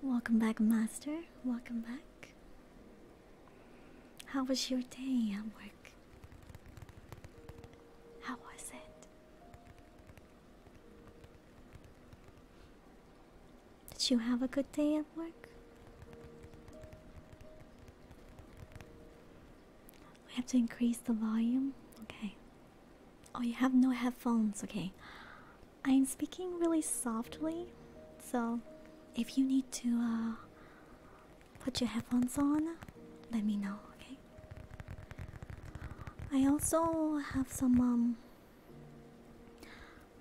Welcome back, Master. Welcome back. How was your day at work? How was it? Did you have a good day at work? We have to increase the volume. Okay. Oh, you have no headphones. Okay. I'm speaking really softly, so if you need to uh, put your headphones on, let me know, okay? I also have some, um,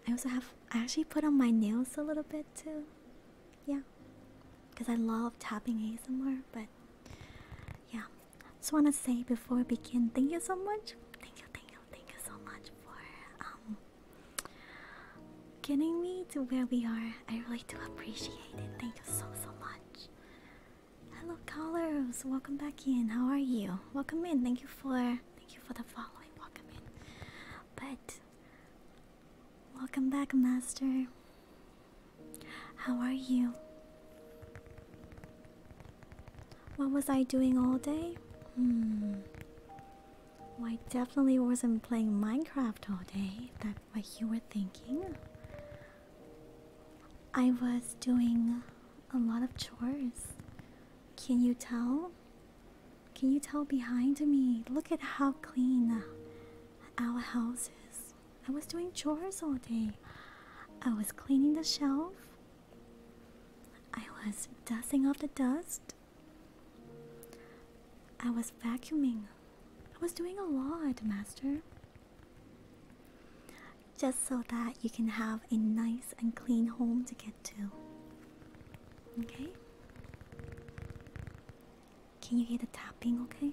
I also have, I actually put on my nails a little bit too, yeah, because I love tapping ASMR, but yeah, I just want to say before we begin, thank you so much, thank you, thank you, thank you so much for um, getting me to where we are. I really do appreciate it. Thank you so so much. Hello callers, welcome back in. How are you? Welcome in. Thank you for thank you for the following. Welcome in. But welcome back, Master. How are you? What was I doing all day? Hmm. Well, I definitely wasn't playing Minecraft all day, that's what you were thinking. I was doing a lot of chores. Can you tell? Can you tell behind me? Look at how clean our house is. I was doing chores all day. I was cleaning the shelf. I was dusting off the dust. I was vacuuming. I was doing a lot, Master. Just so that you can have a nice and clean home to get to. Okay? Can you hear the tapping, okay?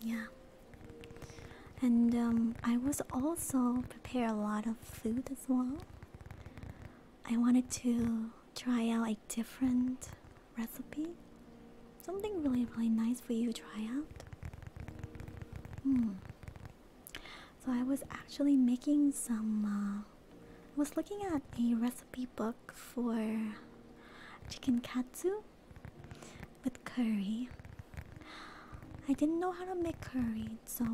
Yeah. And um, I was also prepare a lot of food as well. I wanted to try out a different recipe. Something really, really nice for you to try out. Hmm. So I was actually making some. Uh, I was looking at a recipe book for chicken katsu with curry. I didn't know how to make curry, so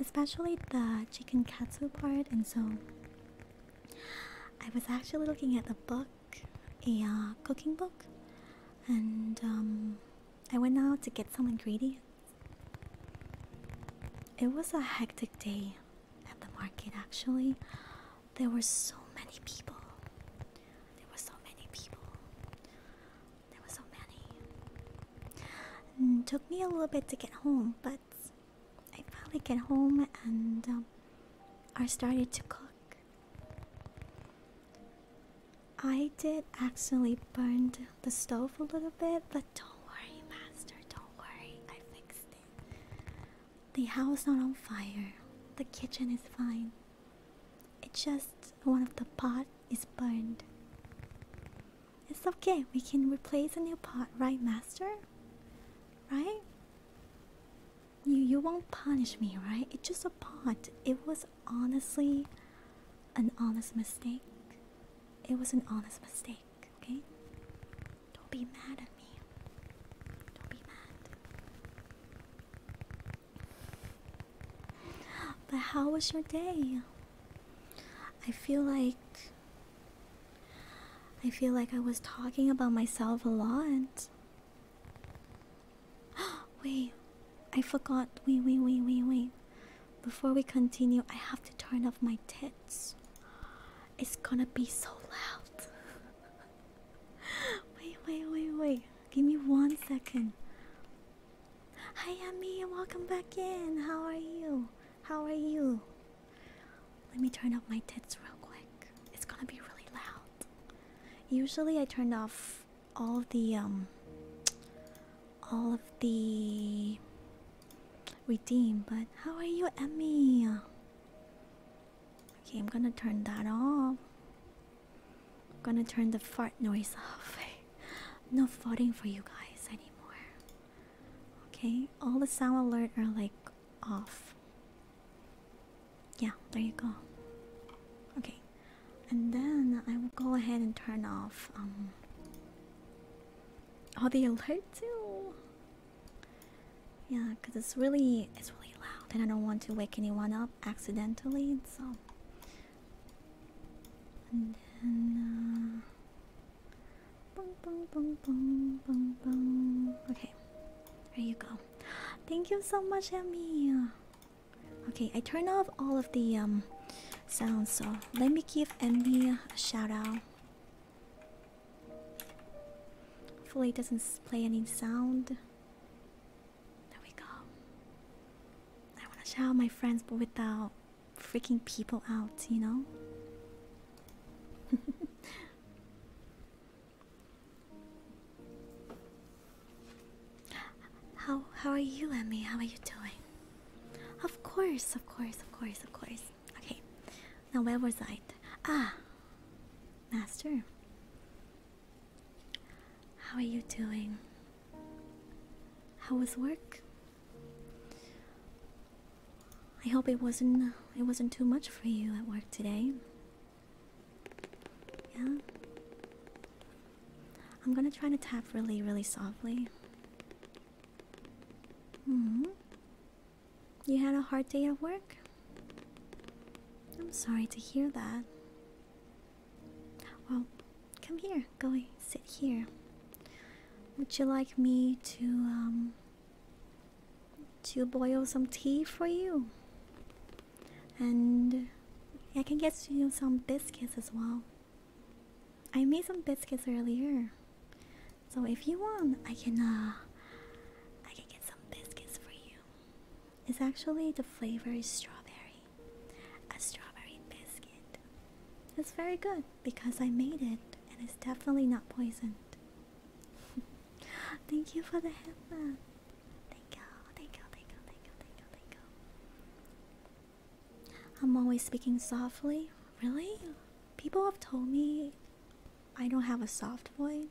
especially the chicken katsu part, and so I was actually looking at the book, a uh, cooking book, and um, I went out to get some ingredients. It was a hectic day at the market, actually. There were so many people. There were so many people. There were so many. took me a little bit to get home, but I finally get home and um, I started to cook. I did actually burn the stove a little bit, but don't worry, Master. Don't worry, I fixed it. The house not on fire. The kitchen is fine. It's just one of the pot is burned. It's okay, we can replace a new pot, right, master? Right? You you won't punish me, right? It's just a pot. It was honestly an honest mistake. It was an honest mistake, okay? Don't be mad at me. Don't be mad. But how was your day? I feel like. I feel like I was talking about myself a lot. wait, I forgot. Wait, wait, wait, wait, wait. Before we continue, I have to turn off my tits. It's gonna be so loud. wait, wait, wait, wait. Give me one second. Hi, Emmy. Welcome back in. How are you? How are you? Let me turn up my tits real quick. It's gonna be really loud. Usually, I turn off all of the um, all of the redeem. But how are you, Emmy? Okay, I'm gonna turn that off. I'm gonna turn the fart noise off. I'm not farting for you guys anymore. Okay, all the sound alerts are like off. Yeah, there you go. Okay, and then I will go ahead and turn off um all the alerts too. Yeah, cause it's really it's really loud, and I don't want to wake anyone up accidentally so. Uh, okay, there you go. Thank you so much, Emmy. Okay, I turned off all of the um sounds, so let me give Emmy a shout out. Hopefully, it doesn't play any sound. There we go. I want to shout out my friends, but without freaking people out, you know? how how are you, Emmy? How are you doing? Of course, of course, of course, of course. Okay. Now where was I? Ah, master. How are you doing? How was work? I hope it wasn't it wasn't too much for you at work today. Yeah. I'm gonna try to tap really, really softly. hmm. You had a hard day at work? I'm sorry to hear that. Well, come here. Go sit here. Would you like me to um to boil some tea for you? And I can get you some biscuits as well. I made some biscuits earlier. So if you want, I can uh I can get some biscuits for you. It's actually the flavor is strawberry a strawberry biscuit. It's very good because I made it and it's definitely not poisoned. thank you for the help. thank you, thank you, thank you, thank you, thank you. I'm always speaking softly. Really? People have told me I don't have a soft voice.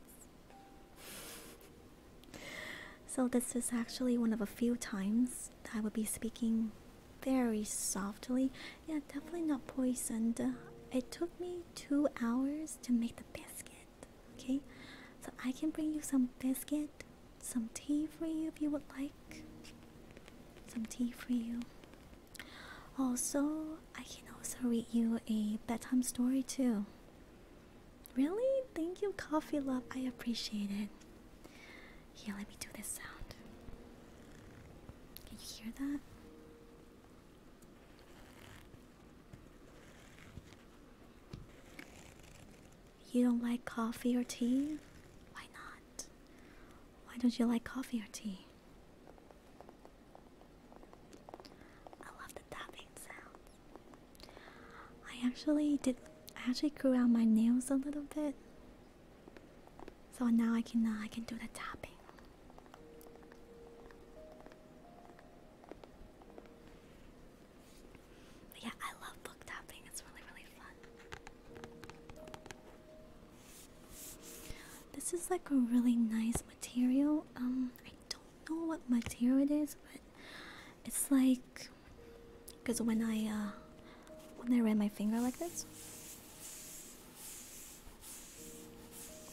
So, this is actually one of a few times I would be speaking very softly. Yeah, definitely not poisoned. It took me two hours to make the biscuit. Okay, so I can bring you some biscuit, some tea for you if you would like. Some tea for you. Also, I can also read you a bedtime story too. Really? Thank you, Coffee Love. I appreciate it. Here, let me do this sound. Can you hear that? You don't like coffee or tea? Why not? Why don't you like coffee or tea? I love the tapping sound. I actually did. I actually grew out my nails a little bit, so now I can uh, I can do the tapping. yeah, I love book tapping. It's really really fun. This is like a really nice material. Um, I don't know what material it is, but it's like because when I uh, when I ran my finger like this,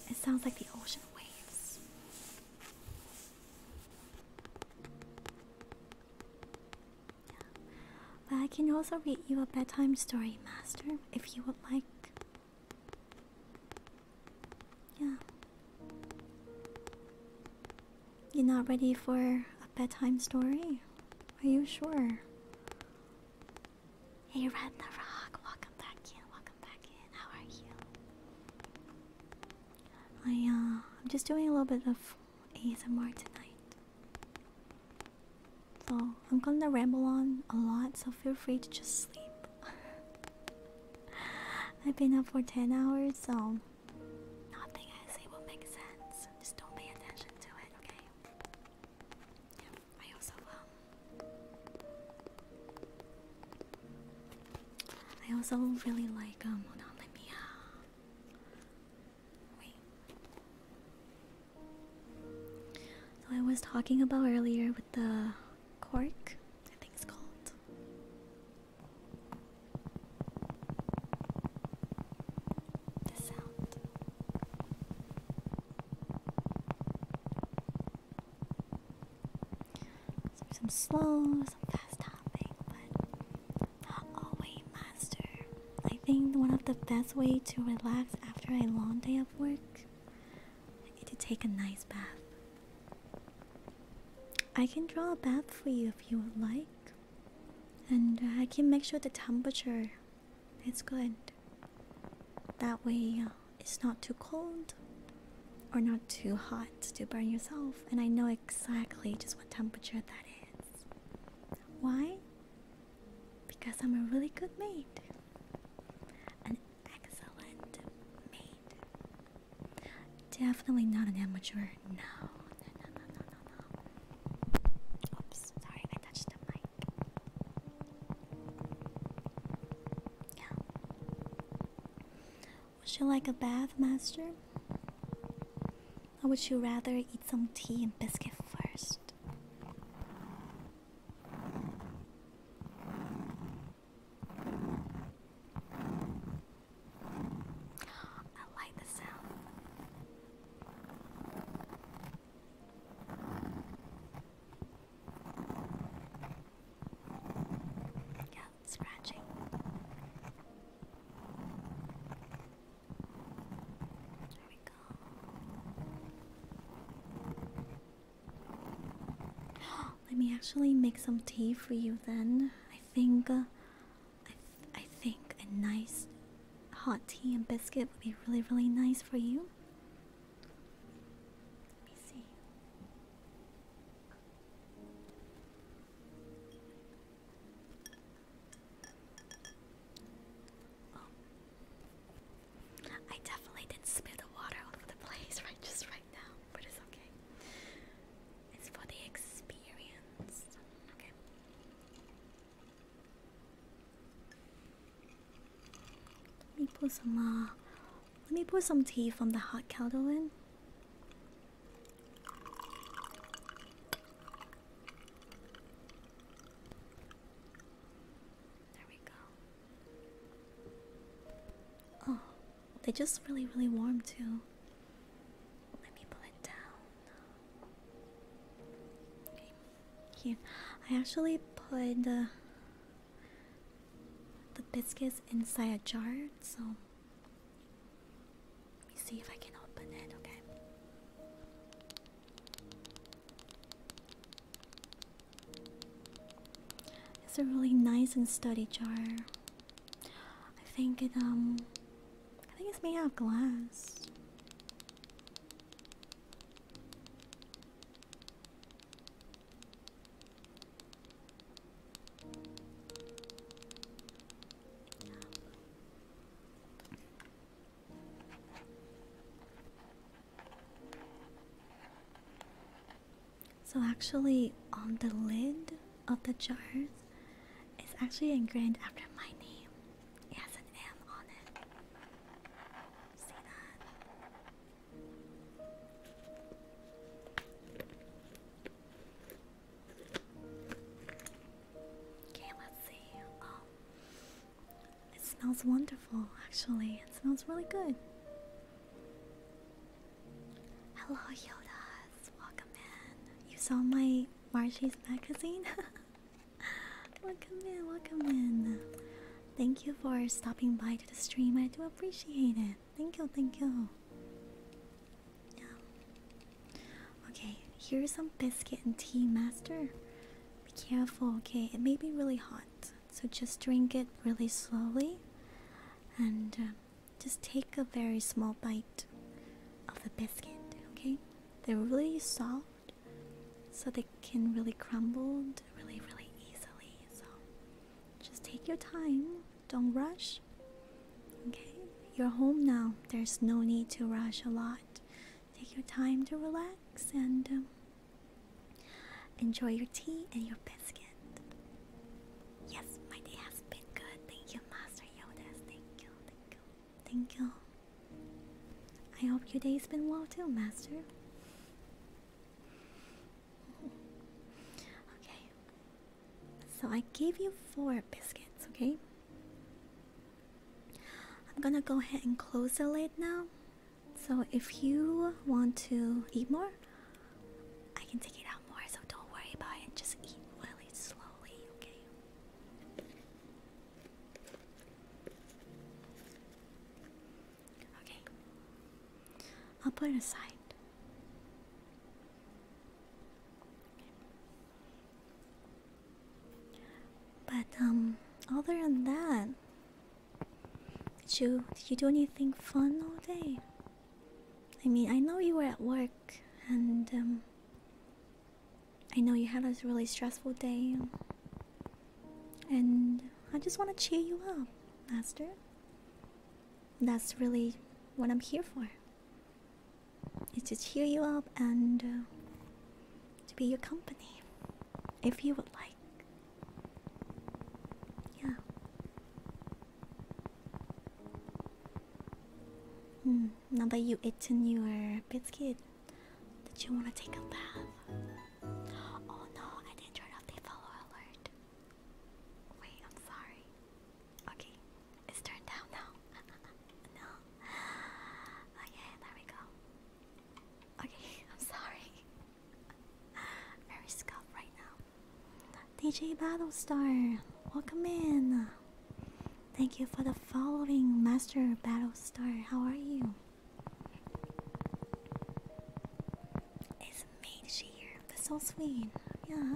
it sounds like the ocean waves. But I can also read you a bedtime story, Master, if you would like. Yeah. You're not ready for a bedtime story? Are you sure? Hey, Red the Rock, welcome back in, welcome back in. How are you? I, uh, I'm just doing a little bit of ASMR tonight. So, I'm gonna ramble on a lot, so feel free to just sleep. I've been up for 10 hours, so Nothing I say will make sense. Just don't pay attention to it, okay? I also um I also really like um hold on let me uh wait. So I was talking about earlier with the cork, I think it's called the sound. some slow, some fast hopping, but not always master. I think one of the best ways to relax after a long day of work is to take a nice bath. I can draw a bath for you if you would like and uh, I can make sure the temperature is good. That way, uh, it's not too cold or not too hot to burn yourself, and I know exactly just what temperature that is. Why? Because I'm a really good maid. An excellent maid. Definitely not an amateur. No, no, no, no, no, no, Oops, sorry, I touched the mic. Would you like a bath, Master? Or would you rather eat some tea and biscuit first? I like the sound. Yeah, scratching. There we go. Let me actually make some tea for you then. I think uh, I, I think a nice hot tea and biscuit would be really, really nice for you. Let me see. Oh. I definitely didn't spill the water over the place right just right now, but it's okay. It's for the experience. Okay. Let me pour some uh, let me put some tea from the hot kettle in. There we go. Oh, they just really, really warm too. Let me pull it down. Okay. I actually put the, the biscuits inside a jar, so let me see if I can open it. Okay. It's a really nice and sturdy jar. I think it um I think it's made out of glass. So, actually, on the lid, of the jars it's actually engraved after my name. It has an M on it. See that? Okay, let's see. Um, it smells wonderful, actually. It smells really good. Hello, Yodas. Welcome in. You saw my Marchie's magazine. welcome in, welcome in. Thank you for stopping by to the stream. I do appreciate it. Thank you, thank you. Okay, here's some biscuit and tea, Master. Be careful, okay? It may be really hot, so just drink it really slowly and uh, just take a very small bite of the biscuit, okay? They're really soft, so they can really crumble really, really easily. So just take your time, don't rush, okay? You're home now, there's no need to rush a lot. Take your time to relax and um, enjoy your tea and your biscuit. Yes, my day has been good. Thank you, Master Yoda. Thank you, thank you. Thank you. I hope your day's been well too, Master. okay. So I gave you four biscuits, okay? I'm gonna go ahead and close the lid now. So if you want to eat more, I can take it out more, so don't worry about it. Just eat really slowly, okay? Okay. I'll put it aside. But um other than that did you you do anything fun all day? I mean I know you were at work and um I know you had a really stressful day, and I just want to cheer you up, Master. That's really what I'm here for. Is to cheer you up and uh, to be your company, if you would like. Yeah. Hmm um, now that you've eaten your biscuit, did you want to take a bath? Oh no, I didn't turn off the follow alert. Wait, I'm sorry. Okay, it's turned down now. no. Okay, there we go. Okay, I'm sorry. Very scuffed right now. DJ Battlestar, welcome in. Thank you for the following, Master Battle Star. How are you? It's Meiji here. so sweet. Yeah.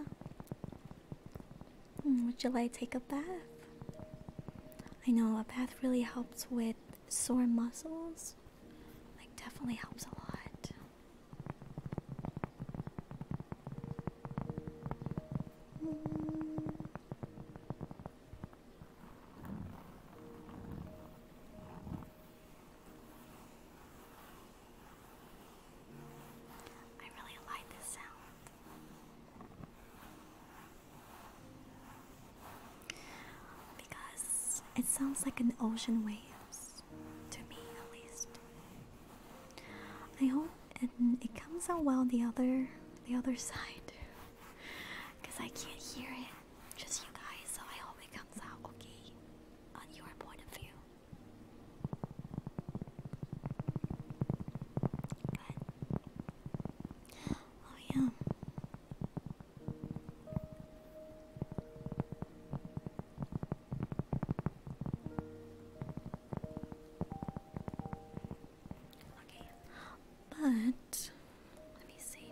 Hmm, would you like to take a bath? I know a bath really helps with sore muscles. Like definitely helps a lot. I really like this sound. Because it sounds like an ocean waves, to me at least. I hope it, it comes out well the other the other side because I can't hear it just you guys so I hope it comes out okay on your point of view oh yeah Okay. But let me see.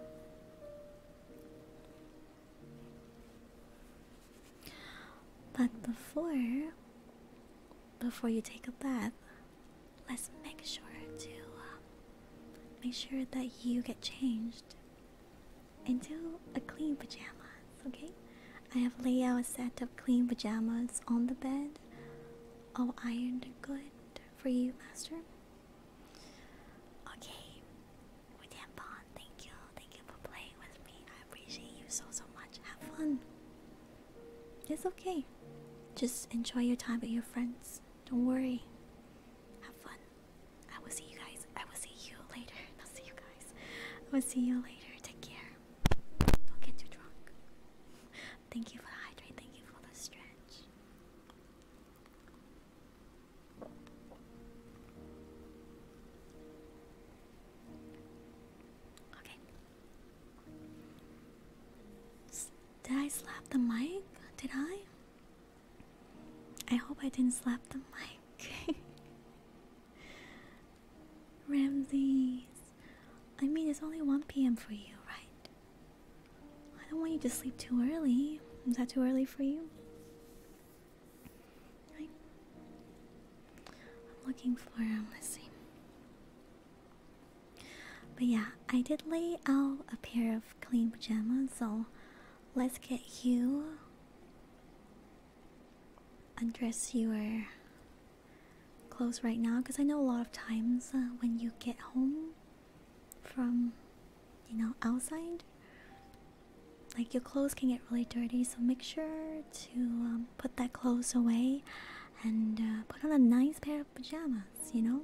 But before before you take a bath, let's make sure to um, make sure that you get changed into a clean pajamas, okay? I have laid out a set of clean pajamas on the bed Oh, ironed good for you, master? Okay. With bond, thank you. Thank you for playing with me. I appreciate you so, so much. Have fun. It's okay. Just enjoy your time with your friends. Don't worry. Have fun. I will see you guys. I will see you later. I'll see you guys. I will see you later. Take care. Don't get too drunk thank you for the hydrate, thank you for the stretch. Okay. did I slap the mic? Did I? I hope I didn't slap the mic. Ramses, I mean, it's only 1 p.m. for you, right? I don't want you to sleep too early. Is that too early for you? Right. I'm looking for, um, let's see. But yeah, I did lay out a pair of clean pajamas, so let's get you undress You your close right now because I know a lot of times uh, when you get home from you know outside like your clothes can get really dirty so make sure to um, put that clothes away and uh, put on a nice pair of pajamas you know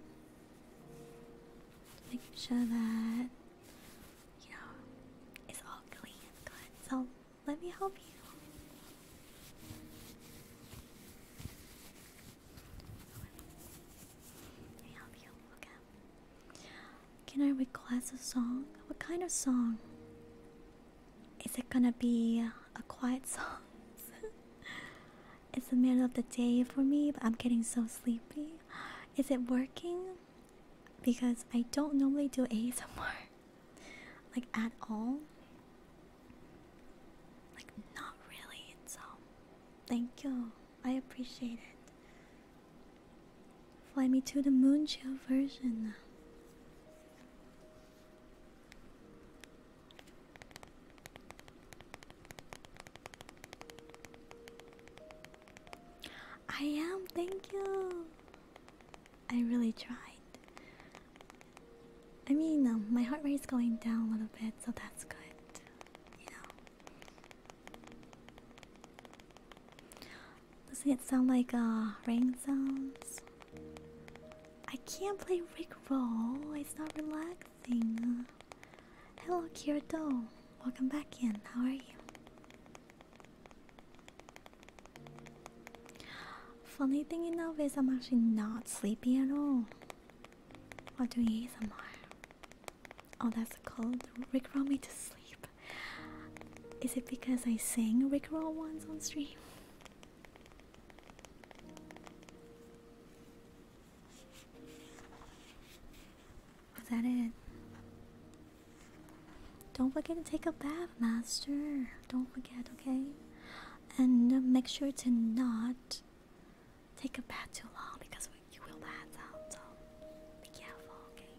make sure that you know it's all clean so let me help you can I request a song? What kind of song? Is it gonna be a quiet song? it's the middle of the day for me, but I'm getting so sleepy. Is it working? Because I don't normally do ASMR like at all. Like, not really, it's um. Thank you, I appreciate it. Fly me to the moon chill version. I am, thank you. I really tried. I mean, um, my heart rate is going down a little bit, so that's good. You know. Doesn't it sound like uh, rain sounds? I can't play Rickroll. It's not relaxing. Hello, Kirito. Welcome back in. How are you? Funny thing enough is I'm actually not sleepy at all. What I'll do ASMR. Oh, that's called Rickroll me to sleep. Is it because I sang Rickroll once on stream? Is that it? Don't forget to take a bath, Master. Don't forget, okay? and uh, make sure to not take a bath too long because you will pass out. So be careful, okay?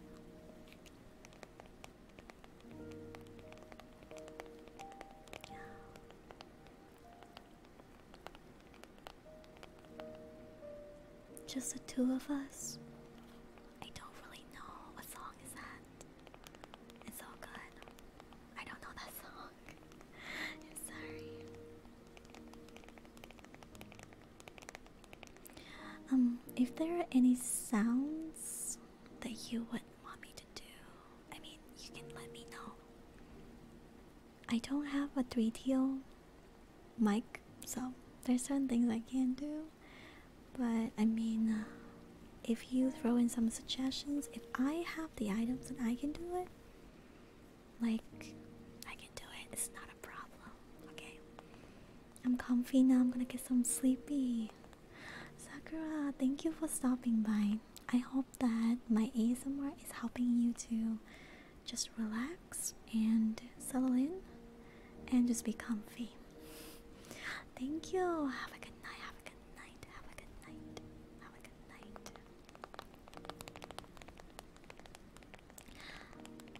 Just the two of us. I don't really know what song is that. It's all good. I don't know that song sorry. Um, if there are any sounds that you would want me to do, I mean, you can let me know. I don't have a 3DO mic, so there's certain things I can't do. But I mean, uh, if you throw in some suggestions, if I have the items and I can do it, like, I can do it. It's not a problem, okay? I'm comfy now. I'm gonna get some sleepy. Sakura, thank you for stopping by. I hope that my ASMR is helping you to just relax and settle in and just be comfy. Thank you. Have a good night. Have a good night. Have a good night. Have a good night.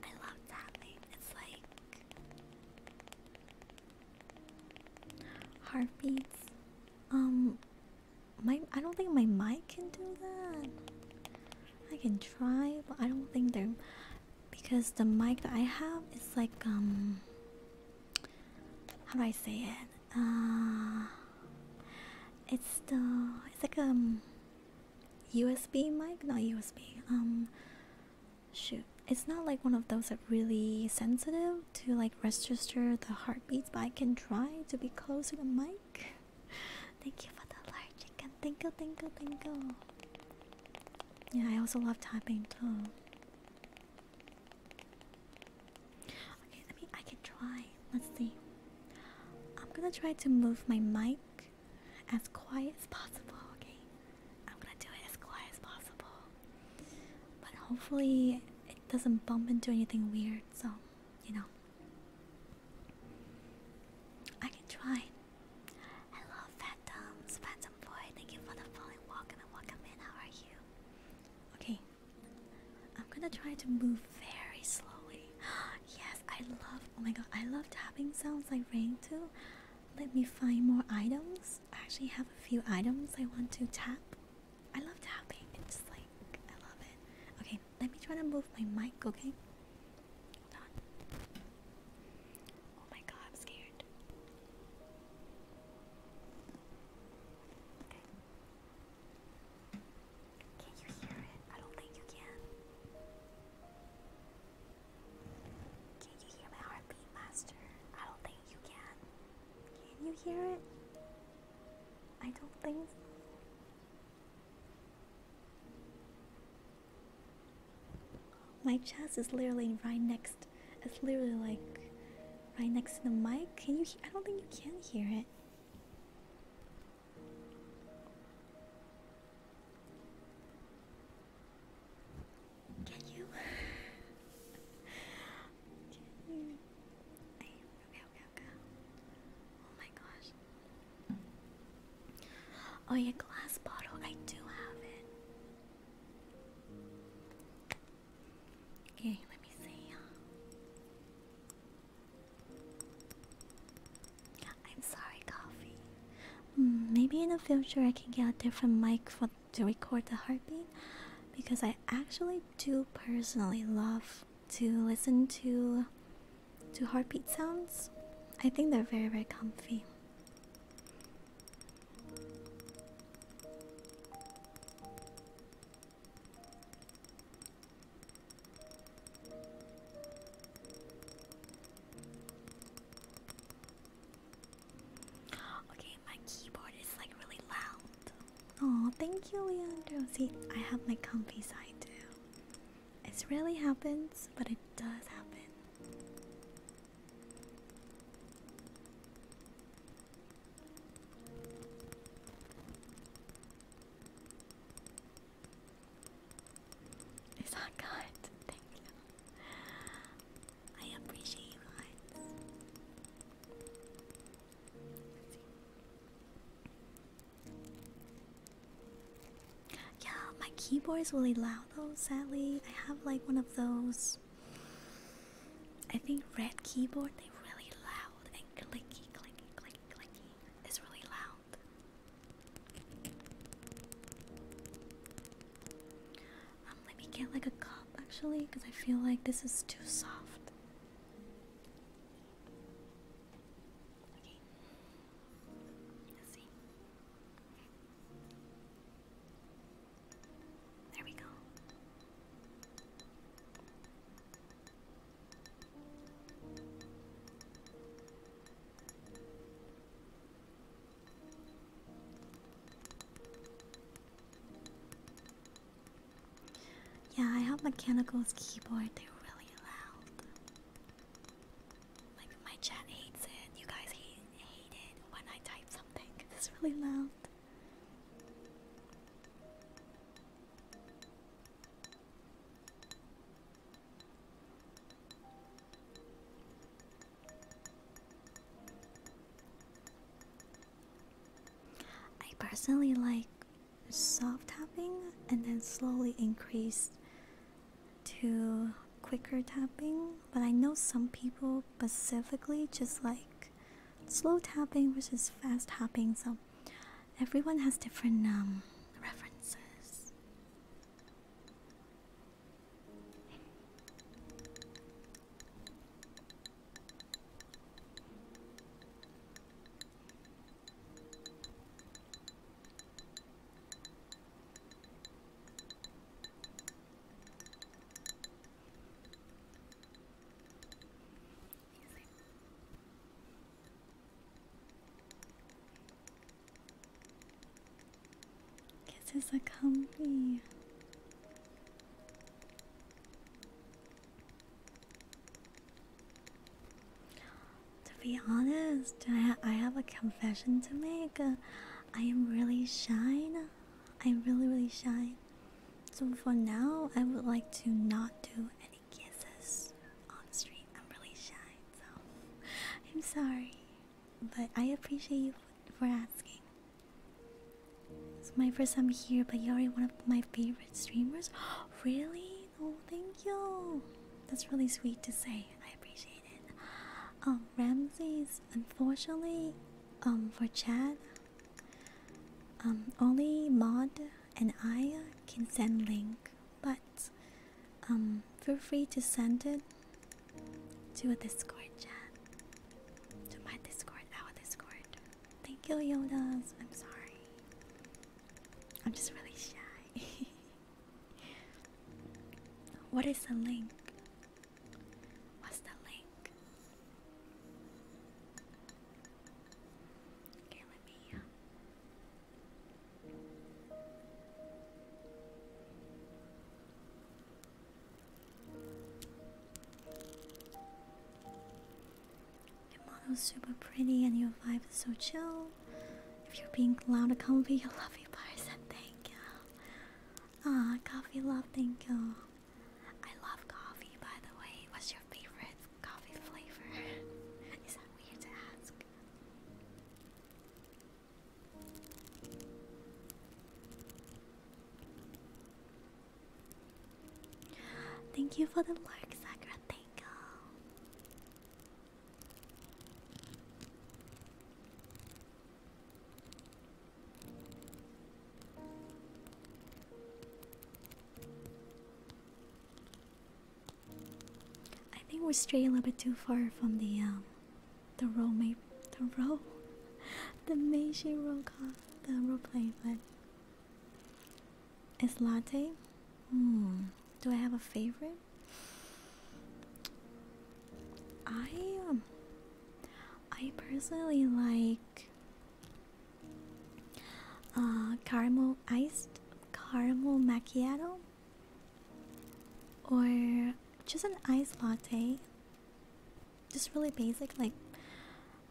I love that light. It's like heartbeats. Um, my I don't think my mic can do that. I can try, but I don't think they're because the mic that I have is like um. How do I say it? Uh, it's the it's like a um, USB mic, not USB. Um, shoot, it's not like one of those that really sensitive to like register the heartbeats, but I can try to be close to the mic. Thank you for the large chicken. Tinkle, tinkle, tinkle. Yeah, I also love tapping too. Okay, let me. I can try. Let's see. I'm gonna try to move my mic as quiet as possible. Okay, I'm gonna do it as quiet as possible, but hopefully it doesn't bump into anything weird. So, you know, I can try. Hello, Phantoms, Phantom Boy. Thank you for the following walk and welcome in. How are you? Okay, I'm gonna try to move very slowly. yes, I love. Oh my god, I love tapping sounds like rain too. Let me find more items. I actually have a few items I want to tap. I love tapping. It's like I love it. Okay, let me try to move my mic. Okay. Hold on. Oh my god, I'm scared. Okay. Can you hear it? I don't think you can. Can you hear my heartbeat, Master? I don't think you can. Can you hear it? I don't think My chest is literally right next. It's literally like right next to the mic. Can you? I don't think you can hear it. Can you? can you? okay, okay, okay. Oh my gosh. Oh, yeah, glass bottle. I do have it. Okay, let me see. I'm sorry, coffee. Mm, maybe in the future I can get a different mic for to record the heartbeat because I actually do personally love to listen to to heartbeat sounds. I think they're very very comfy. Okay, my keyboard is like really loud. Oh, thank you, Leandro. See, I have my comfy side too. It's rarely happens, but it does happen. Is that good? Thank you. I appreciate you guys. Yeah, my keyboard's really loud though, sadly. I have like one of those I think red keyboard, they are really loud and clicky, clicky, clicky, clicky. It's really loud. Um, let me get like a cup actually, because I feel like this is too soft. Okay. Let's see. There we go. Yeah, I have Mechanical's keyboard, they're really loud. Like, my chat hates it, you guys hate, hate it when I type something, it's really loud. I personally like soft tapping and then slowly increase to quicker tapping, but I know some people specifically just like slow tapping versus fast tapping, so everyone has different um, references amazing. Kisses are comfy. To be honest, I, I have a confession to make. Uh, I am really shy. I'm really, really shy. So for now, I would like to not do any kisses on stream. I'm really shy, so I'm sorry. But I appreciate you for asking. It's my first time here, but you're one of my favorite streamers. really? Oh, thank you. That's really sweet to say. I appreciate it. Um, Ramses, unfortunately, um, for Chad, um, only mod and I can send link, but um, feel free to send it to a Discord chat, to my Discord, our Discord. Thank you, Yodas. I'm sorry. I'm just really shy. what is the link? What's the link? Your model's super pretty and your vibe is so chill. If you're being loud and comfy, you love you, person. Thank you. Ah, coffee love, thank you. I love coffee, by the way. What's your favorite coffee flavor? Is that weird to ask? Thank you for the lurk, Sakura Tango. I think we're straying a little bit too far from the um, the role may the role the Meiji role the role play, but it's latte. Hmm. Do I have a favorite? I um, I personally like uh, caramel iced caramel macchiato, or just an iced latte. Just really basic, like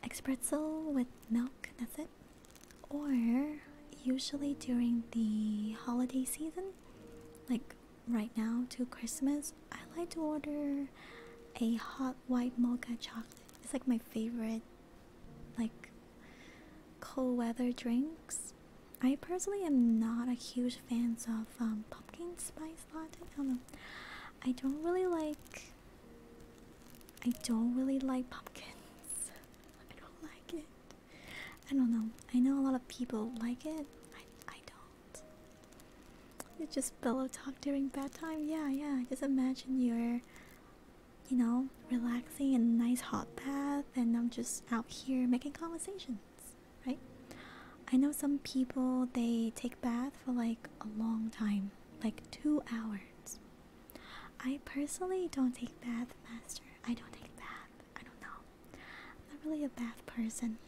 espresso with milk. That's it. Or usually during the holiday season, like right now to Christmas, I like to order a hot white mocha chocolate. It's like my favorite, like cold weather drinks. I personally am not a huge fan of um, pumpkin spice latte. I don't know. I don't really like. I don't really like pumpkins. I don't like it. I don't know. I know a lot of people like it. I I don't. You just pillow talk during bedtime. Yeah, yeah. Just imagine you're you know, relaxing in a nice hot bath, and I'm just out here making conversations, right? I know some people they take bath for like a long time, like two hours. I personally don't take bath, master. I don't take bath. I don't know. am not really a bath person.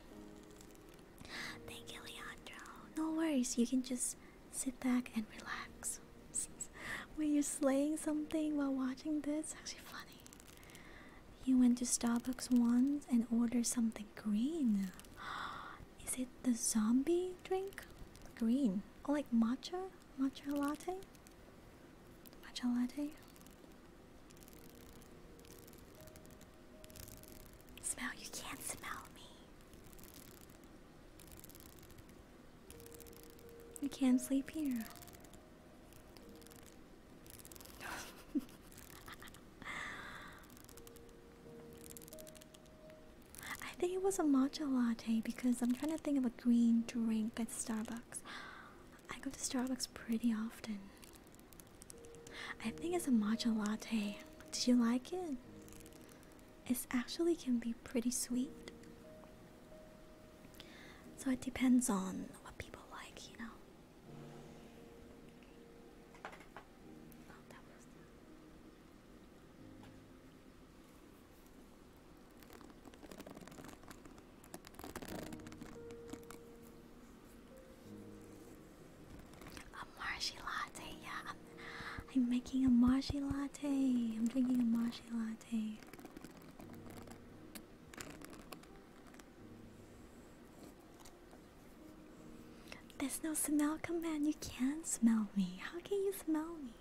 Thank you, Leandro. No worries. You can just Sit back and relax. Were you slaying something while watching this, actually funny. You went to Starbucks once and ordered something green. Is it the zombie drink? Green. oh, like matcha? Matcha latte? Matcha latte? Smell, you can't smell me. We can't sleep here. I think it was a matcha latte because I'm trying to think of a green drink at Starbucks. I go to Starbucks pretty often. I think it's a matcha latte. Did you like it? It actually can be pretty sweet. So it depends on what people like, you know. Oh, a marshy latte, yeah, I'm making a marshy latte. I'm drinking a marshy latte. There's no smell command. You can't smell me. How can you smell me?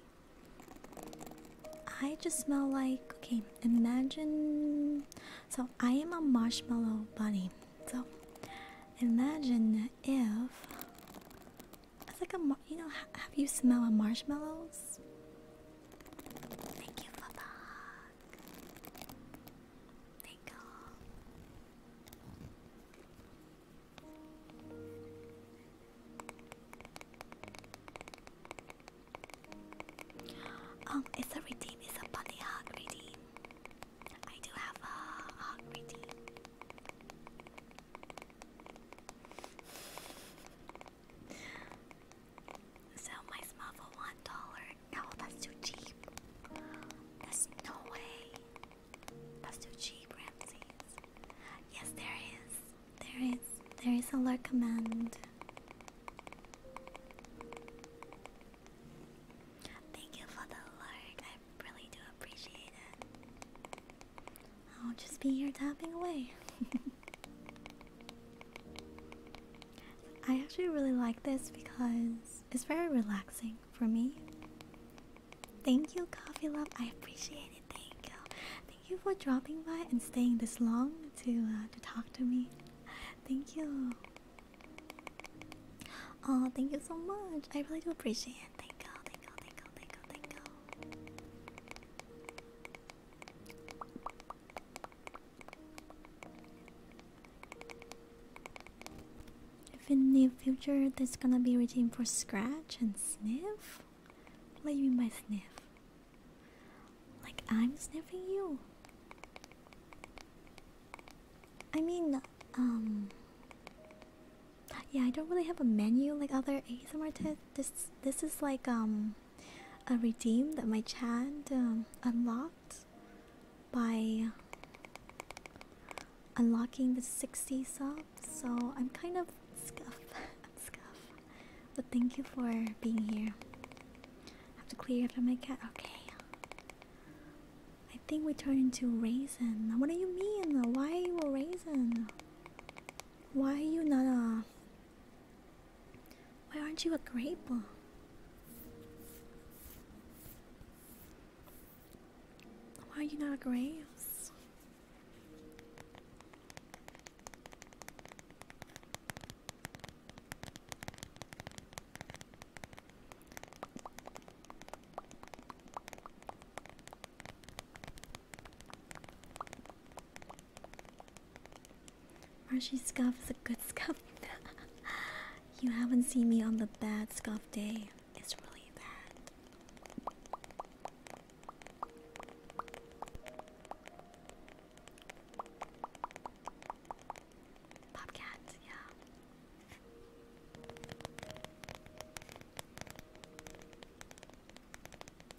I just smell like okay. Imagine so I am a marshmallow bunny. So imagine if it's like a, you know, have you smelled marshmallows? Thank you for the Thank you. Um, it's a redeem, it's a bunny hug redeem. I do have a hug redeem. So my smell one dollar. No, that's too cheap. There's no way. That's too cheap, Ramses. Yes, there is. There is. There is a lurk command. Thank you for the lurk. I really do appreciate it. I'll just be here tapping away. I actually really like this because it's very relaxing for me. Thank you, Coffee Love. I appreciate it. Thank you. Thank you for dropping by and staying this long to uh, to talk to me. Thank you. Oh, thank you so much. I really do appreciate it. Thank you, thank you, thank you, thank you, thank you. If in the future there's gonna be routine for scratch and sniff? What do you mean by sniff? Like I'm sniffing you? I mean, um, yeah, I don't really have a menu like other ASMR artists. This this is like um a redeem that my chat um, unlocked by unlocking the 60 subs. So I'm kind of scuffed. I'm scuffed. But thank you for being here. I have to clear after my cat. Okay. I think we turn into raisin. What do you mean? Why raisin? Why are you not a. Uh, why aren't you a grape? Why are you not a grape? Marshy scuff is a good scuff. you haven't seen me on the bad scuff day. It's really bad. Popcat, yeah.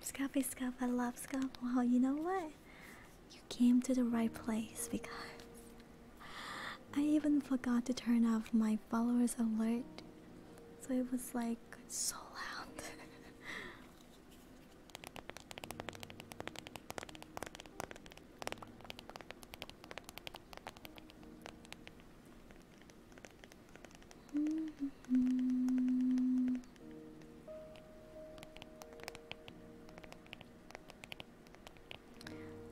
Scuffy Scuff, I love Scuff. Well, you know what? You came to the right place because I even forgot to turn off my followers alert. So it was like so loud. Mm-hmm.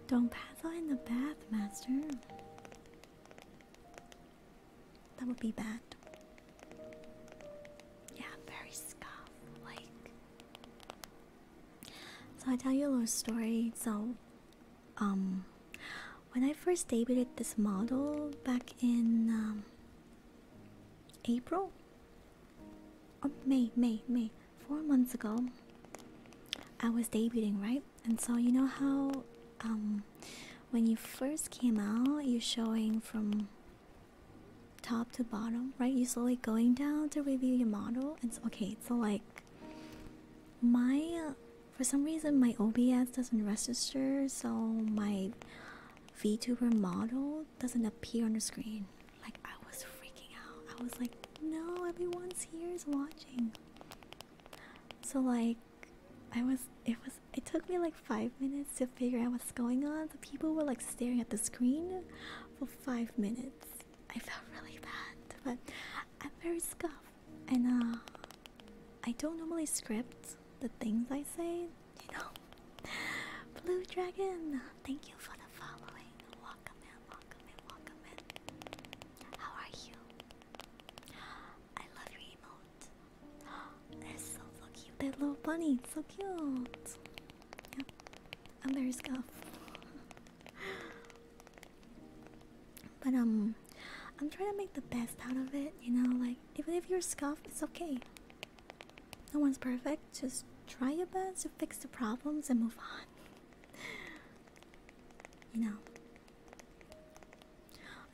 Don't paddle in the bath, master. That would be bad. Yeah, very scuff like. So I tell you a little story. So, um, when I first debuted this model back in um, April? Oh, May, May, May. Four months ago, I was debuting, right? And so you know how, um, when you first came out, you're showing from top to bottom, right? You're slowly going down to review your model. And so, okay, so like, my, uh, for some reason, my OBS doesn't register, so my VTuber model doesn't appear on the screen. Like, I was freaking out. I was like, no, everyone's here is watching. So, like, I was, it was, it took me like five minutes to figure out what's going on. The people were like staring at the screen for five minutes. I felt really bad, but I'm very scuffed. And, uh, I don't normally script the things I say you know. Blue Dragon, thank you for the following. Welcome in, welcome in, welcome in. How are you? I love your emote. They're so, so cute. That little bunny, so cute. Yep. And there's scuff. But um, I'm trying to make the best out of it, you know. Like even if you're scuffed, it's okay. No one's perfect, just try your best to fix the problems and move on. You know,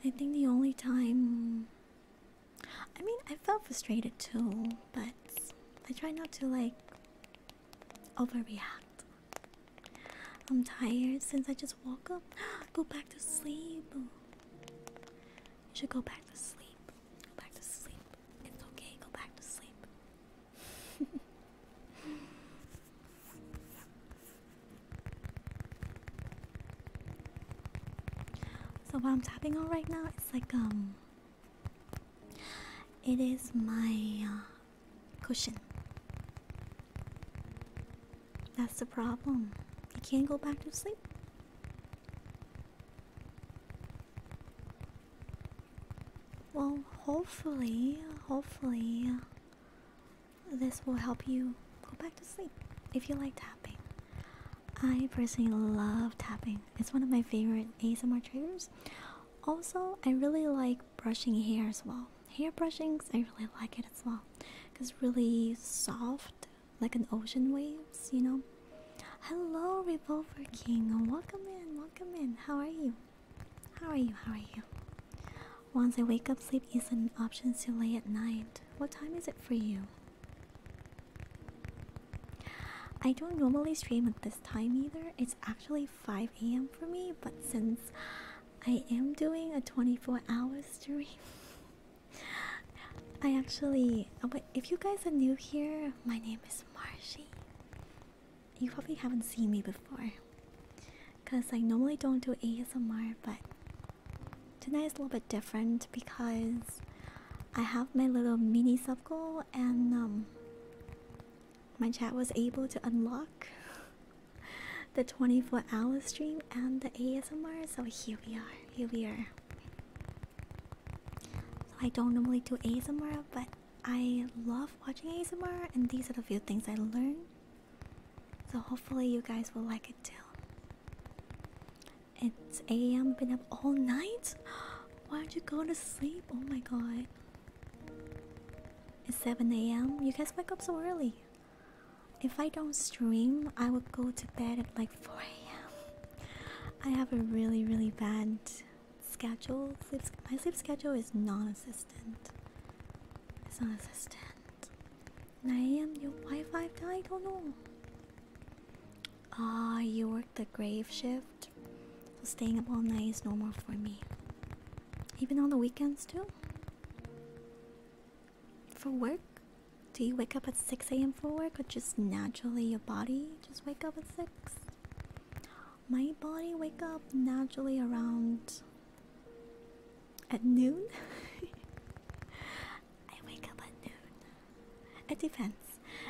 I think the only time. I mean, I felt frustrated too, but I tried not to like overreact. I'm tired since I just woke up. Go back to sleep. You should go back to sleep. Go back to sleep. It's okay. Go back to sleep. so what I'm tapping on right now it's like um it is my uh, cushion. That's the problem. You can't go back to sleep. Well, hopefully, hopefully, this will help you go back to sleep if you like tapping. I personally love tapping, it's one of my favorite my triggers. Also, I really like brushing hair as well. Hair brushings, I really like it as well because really soft like an ocean waves, you know. Hello, Revolver King. Welcome in. Welcome in. How are you? How are you? How are you? Once I wake up, sleep isn't an option too late at night. What time is it for you? I don't normally stream at this time either. It's actually 5 a.m. for me, but since I am doing a 24 hour stream, I actually, oh, if you guys are new here, my name is Marshy. You probably haven't seen me before. Because I normally don't do ASMR, but tonight is a little bit different because I have my little mini sub goal and um, my chat was able to unlock the 24 hour stream and the ASMR. So here we are. Here we are. So I don't normally do ASMR, but I love watching ASMR, and these are the few things I learned. So hopefully you guys will like it too. It's 8 a.m. Been up all night. Why aren't you go to sleep? Oh my god. It's 7 a.m. You guys wake up so early. If I don't stream, I would go to bed at like 4 a.m. I have a really, really bad schedule. my sleep schedule is non assistant It's non assistant 9 a.m. Your Wi-Fi died. don't know. Ah, you work the grave shift. So staying up all night is normal for me. Even on the weekends too. For work, do you wake up at 6 a.m. for work or just naturally your body just wake up at 6? My body wake up naturally around at noon. I wake up at noon. It depends.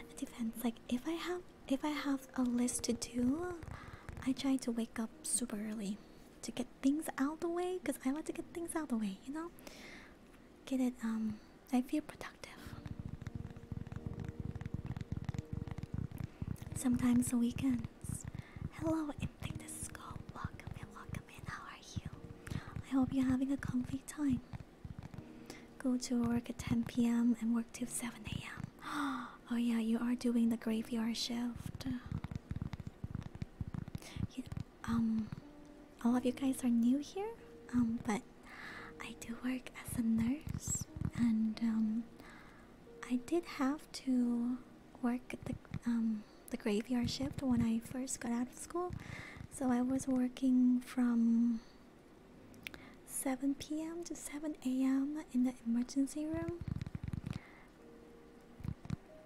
It depends. Like if I have if I have a list to do, I try to wake up super early to get things out the way because I like to get things out the way, you know? Get it um I feel productive. Sometimes the weekends. Hello, Empty Disco. Welcome in, welcome in. How are you? I hope you're having a comfy time. Go to work at 10 p.m. and work till 7 a.m. Oh, yeah, you are doing the graveyard shift um, all of you guys are new here, um, but I do work as a nurse, and um, I did have to work the um the graveyard shift when I first got out of school, so I was working from 7 p.m. to 7 a.m. in the emergency room.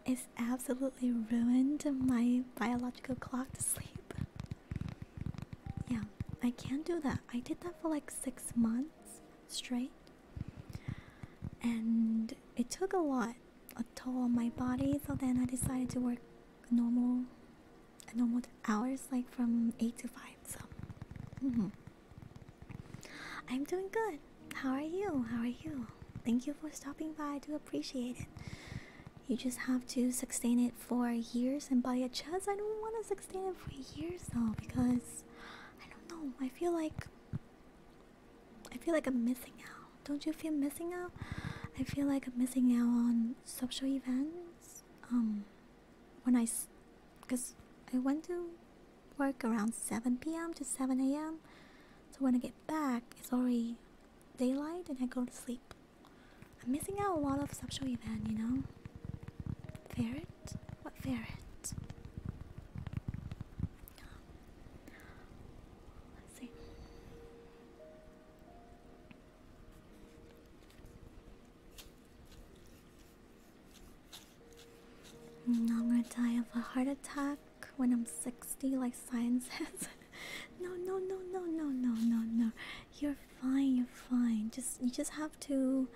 It's absolutely ruined my biological to go clock to sleep. Yeah, I can't do that. I did that for like six months straight, and it took a lot, a toll on my body. So then I decided to work normal, normal hours, like from eight to five. So, mm-hmm. I'm doing good. How are you? How are you? Thank you for stopping by. I do appreciate it. You just have to sustain it for years and by a chance, I don't want to sustain it for years though because I don't know. I feel like I feel like I'm missing out. Don't you feel missing out? I feel like I'm missing out on social events. Um, when I, cause I went to work around 7 p.m. to 7 a.m. So when I get back, it's already daylight and I go to sleep. I'm missing out a lot of social event, you know? Ferret? What ferret? Let's see. I'm gonna die of a heart attack when I'm 60, like science says. no, no, no, no, no, no, no, no. You're fine. You're fine. Just you just have to,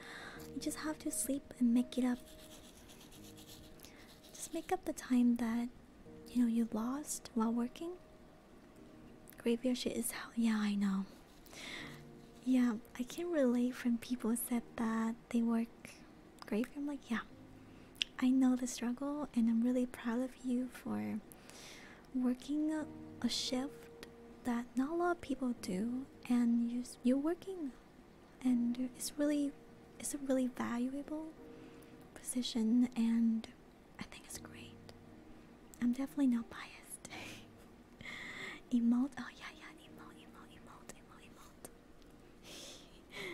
you just have to sleep and make it up. Just make up the time that you know you lost while working. Graveyard shit is hell. Yeah, I know. Yeah, I can relate When people said that they work graveyard. I'm like, yeah, I know the struggle, and I'm really proud of you for working a, shift that not a lot of people do and you you're working and it's really it's a really valuable position and I think it's great. I'm definitely not biased. emote, oh yeah, yeah, emote, emote, emote, emote, emote.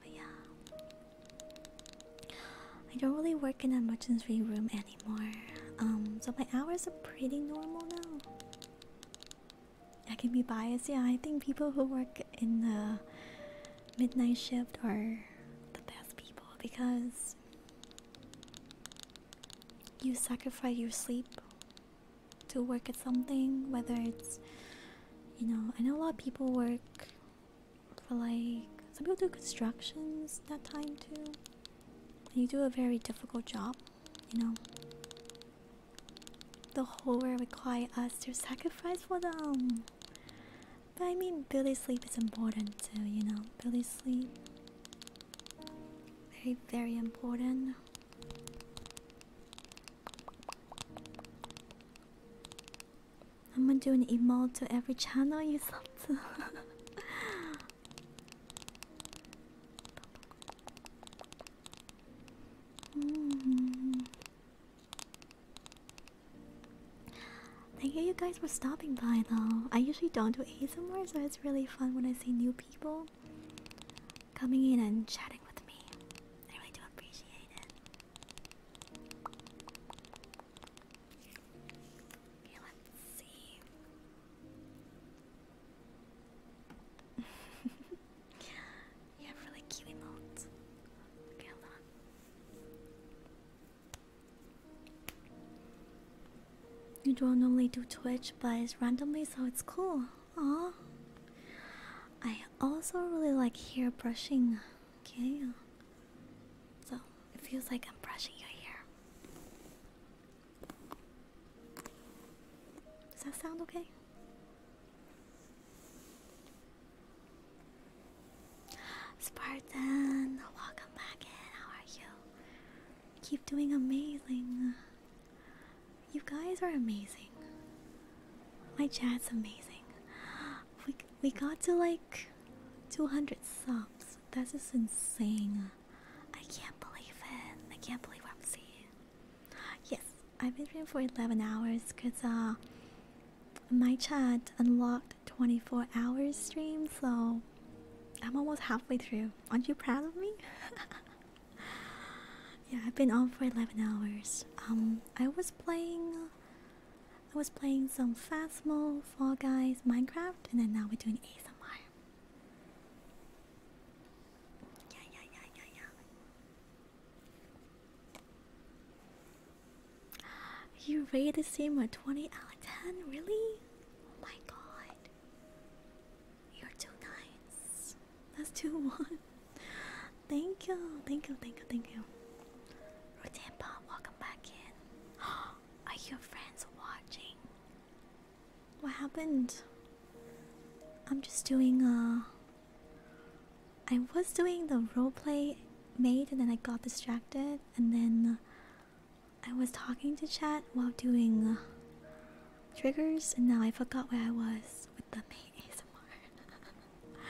But yeah, I don't really work in a emergency room anymore. Um, so my hours are pretty normal now. I can be biased. Yeah, I think people who work in the midnight shift are the best people because you sacrifice your sleep to work at something whether it's you know i know a lot of people work for like some people do constructions that time too. you do a very difficult job, you know. The whole world require us to sacrifice for them. But I mean, Billy sleep is important too, you know. Billy sleep, very very important. I'm gonna do an email to every channel you sub to. Mm-hmm. Thank you, you guys, for stopping by. Though I usually don't do ASMR, so it's really fun when I see new people coming in and chatting with me. I really do appreciate it. Okay, let's see. you have really cute emotes. Okay, hold on. You don't normally do Twitch, but it's randomly, so it's cool. Aww. I also really like hair brushing. Okay. Uh, so it feels like I'm brushing your hair. Does that sound okay? Spartan, welcome back in. How are you? Keep doing amazing. You guys are amazing. My chat's amazing. We got to like 200 subs. That's just insane. I can't believe it. I can't believe what I'm seeing. Yes, I've been streaming for 11 hours because uh, my chat unlocked 24 hours stream, so I'm almost halfway through. Aren't you proud of me? yeah, I've been on for 11 hours. Um, I was playing I was playing some Phasmo, Fall Guys, Minecraft, and then now we're doing ASMR. Yeah, yeah, yeah, yeah, yeah. You ready to see my 20 out of 10? Really? Oh my god. You're too nice. That's too one. Thank you, thank you, thank you, thank you. Rotan welcome back in. Are your friends watching? What happened? I'm just doing uh I was doing the roleplay made and then I got distracted and then I was talking to chat while doing uh, triggers and now I forgot where I was with the main ASMR.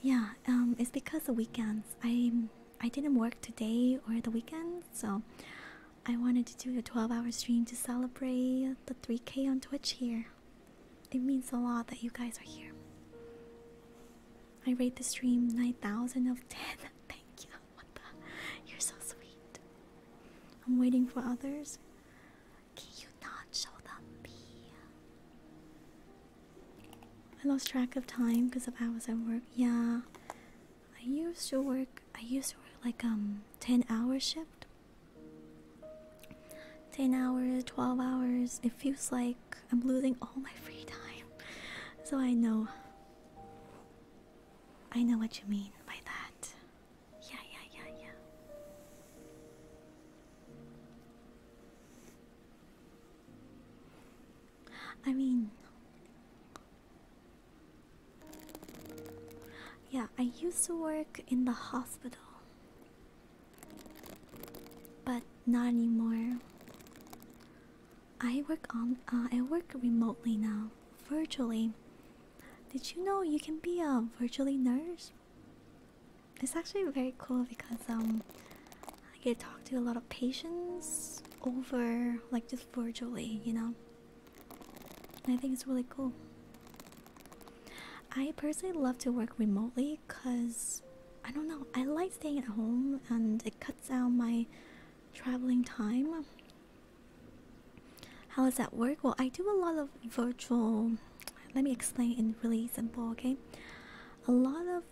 Yeah, um, it's because the weekends. I I didn't work today or the weekend, so I wanted to do a 12-hour stream to celebrate the 3K on Twitch here. It means a lot that you guys are here. I rate the stream 9,000 of 10. Thank you. What the? You're so sweet. I'm waiting for others. Can you not show them me? I lost track of time because of hours at work. Yeah. I used to work I used to work like um 10 hour shift. 10 hours, 12 hours. It feels like I'm losing all my free time. So I know. I know what you mean by that. Yeah, yeah, yeah, yeah. I mean, yeah, I used to work in the hospital, but not anymore. I work on. Uh, I work remotely now, virtually. Did you know you can be a virtually nurse? it's actually very cool because um I get to talk to a lot of patients over like just virtually, you know. I think it's really cool. I personally love to work remotely because I don't know, I like staying at home and it cuts down my traveling time. How does that work? Well, I do a lot of virtual let me explain in really simple okay a lot of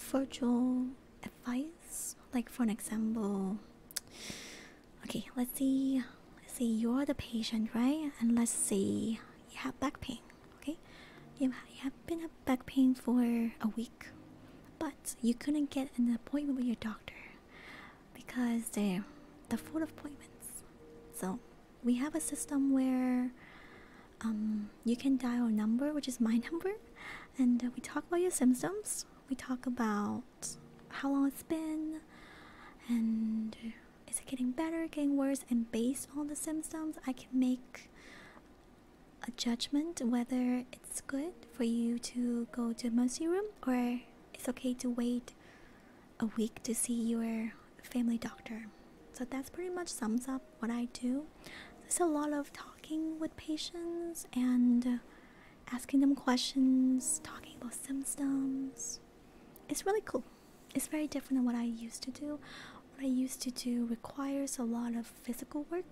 virtual advice like for an example okay let's see let's say you're the patient right and let's say you have back pain okay you have been a back pain for a week but you couldn't get an appointment with your doctor because they're they full appointments so we have a system where um, you can dial a number, which is my number, and uh, we talk about your symptoms. We talk about how long it's been, and is it getting better, getting worse, and based on the symptoms, I can make a judgment whether it's good for you to go to emergency room or it's okay to wait a week to see your family doctor. So that's pretty much sums up what I do. It's a lot of talking with patients and asking them questions, talking about symptoms. It's really cool. It's very different than what I used to do. What I used to do requires a lot of physical work,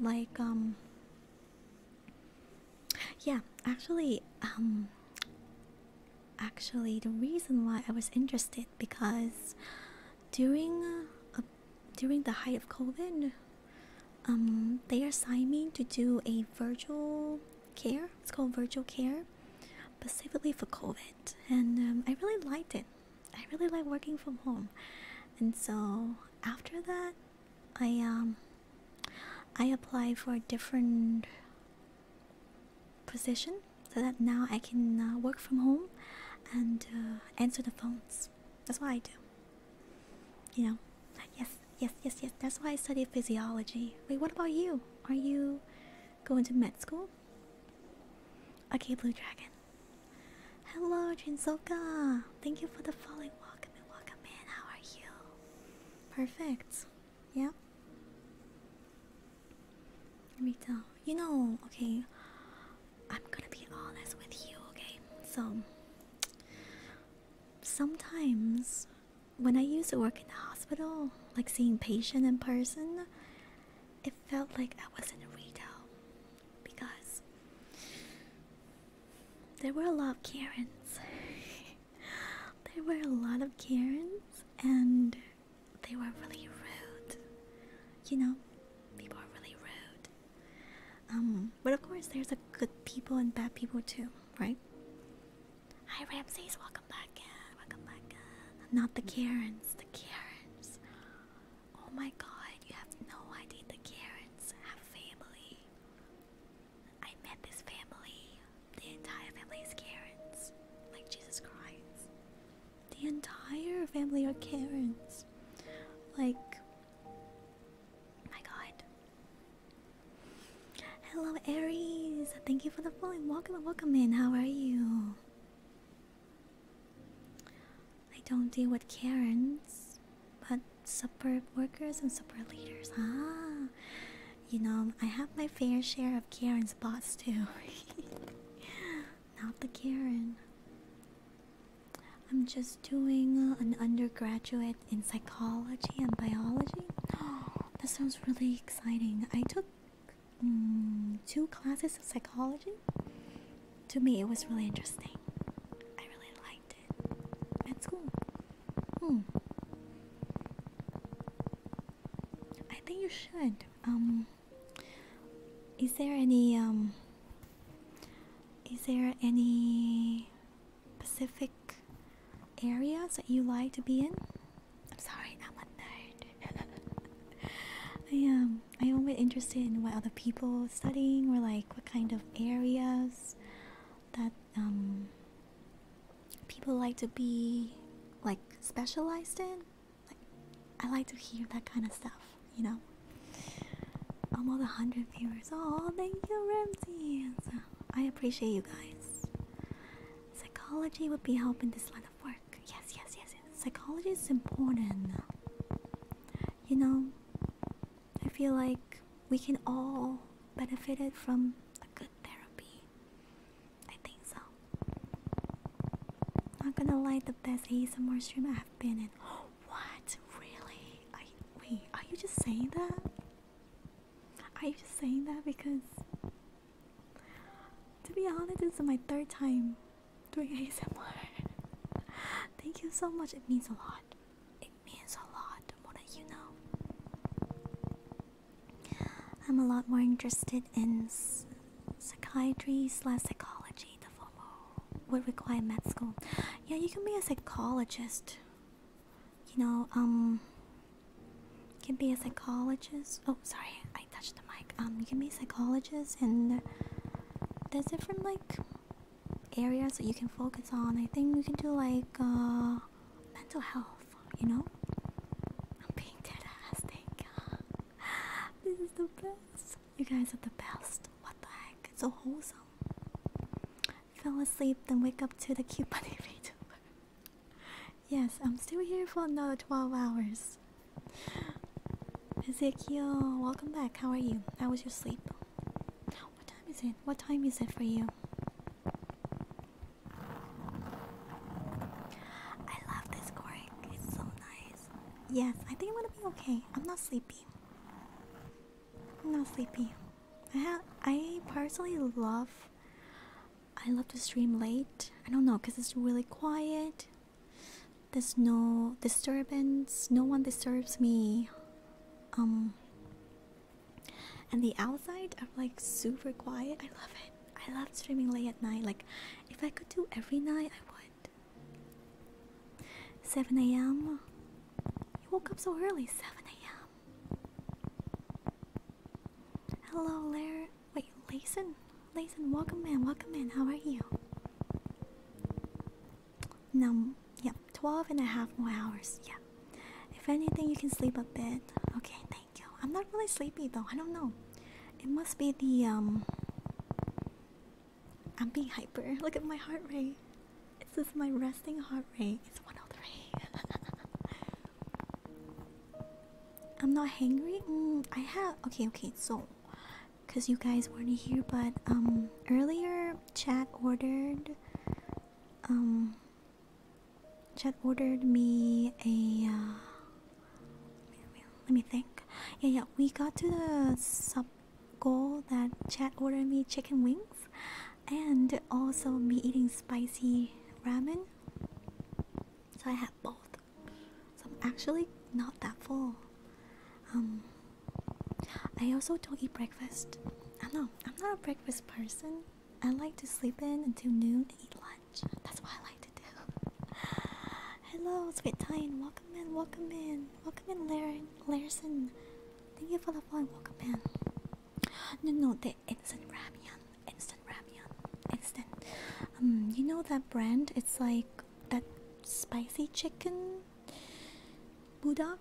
like um. Yeah, actually, um, actually the reason why I was interested because during uh, during the height of COVID, um, they assigned me to do a virtual care. It's called virtual care, specifically for COVID, and um, I really liked it. I really like working from home, and so after that, I um, I applied for different position so that now I can uh, work from home and uh, answer the phones. That's what I do. You know, yes, yes, yes, yes. That's why I study physiology. Wait, what about you? Are you going to med school? Okay, Blue Dragon. Hello, Jinsoka. Thank you for the following. Welcome and welcome in. How are you? Perfect. Yeah. Retail. You know, okay. I'm gonna be honest with you, okay? So sometimes when I used to work in the hospital, like seeing patient in person, it felt like I was in a retail because there were a lot of Karens. there were a lot of Karens and they were really rude. You know, people are really rude. Um, but of course, there's a good people and bad people too, right? Hi, Ramses. Welcome back Welcome back Not the Karens. The Karens. Oh my God! You have no idea. The Karens have family. I met this family. The entire family is Karens. Like Jesus Christ the entire family are Karens. Like, my God. Hello, Aries. Thank you for the phone. Welcome, welcome in. How are you? I don't deal with Karens, but superb workers and superb leaders. Ah, you know, I have my fair share of Karen's bots too. Not the Karen. I'm just doing uh, an undergraduate in psychology and biology. that sounds really exciting. I took mm, two classes of psychology. To me, it was really interesting. I really liked it at school. Hmm. I think you should. Um, is there any um is there any Pacific areas that you like to be in? I'm sorry, I'm a nerd. I Um, I'm interested in what other people are studying or like what kind of areas that um people like to be like specialized in. I like to hear that kind of stuff, you know? Almost 100 viewers. Oh, thank you, Ramses. I appreciate you guys. Psychology would be helping this line of work. Yes, yes, yes, yes. Psychology is important. You know, I feel like we can all benefit from a good therapy. I think so. Not gonna lie, the best ASMR stream I've been in. what? Really? I wait. Are you just saying that? Are you just saying that because? To be honest, this is my third time doing ASMR. Thank you so much. It means a lot. It means a lot more you know. I'm a lot more interested in Psychiatry slash psychology, the former would require med school. Yeah, you can be a psychologist. You know, um, can be a psychologist. Oh, sorry, I touched the mic. Um, you can be a psychologist, and there's different like areas that you can focus on. I think you can do like uh, mental health. You know, I'm being dead ass. Thank God. this is the best. You guys are the best. What the heck? It's so wholesome. Fell asleep, then wake up to the cute bunny video. yes, I'm still here for another 12 hours. Ezekiel, welcome back. How are you? How was your sleep? What time is it? What time is it for you? I love this cork. Yes, I think I'm gonna be okay. I'm not sleepy. I'm not sleepy. I have. I personally love. I love to stream late. I don't know, cause it's really quiet. There's no disturbance. No one disturbs me. Um. And the outside I'm like super quiet. I love it. I love streaming late at night. Like, if I could do every night, I would. 7 a.m. You woke up so early, 7 a.m. Hello, Lair. Wait, Layson? Layson, welcome in, welcome in. How are you? No, yep, yeah, 12 and a half more hours. Yeah. If anything, you can sleep a bit. Okay, thank you. I'm not really sleepy though. I don't know. It must be the um. I'm being hyper. Look at my heart rate. This is my resting heart rate. It's 103. I'm not hungry. Mm, I have. Okay, okay. So, because you guys weren't here, but um, earlier Chad ordered um, Chad ordered me a. Uh, let me think. Yeah, yeah. We got to the sub goal that Chad ordered me chicken wings, and also me eating spicy ramen. So I had both. So I'm actually not that full. Um. I also don't eat breakfast. I know I'm not a breakfast person. I like to sleep in until noon and eat lunch. That's what I like to do. Hello, Sweet Titan. Welcome in, welcome in. Welcome in, Laren Larson. Thank you for the phone. Welcome in. No, no, the instant ramen. Instant ramen. Instant. Um, you know that brand? It's like that spicy chicken budok.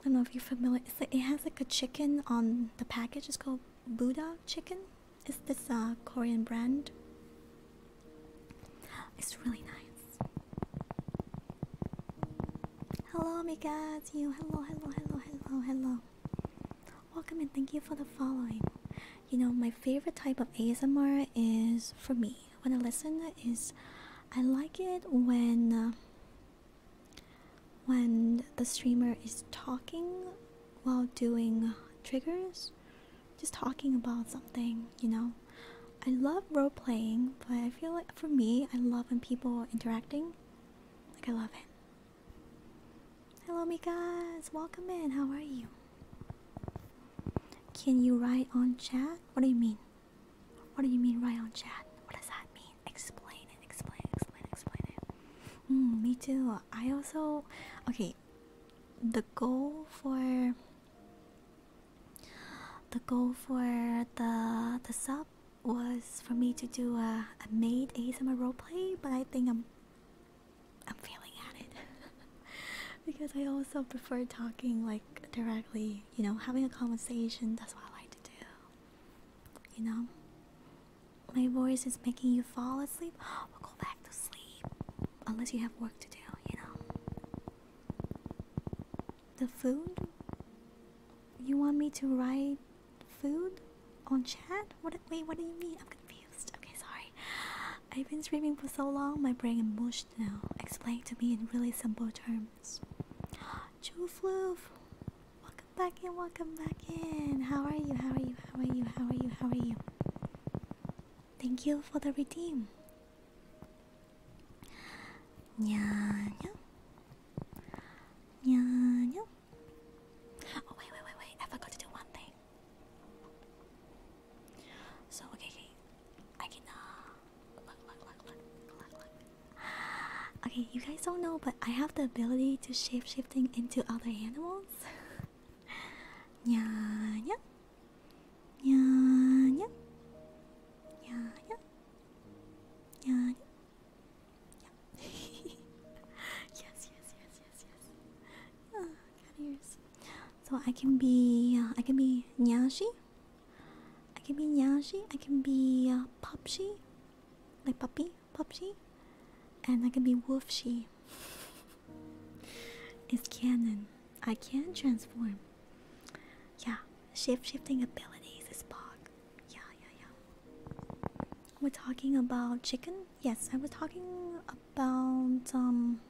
I don't know if you're familiar. It's like, it has like a chicken on the package. It's called budok chicken. Is this a Korean brand? It's really nice. Hello, my Mika's you. Hello, hello, hello, hello, hello. Welcome and thank you for the following. You know, my favorite type of ASMR is for me when I listen is I like it when uh, when the streamer is talking while doing triggers just talking about something, you know. I love role playing, but I feel like for me, I love when people are interacting. Like, I love it. Hello, guys. Welcome in. How are you? Can you write on chat? What do you mean? What do you mean, write on chat? What does that mean? Explain it, explain it, explain it, explain it. Hmm, me too. I also. Okay, the goal for the goal for the the sub was for me to do a, a made ASMR roleplay, but I think I'm I'm failing at it because I also prefer talking like directly, you know, having a conversation. That's what I like to do. You know, my voice is making you fall asleep. We'll go back to sleep unless you have work to do, you know. The food? You want me to write food on chat? What? Wait, what do you mean? I'm confused. Okay, sorry. I've been streaming for so long, my brain is mushed now. Explain to me in really simple terms. Jufloof, welcome back in, welcome back in. How are you? How are you? How are you? How are you? How are you? Thank you for the redeem. Nya nya. Nya nya. Oh wait, wait, wait, wait. I forgot to do one thing. So okay, okay. I can uh look look look look look look. Okay, you guys don't know but I have the ability to shape shifting into other animals. yeah, yeah. Nya, nya, nya, nya, yeah. yes, yes, yes, yes, yes. Oh, got ears. So I can be, uh, I can be Nyashi. I can be Nyashi. I can be uh, Popshi, like puppy, Popshi, and I can be Wolfshi. It's canon. I can transform. Yeah, shape shifting abilities is bog. Yeah, yeah, yeah. We're talking about chicken? Yes, I was talking about um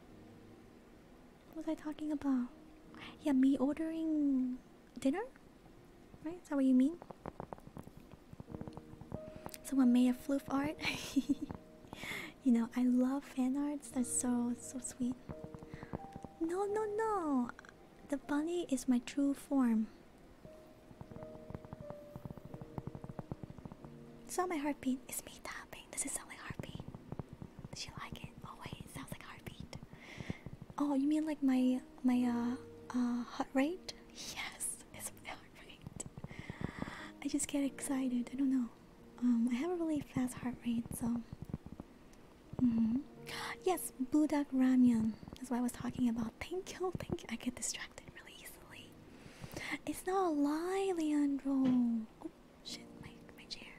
what was I talking about? Yeah, me ordering dinner? Right? Is that what you mean? Someone made a floof art? You know, I love fan arts. They're so so sweet. No, no, no. The bunny is my true form. It's not my heartbeat. It's me tapping. Does it sound like heartbeat? Does she like it? Oh wait, sounds like heartbeat. Oh, you mean like my my uh uh heart rate? Yes, it's my heart rate. I just get excited. I don't know um, I have a really fast heart rate, so. Mm -hmm. Yes, Budak Ramyun. That's what I was talking about. Thank you, thank you. I get distracted really easily. It's not a lie, Leandro. Oh shit, my my chair.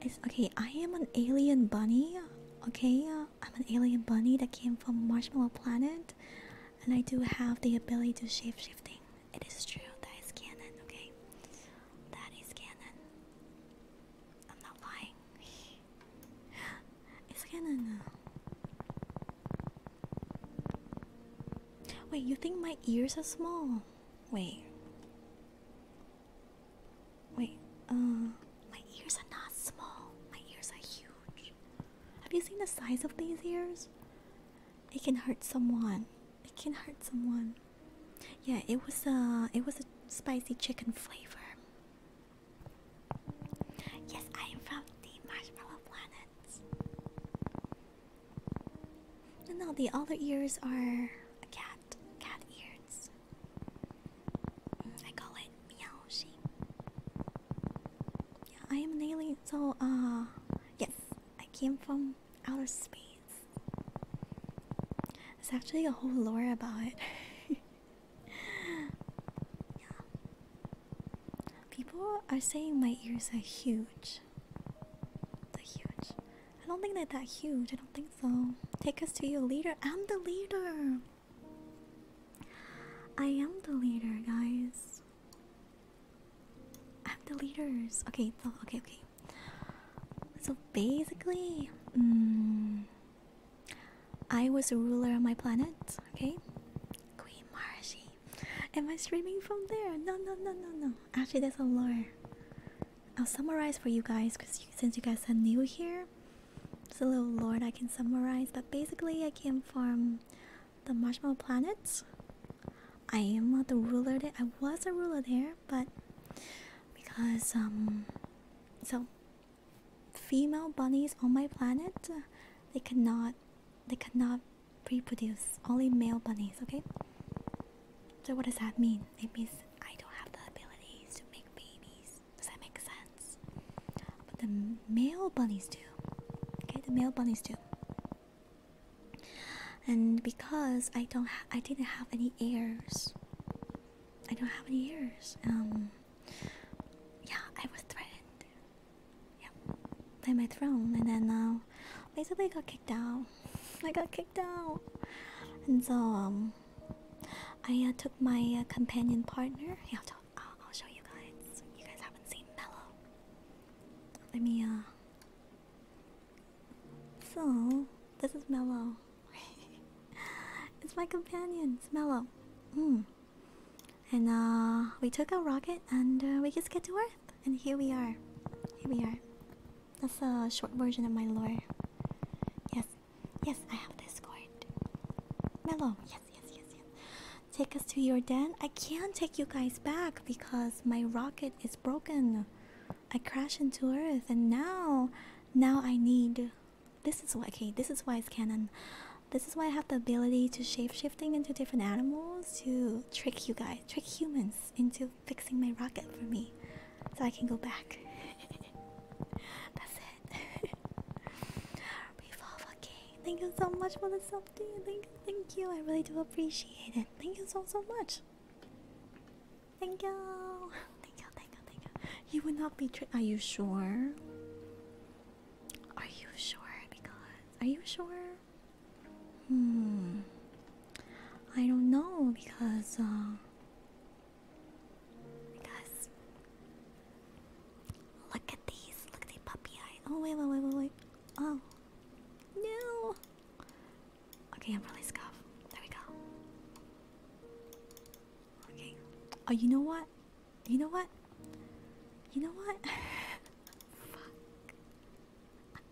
It's okay. I am an alien bunny. Okay, I'm an alien bunny that came from Marshmallow Planet, and I do have the ability to shape shifting. It is true, that is canon, okay? That is canon. I'm not lying. it's canon. Wait, you think my ears are small? Wait. Wait, uh, my ears are not small. My ears are huge. Have you seen the size of these ears? It can hurt someone. It can hurt someone. Yeah, it was a uh, it was a spicy chicken flavor. Yes, I am from the Marshmallow Planet. No, the other ears are a cat. Cat ears. I call it meowshi. Yeah, I am an alien, so uh yes, I came from outer space. It's actually a whole lore about it. yeah. People are saying my ears are huge. they huge. I don't think they're that huge. I don't think so. Take us to your leader. I'm the leader. I am the leader, guys. I'm the leaders. Okay, okay, okay. So basically, mm, I was a ruler on my planet, okay? Queen Marashi. Am I streaming from there? No, no, no, no, no. Actually, there's a lore. I'll summarize for you guys because since you guys are new here, it's a little lore I can summarize. But basically, I came from the Marshmallow Planet, I am not the ruler there. I was a ruler there, but because um, so female bunnies on my planet, uh, they cannot, they cannot reproduce. Only male bunnies. Okay. So what does that mean? It means I don't have the abilities to make babies. Does that make sense? But the male bunnies do. Okay, the male bunnies do and because I don't, I didn't have any heirs. I don't have any heirs. Um, yeah, I was threatened. Yeah, by my throne, and then now, uh, basically, I got kicked out. I got kicked out, and so um, I uh, took my uh, companion partner. Yeah, I'll, I'll show you guys. You guys haven't seen Mellow. Let me uh. So, this is Mellow. it's my companion, it's Mellow. Mm. And uh, we took a rocket and uh, we just get to Earth. And here we are. Here we are. That's a short version of my lore. Yes, yes, I have Discord. Mellow, yes, yes, yes, yes. Take us to your den. I can't take you guys back because my rocket is broken. I crash into Earth, and now, now I need. This is why. Okay, this is why it's canon. This is why I have the ability to shape shifting into different animals to trick you guys, trick humans into fixing my rocket for me, so I can go back. That's it. Revolve, okay. Thank you so much for the something. Thank, thank you. I really do appreciate it. Thank you so so much. Thank you. Thank you, thank you, thank you. You will not be tri- Are you sure? Are you sure? Because. Are you sure? Hmm. I don't know because. Uh, because. Look at these. Look at the puppy eye. Oh, wait, wait, wait, wait, wait. Oh. No. Okay, I'm really scuffed. There we go. Okay. Oh, you know what? You know what? You know what? Fuck.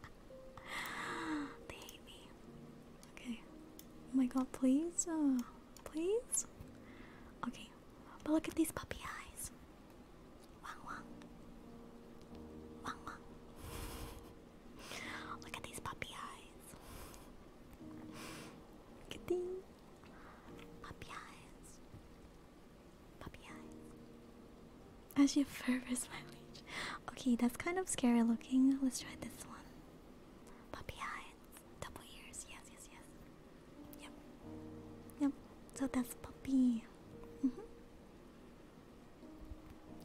they hate me. Okay. Oh my god, please? Uh, please? Okay. But look at these puppy eyes. Look at these puppy eyes. Look at puppy eyes. Puppy eyes. As you furthers my reach. Okay, that's kind of scary looking. Let's try this one. Puppy eyes. Double ears. Yes, yes, yes. Yep. Yep. So that's puppy. -hmm.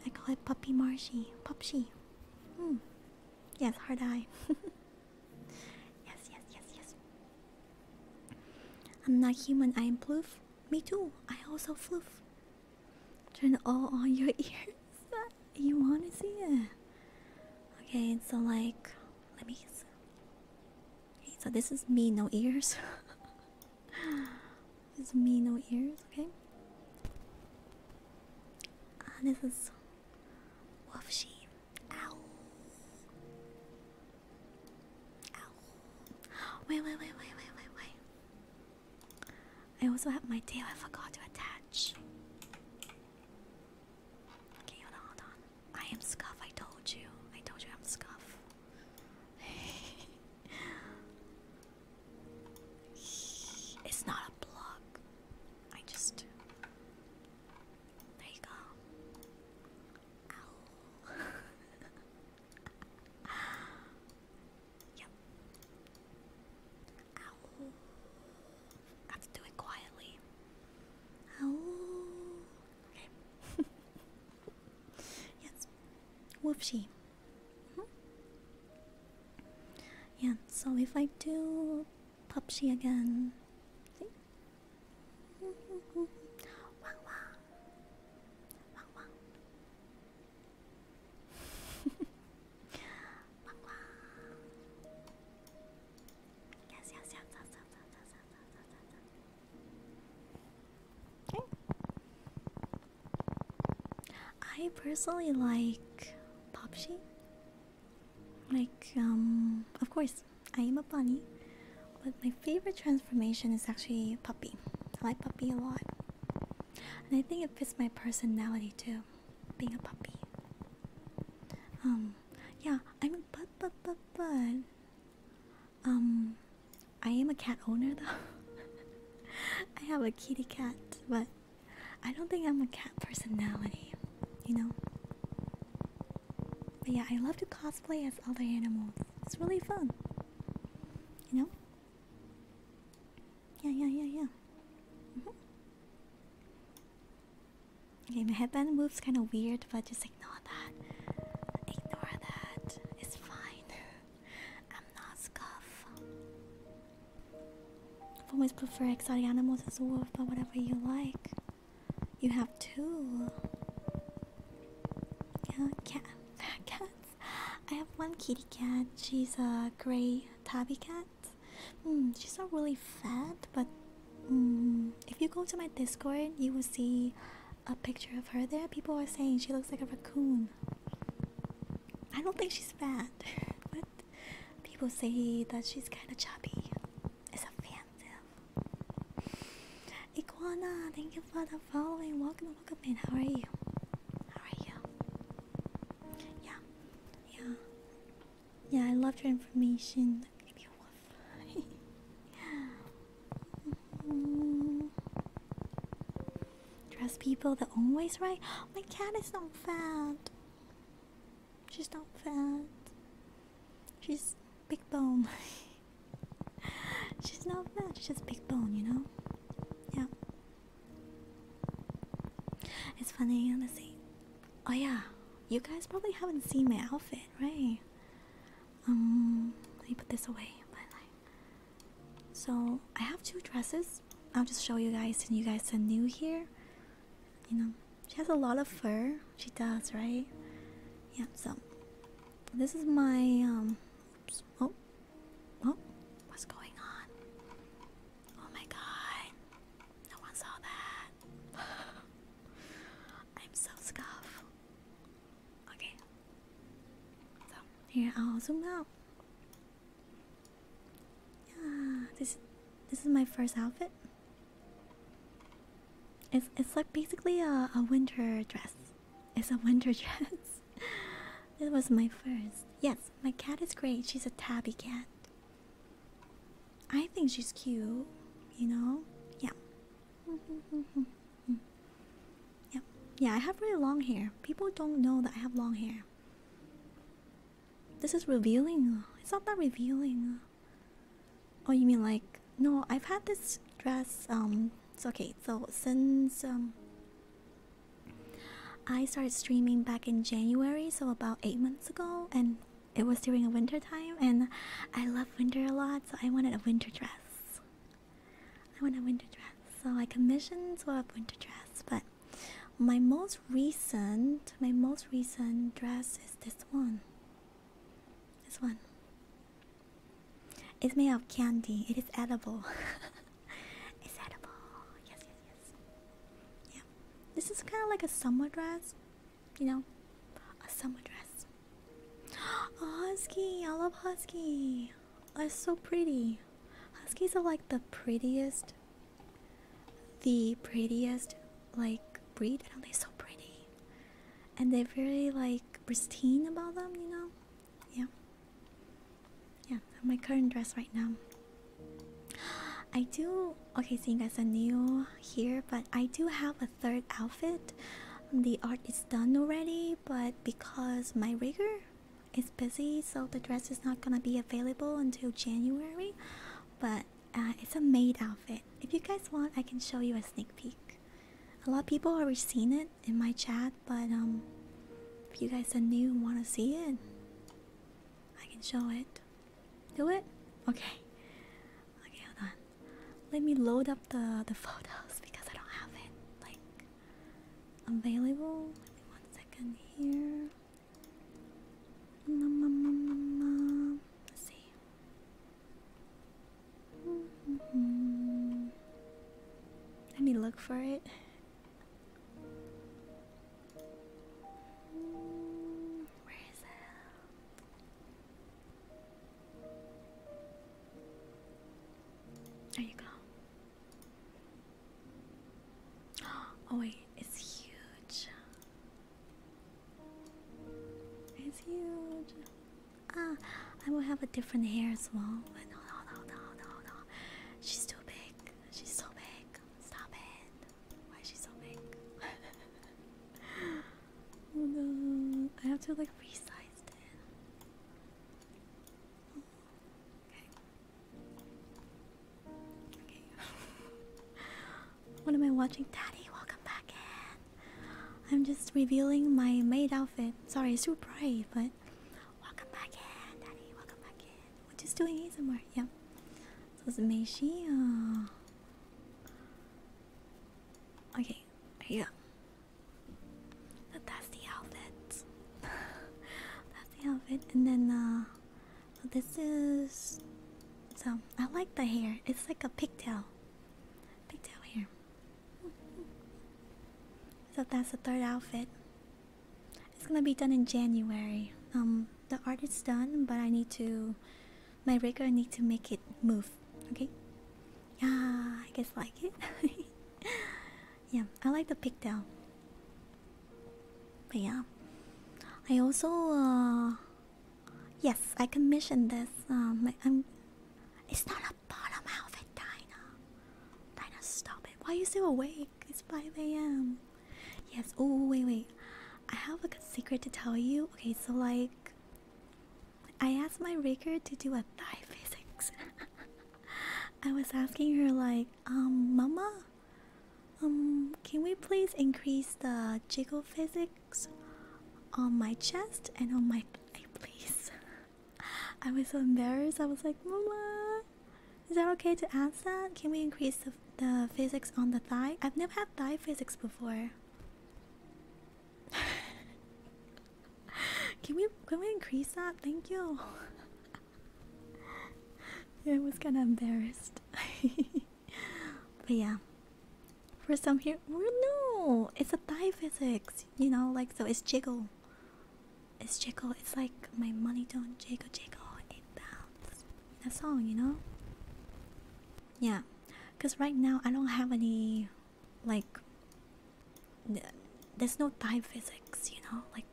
I call it Puppy Marshy. Pupshi. Hmm. Yes, hard eye. yes, yes, yes, yes. I'm not human, I am ploof. Me too, I also floof. Turn all on your ears. you wanna see it? Okay, so like, let me. so this is me, no ears. It's me, no ears, okay? Ah, this is Wolf Ow. Ow. Wait, wait, wait, wait, wait, wait, wait. I also have my tail I forgot to attach. Okay, hold on, hold on. I am Scuff, I told you. I told you I'm Scuff. It's not a block. I just. There you go. Ow. yep. Ow. I have to do it quietly. Ow. Okay. yes. Whoopsie. Mm-hmm. Yeah, so if I do PUBG again, I personally like poppy. Like, um, of course, I am a bunny, but my favorite transformation is actually Puppy. I like Puppy a lot. And I think it fits my personality too, being a puppy. Um, yeah, I mean, but, but, but, but, um, I am a cat owner though. I have a kitty cat, but I don't think I'm a cat personality, you know? But yeah, I love to cosplay as other animals. It's really fun. You know? Yeah, yeah, yeah, yeah. Mm-hmm. Okay, my headband moves kind of weird, but just ignore that. Ignore that. It's fine. I'm not scuff. i always prefer exotic animals as well, but whatever you like. You have two. Yeah, cat. Cats. I have one kitty cat. She's a gray tabby cat. Hmm, she's not really fat, but hmm, if you go to my Discord, you will see a picture of her there. People are saying she looks like a raccoon. I don't think she's fat, but people say that she's kind of chubby. It's offensive. Iguana, thank you for the following. Welcome, welcome in. How are you? How are you? Yeah, yeah, yeah. I loved your information. Maybe Trust people that always right. My cat is not fat. She's not fat. She's big bone. She's not fat. She's just big bone, you know. Yeah. It's funny, honestly. Oh yeah, you guys probably haven't seen my outfit, right? Um, let me put this away. But like, so I have two dresses. I'll just show you guys and you guys are new here. You know, she has a lot of fur. She does, right? Yeah, so this is my um oh oh what's going on? Oh my god. No one saw that. I'm so scuffed. Okay. So here I'll zoom out. Yeah, this this is my first outfit. It's it's like basically a, a winter dress. It's a winter dress. it was my first. Yes, my cat is great. She's a tabby cat. I think she's cute, you know? Yeah. yeah. Yeah, I have really long hair. People don't know that I have long hair. This is revealing. It's not that revealing. Oh, you mean like no? I've had this dress. Um, it's okay. So since um, I started streaming back in January, so about eight months ago, and it was during a winter time, and I love winter a lot, so I wanted a winter dress. I want a winter dress, so I commissioned sort of winter dress, but my most recent, my most recent dress is this one. This one. It's made of candy. It is edible. it's edible. Yes, yes, yes. Yeah. This is kind of like a summer dress. You know, a summer dress. Oh, husky. I love husky. That's so pretty. Huskies are like the prettiest, the prettiest like breed. I don't think so pretty, and they're very like pristine about them. You know, yeah, yeah. My current dress right now. I do. Okay, seeing as I'm new here, but I do have a third outfit. The art is done already, but because my rigger it's busy, so the dress is not gonna be available until January. But uh, it's a made outfit. If you guys want, I can show you a sneak peek. A lot of people already seen it in my chat, but um, if you guys are new and want to see it, I can show it. Do it? Okay. Okay, hold on. Let me load up the the photos because I don't have it like available. one second here. Mm-hmm. let me look for it. it? There you go. Oh wait, it's huge. It's huge. Ah, I will have a different hair as well. But no, no, no, no, no, no. She's too big. She's so big. Stop it. Why is she so big? oh no. I have to like resize it. Okay. what am I watching? Daddy, welcome back in. I'm just revealing my maid outfit. Sorry, it's too bright, but welcome back in, Daddy. Welcome back in. We're just doing ASMR. Yep. So it's Meishi. Oh. Uh, okay, here you go. But that's the that's the outfit, and then uh, this is. So I like the hair. It's like a pigtail, pigtail hair. So that's the third outfit. It's gonna be done in January. Um, the art is done, but I need to, my rigger need to make it move. Okay. Yeah, I guess like it. yeah i like the pigtail but yeah i also uh yes i commissioned this um i'm it's not a bottom outfit dinah dinah stop it why are you still awake it's 5 a.m yes oh wait wait i have a secret to tell you okay so like i asked my raker to do a thigh physics i was asking her like um, Mama, um, can we please increase the jiggle physics on my chest and on my thigh, please? I was so embarrassed. I was like, Mama, is that okay to ask that? Can we increase the, the physics on the thigh? I've never had thigh physics before. can we can we increase that? Thank you. I was kind of embarrassed. but yeah, for some here, well, no, it's a Thai physics, you know, like so. It's jiggle, it's jiggle. It's like my money don't jiggle, jiggle. It bounces. That song, you know. Yeah, cause right now I don't have any, like. There's no Thai physics, you know, like.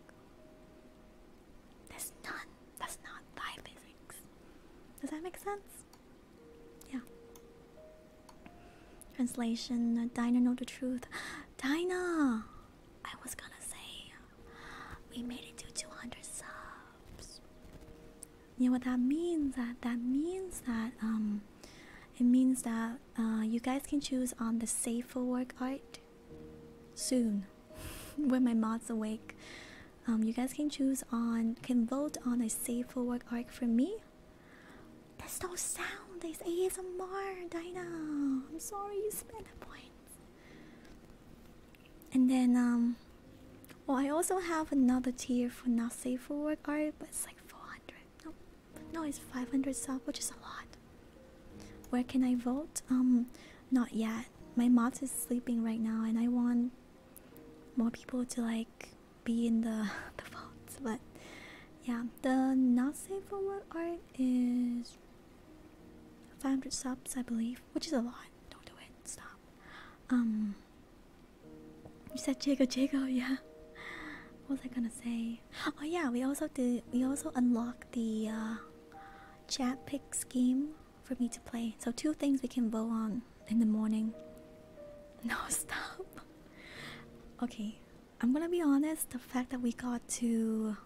That's not that's not thy physics. Does that make sense? Yeah. Translation uh, Dinah know the truth. Dinah! I was gonna say we made it to 200 subs. You know what that means? That that means that um it means that uh, you guys can choose on the safer for work art soon when my mom's awake. Um, you guys can choose on, can vote on a safe for work arc for me. That's not sound. It's ASMR, Dinah. I'm sorry you spent the points. And then, um, well, I also have another tier for not safe for work art, but it's like 400. No, no, it's 500 sub, which is a lot. Where can I vote? Um, not yet. My mods is sleeping right now, and I want more people to like be in the the votes. But yeah, the not safe for work art is 500 subs, I believe, which is a lot. Don't do it. Stop. Um, you said Jago Jago, yeah. What was I gonna say? Oh yeah, we also did. We also unlocked the. Uh, chat pick scheme for me to play. So two things we can vote on in the morning. No stop. Okay, I'm gonna be honest. The fact that we got to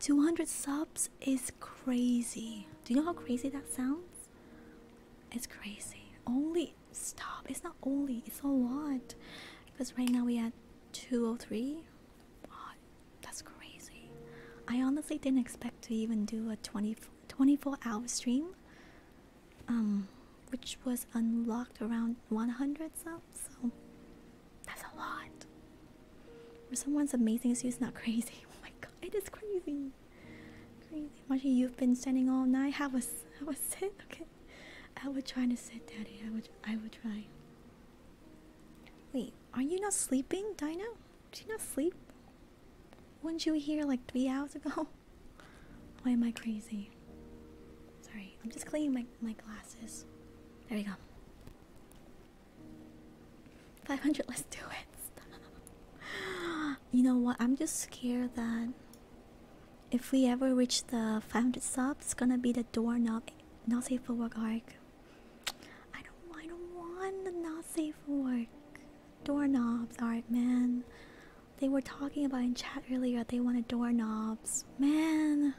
200 subs is crazy. Do you know how crazy that sounds? It's crazy. Only stop. It's not only. It's a lot. Because right now we at 203. Oh, that's crazy. I honestly didn't expect to even do a 20, 24 hour stream, um, which was unlocked around 100 subs, so that's a lot. For someone as amazing as you, it's not crazy. Oh my god, it is crazy. Crazy. Marsha, you've been standing all night. Have was? have was sit, okay? I was trying to sit, Daddy. I would, I would try. Wait, are you not sleeping, Dino? Did you not sleep? Weren't you here like three hours ago? Why am I crazy? Sorry, I'm just cleaning my, my glasses. There we go. 500, let's do it. you know what? I'm just scared that if we ever reach the 500 stop, it's gonna be the doorknob not safe for work arc I don't I don't want the not safe for work. Doorknobs, alright man. They were talking about in chat earlier they wanted doorknobs. Man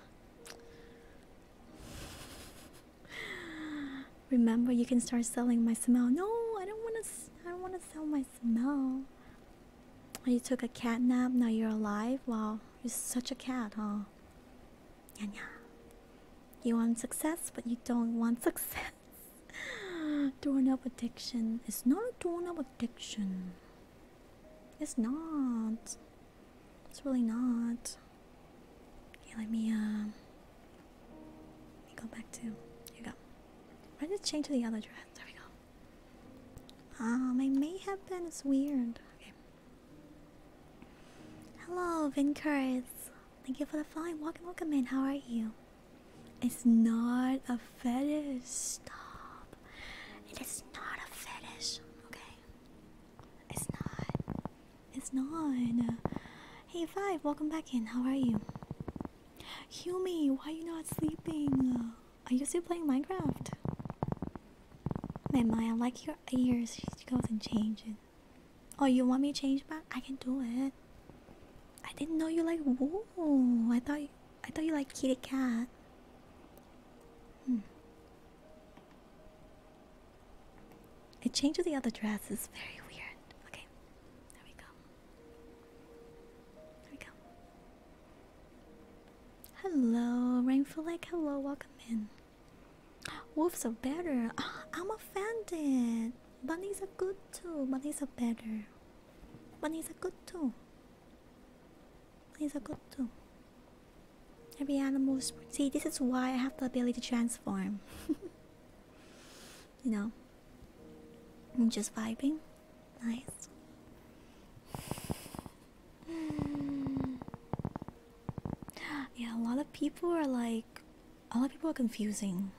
Remember you can start selling my smell. No, I don't wanna I don't wanna sell my smell. You took a cat nap, now you're alive? Wow, you're such a cat, huh? Yeah, yeah. You want success, but you don't want success. torn up addiction. is not a torn up addiction. It's not. It's really not. Okay, let me uh let me go back to you go. Why did it change to the other dress? There we go. Um, it may have been it's weird. Okay. Hello, Vinkers. Thank you for the fine welcome, welcome in. How are you? It's not a fetish. Stop. It is not a fetish. Okay. It's not. It's not. Hey, Five. Welcome back in. How are you? Humi, why are you not sleeping? Are you still playing Minecraft? Man, Maya, I like your ears. She goes and changes. Oh, you want me to change back? I can do it. I didn't know you like wool. I thought you, I thought you like kitty cat. Hmm. It changed to the other dress. It's very weird. Okay, there we go. There we go. Hello, Rainful Lake. Hello, welcome in. Wolves are better. Ah, I'm offended. Bunnies are good too. Bunnies are better. Bunnies are good too. Bunnies are good too. Every animal is. See, this is why I have the ability to transform. you know? I'm just vibing. Nice. Hmm. Yeah, a lot of people are like, a lot of people are confusing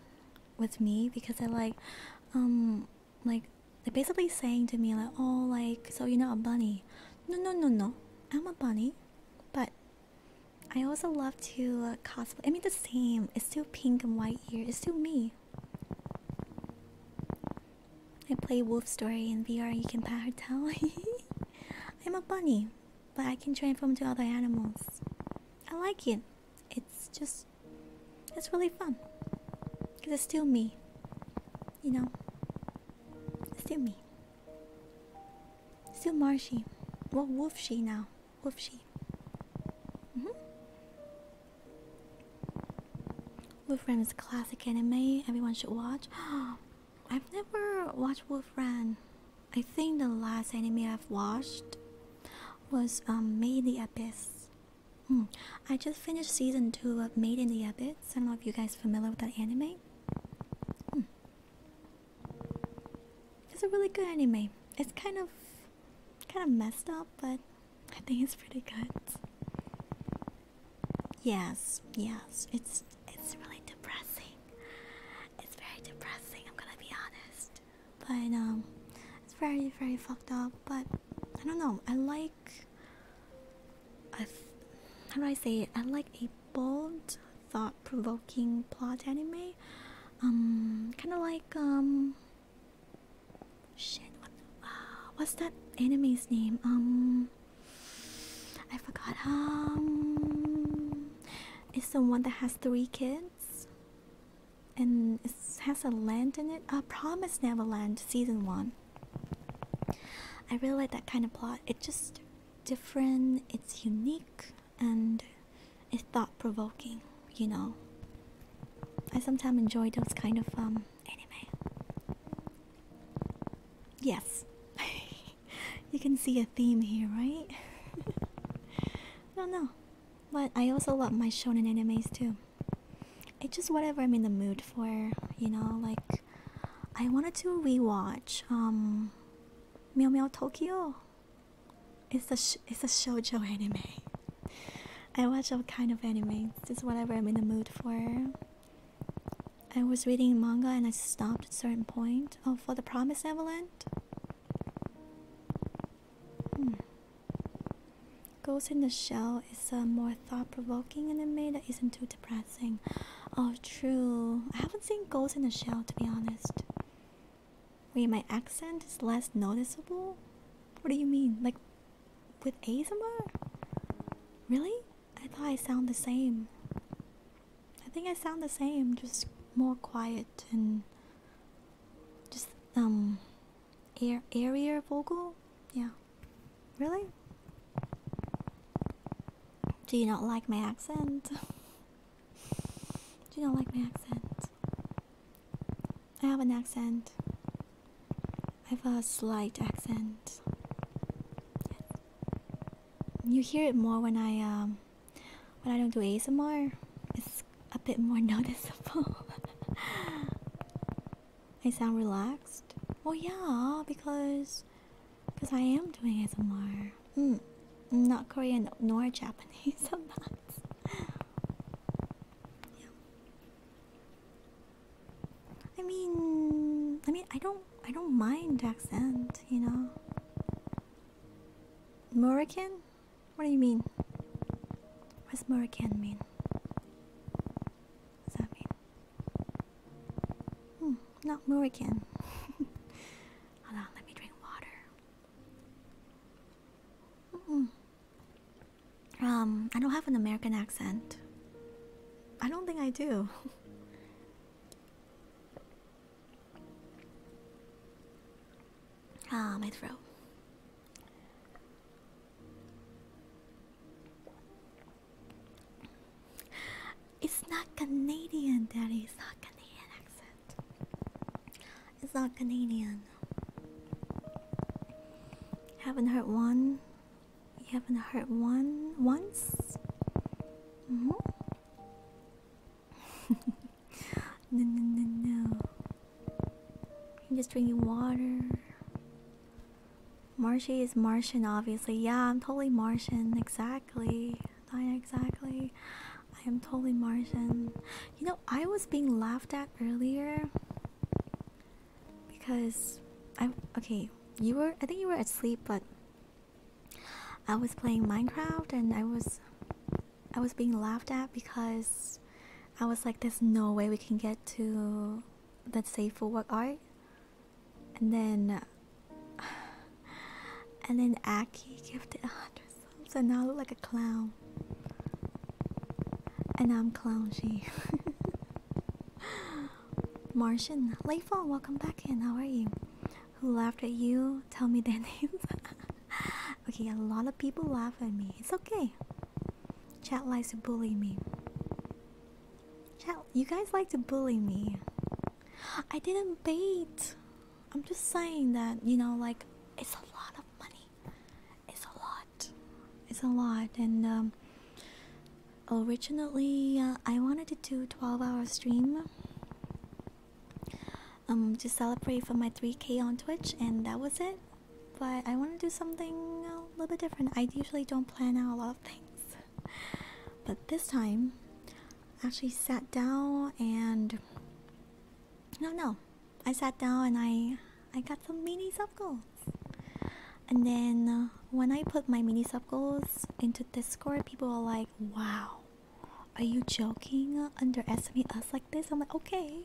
with me because they're like, um, like they're basically saying to me like, oh, like so you're not a bunny? No, no, no, no. I'm a bunny, but I also love to uh, cosplay. I mean, the same. It's still pink and white here. It's still me. I play Wolf Story in VR. You can pat tell. I'm a bunny but I can transform to other animals. I like it. It's just, it's really fun. Cause it's still me. You know, still me. Still Marshy. What Wolf she now. Wolf she. Mm -hmm. is classic anime everyone should watch. Oh, I've never watched Wolf Run. I think the last anime I've watched was um, Made in the Abyss. Hmm. I just finished season 2 of Made in the Abyss. I don't know if you guys are familiar with that anime. Hmm. It's a really good anime. It's kind of kind of messed up, but I think it's pretty good. Yes, yes. It's it's really depressing. It's very depressing, I'm gonna be honest. But um it's very very fucked up, but I don't know. I like I how do I say it? I like a bold, thought-provoking plot anime. Um kind of like um shit what, uh, what's that anime's name? Um um I forgot um it's the one that has three kids and has a land in it. A Promise Neverland season one. I really like that kind of plot. It's just different, it's unique and it's thought provoking, you know. I sometimes enjoy those kind of um anime. Yes. you can see a theme here, right? I don't know. But I also love my shonen animes too. It's just whatever I'm in the mood for, you know, like I wanted to rewatch um Meow Meow Tokyo. It's a sh it's a shoujo anime. I watch all kind of anime. It's just whatever I'm in the mood for. I was reading manga and I stopped at a certain point. Oh, for the Promise Avalanche? Hmm. Ghost in the Shell is uh, a more thought provoking anime that isn't too depressing. Oh, true. I haven't seen Ghost in the Shell to be honest. Wait, my accent is less noticeable? What do you mean? Like with ASMR? Really? I thought I sound the same. I think I sound the same, just more quiet and just um air airier vocal. Yeah. Really? Do you not like my accent? Do you not like my accent? I have an accent. I have a slight accent. You hear it more when I um when I don't do ASMR, it's a bit more noticeable. I sound relaxed. Well, yeah, because because I am doing ASMR. Mm, not Korean nor Japanese. I'm not. I mean, I mean, I don't, I don't mind accent, you know. Morican? What do you mean? What does Morican mean? What that mean? Hmm, not Morican. Hold on, let me drink water. Um, I don't have an American accent. I don't think I do. Ah, my throat. It's not Canadian, Daddy. It's not Canadian accent. It's not Canadian. Haven't heard one. You haven't heard one once. -hmm no, no, no, no. just drinking water. Marshy is Martian, obviously. Yeah, I'm totally Martian. Exactly. Not exactly. I am totally Martian. You know, I was being laughed at earlier because I am okay. You were. I think you were asleep, but I was playing Minecraft and I was I was being laughed at because I was like there's no way we can get to let's say full work art and then and then Aki gifted a hundred subs and now I look like a clown and I'm clown she Martian Layfall welcome back in how are you who laughed at you tell me their names okay a lot of people laugh at me it's okay chat likes to bully me chat you guys like to bully me i didn't beat. i'm just saying that you know like it's a lot of money it's a lot it's a lot and um originally uh, i wanted to do 12 hour stream um to celebrate for my 3k on Twitch and that was it. But I want to do something a little bit different. I usually don't plan out a lot of things. But this time I actually sat down and no no. I sat down and I I got some mini sub goals. And then uh, when I put my mini sub goals into Discord, people are like, "Wow, are you joking? Underestimate us like this? I'm like, okay,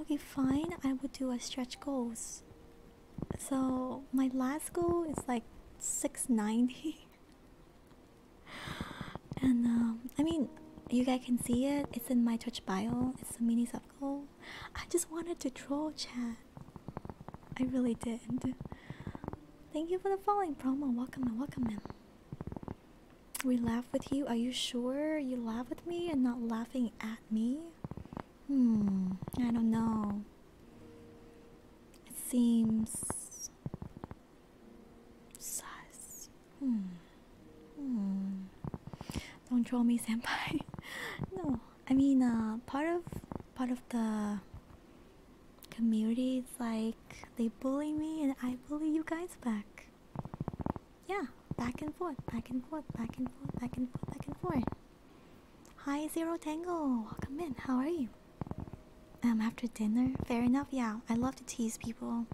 okay, fine. I will do a stretch goals. So my last goal is like 690. and um, I mean, you guys can see it. It's in my touch bio. It's a mini sub goal. I just wanted to troll chat. I really did. Thank you for the following promo. Welcome and welcome in. We laugh with you. Are you sure you laugh with me and not laughing at me? Hmm, I don't know. It seems sus. Hmm. Hmm. Don't troll me, senpai. no, I mean, uh, part of part of the community, it's like they bully me and I bully you guys back. Yeah, back and forth, back and forth, back and forth, back and forth, back and forth. Hi, Zero Tango. Welcome in. How are you? Um, after dinner? Fair enough. Yeah, I love to tease people.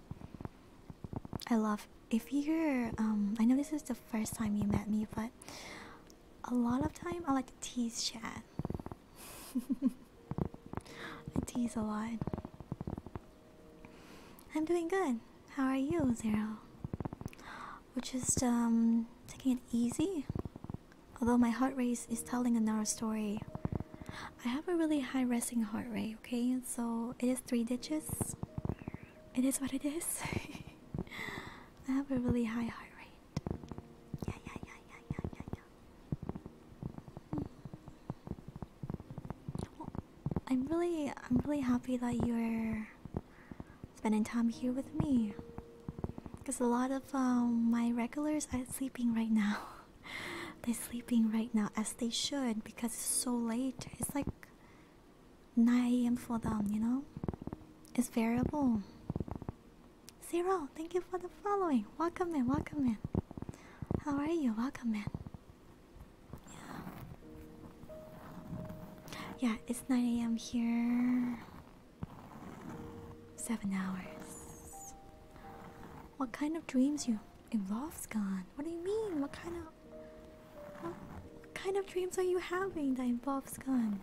I love. If you're, um, I know this is the first time you met me, but a lot of time I like to tease chat. I tease a lot. I'm doing good. How are you, Zero? We're just um taking it easy. Although my heart rate is telling another story. I have a really high resting heart rate, okay? So it is three digits. It is what it is. I have a really high heart rate. Yeah, yeah, yeah, yeah, yeah, yeah, I'm really I'm really happy that you're spending time here with me. Cause a lot of um, my regulars are sleeping right now. They're sleeping right now as they should because it's so late. It's like 9 a.m. for them, you know? It's variable. Zero, thank you for the following. Welcome in, welcome in. How are you? Welcome in. Yeah, yeah it's 9 a.m. here. Seven hours. What kind of dreams you involves gone? What do you mean? What kind of what, kind of dreams are you having that involves gone?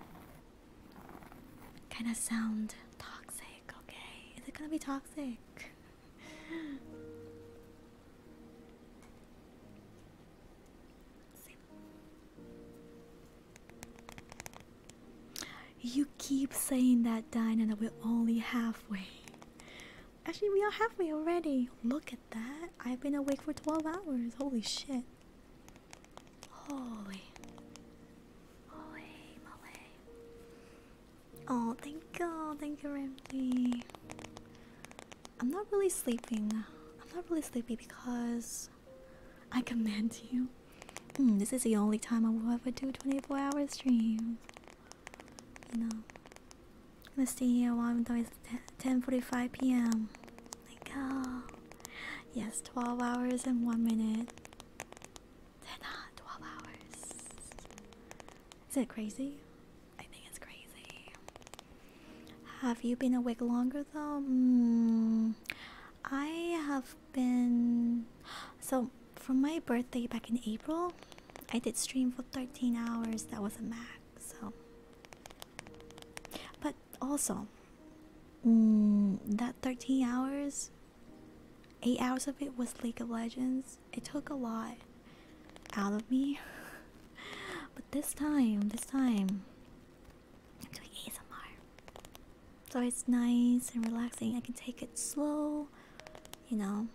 Kinda sound toxic, okay? Is it gonna be toxic? You keep saying that, Diana. that we're only halfway. Actually, we are halfway already. Look at that. I've been awake for 12 hours. Holy shit. Holy. Holy moly. Oh, thank God, thank you, Ramsey. I'm not really sleeping. I'm not really sleepy because I command you. Hmm, this is the only time I will ever do 24 hours streams. You know. I'm still here while I'm it's 10.45 p.m. Like, oh. Yes, 12 hours and 1 minute they not 12 hours. Is it crazy? I think it's crazy. Have you been awake longer though? Hmm. I have been. So, from my birthday back in April, I did stream for 13 hours. That was a max. So, but also, hmm, that 13 hours Eight hours of it was League of Legends. It took a lot out of me. but this time, this time, I'm doing ASMR. So it's nice and relaxing. I can take it slow, you know.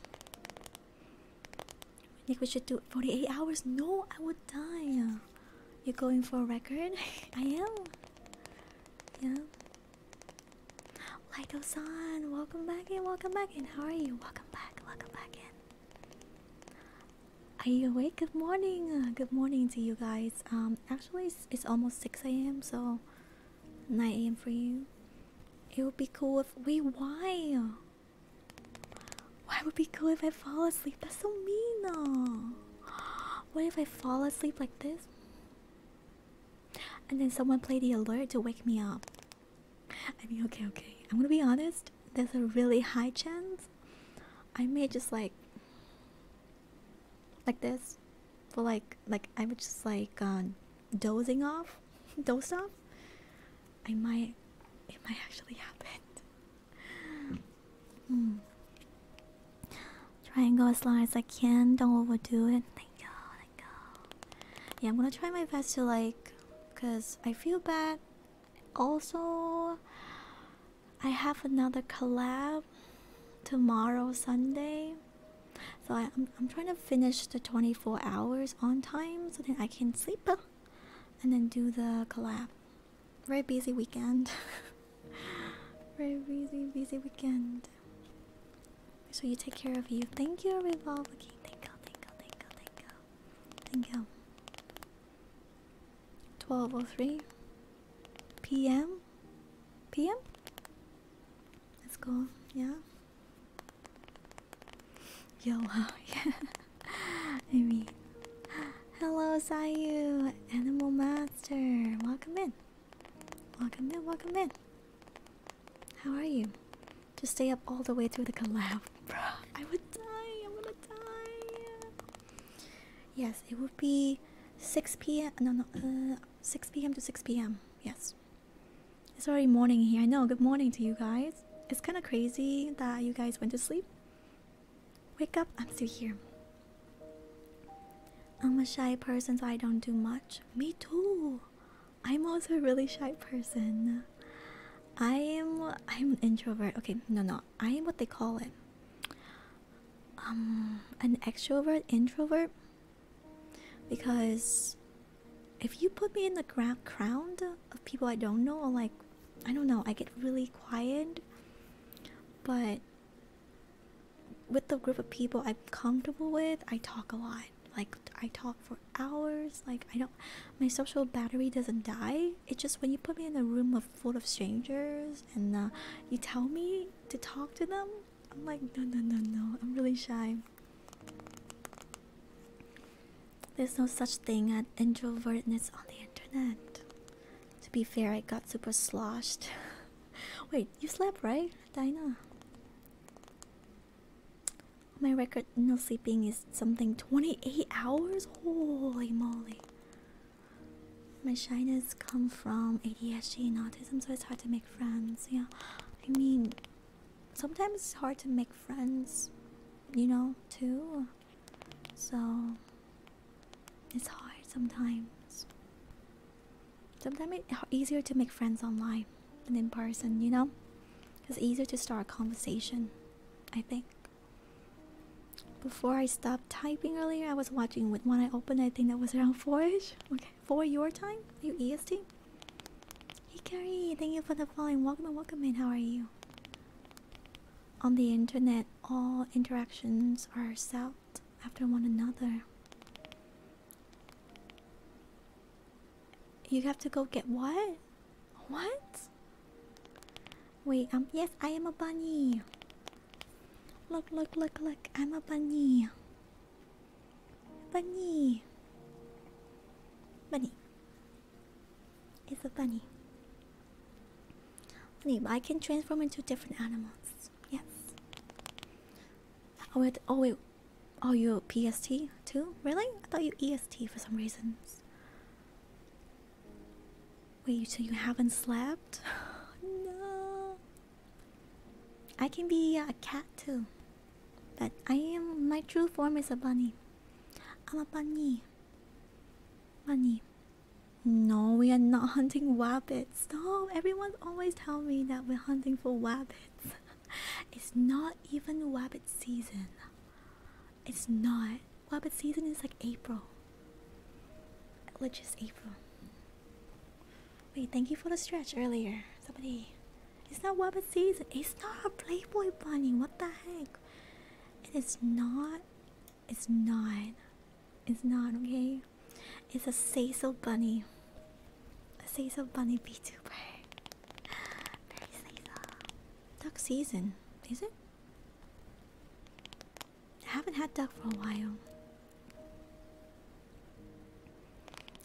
I think we should do 48 hours. No, I would die. You're going for a record? I am. Yeah. Lightosan, welcome back in, welcome back in. How are you? Welcome back, welcome back in. Are you awake? Good morning. Uh, good morning to you guys. Um, actually, it's, almost 6 a.m. so 9 a.m. for you. It would be cool if we why? Why would it be cool if I fall asleep? That's so mean. Though. What if I fall asleep like this? And then someone played the alert to wake me up. I mean, okay, okay. I'm gonna be honest, there's a really high chance I may just like like this for like like I was just like uh, dozing off, doze off. I might it might actually happen. mm. Try and go as long as I can. Don't overdo it. Thank God. Yeah, I'm gonna try my best to like, cause I feel bad. Also, I have another collab tomorrow, Sunday. So I, am I'm trying to finish the 24 hours on time, so then I can sleep, and then do the collab. Very busy weekend. Very busy, busy weekend. So you take care of you. Thank you, Revolve. Okay, thank you, thank you, thank you, thank you. Thank you. 12.03 p.m. p.m.? Let's go, yeah? Yo, wow, yeah. I mean, hello, Sayu, Animal Master. Welcome in. Welcome in, welcome in. How are you? To stay up all the way through the collab. Bro, I would die. I wanna die. Yes, it would be 6 p.m. No, no, uh, 6 p.m. to 6 p.m. Yes. It's already morning here. I know. Good morning to you guys. It's kind of crazy that you guys went to sleep. Wake up. I'm still here. I'm a shy person, so I don't do much. Me too. I'm also a really shy person. I am I'm an introvert. Okay, no no. I am what they call it. Um an extrovert introvert because if you put me in the crowd of people I don't know or like I don't know, I get really quiet. But with the group of people I'm comfortable with, I talk a lot. Like I talk for hours. Like I don't, my social battery doesn't die. It's just when you put me in a room full of strangers and uh, you tell me to talk to them, I'm like no no no no. I'm really shy. There's no such thing as introvertness on the internet. To be fair, I got super sloshed. Wait, you slept right, Dinah? My record no sleeping is something 28 hours? Holy moly. My shyness come from ADHD and autism, so it's hard to make friends. Yeah, I mean, sometimes it's hard to make friends, you know, too. So, it's hard sometimes. Sometimes it's easier to make friends online than in person, you know? It's easier to start a conversation, I think. Before I stopped typing earlier, I was watching with one eye open. I think that was around 4ish. Okay, 4 your time? you EST? Hey Carrie, thank you for the following. Welcome and welcome in. How are you? On the internet, all interactions are solved after one another. You have to go get what? What? Wait, um, yes, I am a bunny. Look, look, look, look, I'm a bunny. Bunny. Bunny. It's a bunny. Bunny, I can transform into different animals. Yes. Oh wait, oh wait, Oh, you PST too? Really? I thought you EST for some reasons. Wait, so you haven't slept? no. I can be a cat too. But I am. My true form is a bunny. I'm a bunny. Bunny. No, we are not hunting rabbits. No, everyone always tell me that we're hunting for rabbits. it's not even rabbit season. It's not. rabbit season is like April. Like just April. Wait, thank you for the stretch earlier. Somebody. It's not rabbit season. It's not a Playboy bunny. What the heck? It is not. It's not. It's not, okay? It's a say so bunny. A say so bunny VTuber. Duck season, is it? I haven't had duck for a while.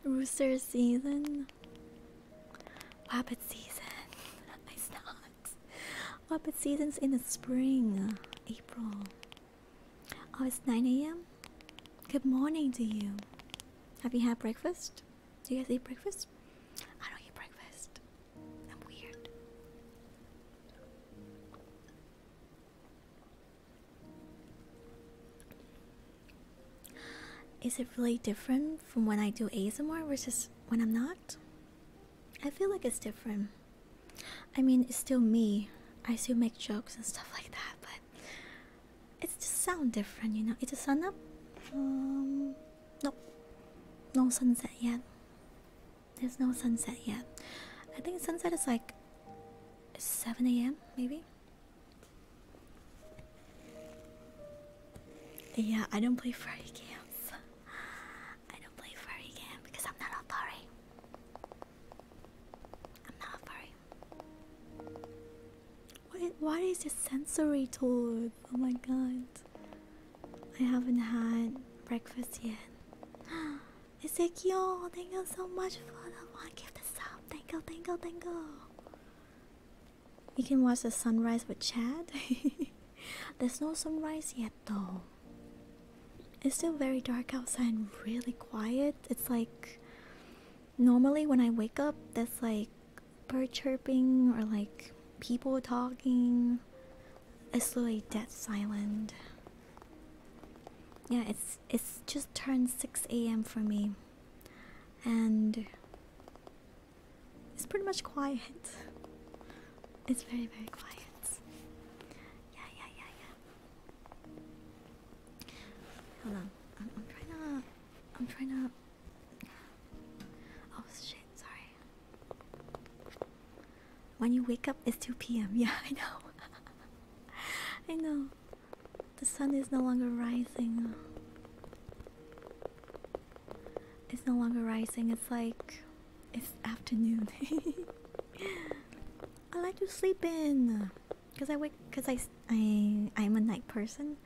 Rooster season, Rabbit season. It's not. Wabbit season's in the spring, uh, April. Oh, it's 9 a.m. Good morning to you. Have you had breakfast? Do you guys eat breakfast? I don't eat breakfast. I'm weird. Is it really different from when I do ASMR versus when I'm not? I feel like it's different. I mean, it's still me. I still make jokes and stuff like that, but it's just sound different, you know. It's a sun up. Um, nope, no sunset yet. There's no sunset yet. I think sunset is like 7 a.m. maybe. Yeah, I don't play Friday games. I don't play furry game because I'm not a furry. I'm not a furry. What, what is this sensory tour? Oh my god. I haven't had breakfast yet. Ezekiel, thank you so much for the one gift this Thank you, thank you, thank you. can watch the sunrise with Chad. There's no sunrise yet though. It's still very dark outside and really quiet. It's like normally when I wake up, there's like bird chirping or like people talking. It's literally dead silent. Yeah, it's it's just turned six a.m. for me, and it's pretty much quiet. It's very very quiet. Yeah yeah yeah yeah. Hold on. I'm, trying to. I'm trying to. Oh shit! Sorry. When you wake up, it's two p.m. Yeah, I know. I know. The sun is no longer rising. It's no longer rising. It's like it's afternoon. I like to sleep in. Cause I wake, cause I, I, I'm a night person.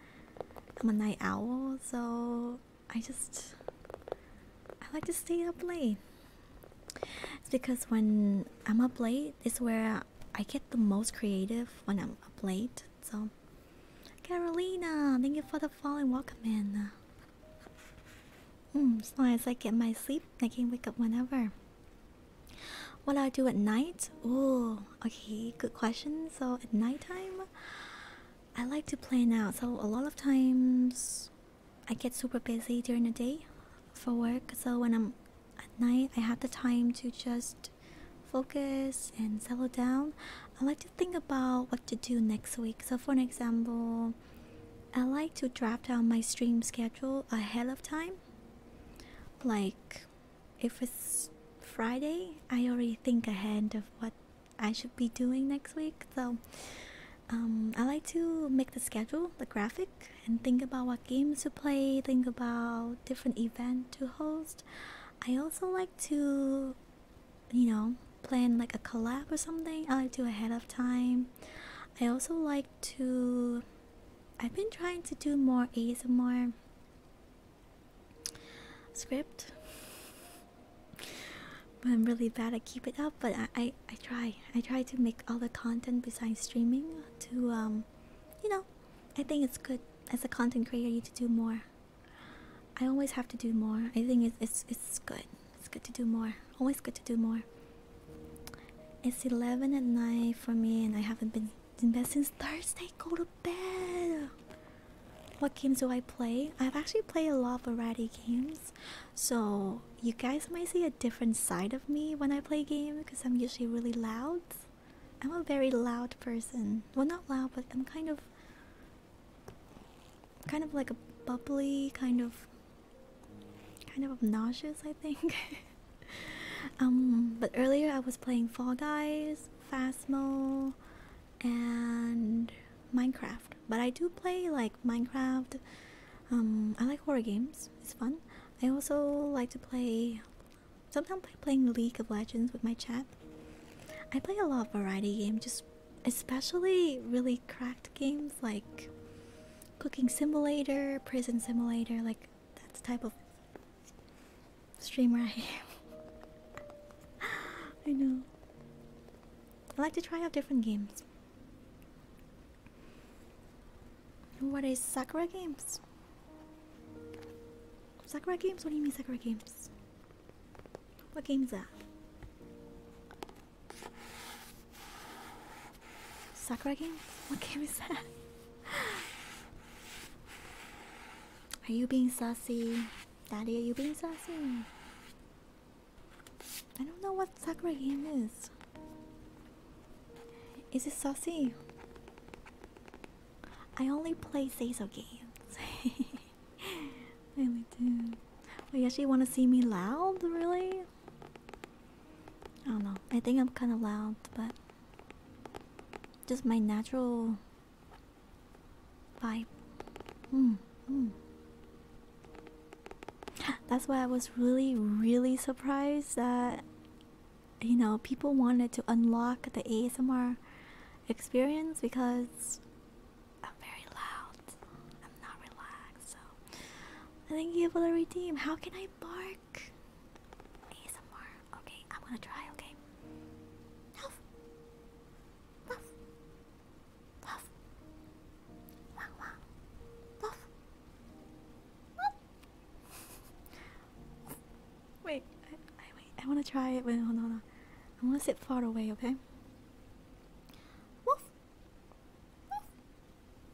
I'm a night owl, so I just, I like to stay up late. It's because when I'm up late, it's where I get the most creative when I'm up late. So, Carolina, thank you for the fall and welcome in. Mm, as long as I get my sleep, I can wake up whenever. What do I do at night? Oh, okay, good question. So at nighttime, I like to plan out. So a lot of times, I get super busy during the day for work. So when I'm at night, I have the time to just focus and settle down. I like to think about what to do next week. So for an example, I like to draft out my stream schedule ahead of time. Like if it's Friday, I already think ahead of what I should be doing next week. So um, I like to make the schedule, the graphic, and think about what games to play, think about different event to host. I also like to, you know, plan like a collab or something. I like to ahead of time. I also like to. I've been trying to do more ASMR script i'm really bad at keep it up but I, I try i try to make all the content besides streaming to um you know i think it's good as a content creator you to do more i always have to do more i think it's it's, it's good it's good to do more always good to do more it's 11 at night for me and i haven't been it's since Thursday. Go to bed. What games do I play? I've actually played a lot of variety games, so you guys might see a different side of me when I play games because I'm usually really loud. I'm a very loud person. Well, not loud, but I'm kind of, kind of like a bubbly, kind of, kind of obnoxious. I think. um, but earlier I was playing Fall Guys. Phasmo, and Minecraft. But I do play like Minecraft. Um, I like horror games. It's fun. I also like to play. Sometimes play playing League of Legends with my chat. I play a lot of variety games, just especially really cracked games like Cooking Simulator, Prison Simulator, like that's type of Stream right. am. I know. I like to try out different games. What is Sakura games? Sakura games? What do you mean Sakura games? What game is that? Sakura games? What game is that? Are you being saucy? Daddy, are you being saucy? I don't know what Sakura game is. Is it saucy? I only play Seiso games. I only do. Wait, you actually want to see me loud? Really? I don't know. I think I'm kind of loud, but just my natural Vibe. Hmm, hmm. That's why I was really, really surprised that you know people wanted to unlock the ASMR experience because I'm very loud. I'm not relaxed, so I think you able to redeem. How can I bark? ASMR. Okay, I'm gonna try, okay? wait, I, I, wait, I wanna try it. Wait, hold on, hold on. I wanna sit far away, okay?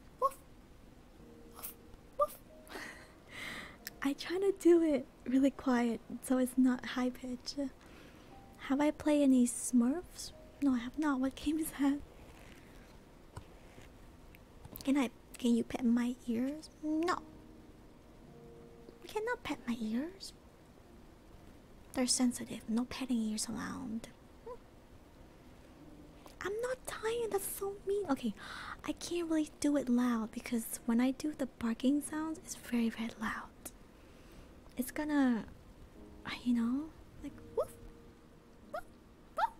I try to do it really quiet so it's not high pitch. Have I played any Smurfs? No, I have not. What games have? that? Can I? Can you pet my ears? No. You cannot pet my ears. They're sensitive. No petting ears allowed. I'm not tired. That's so mean. Okay, I can't really do it loud because when I do the the barking sounds is very very loud. It's gonna, you know, like woof, woof, woof,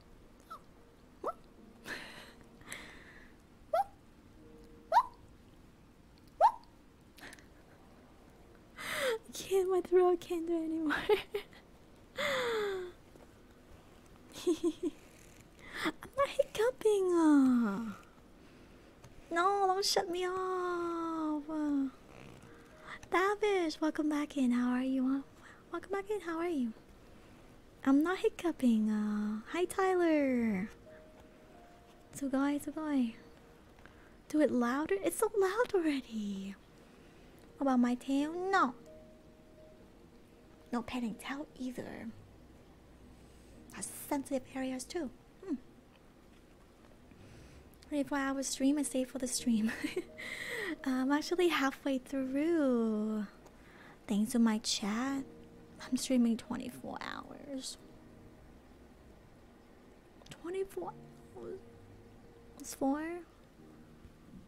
woof, woof. woof, woof, woof. I can't my throat can't do anymore. I'm not hiccuping. Uh. No, don't shut me off. Davish, welcome back in. How are you? Welcome back in. How are you? I'm not hiccuping. Uh, hi, Tyler. Sugoi, sugoi. Do it louder? It's so loud already. About my tail? No. No petting tail either. That's sensitive areas too. Hmm. 24 hour stream and stay for the stream. I'm actually halfway through. Thanks to my chat. I'm streaming 24 hours. 24 hours? It's four?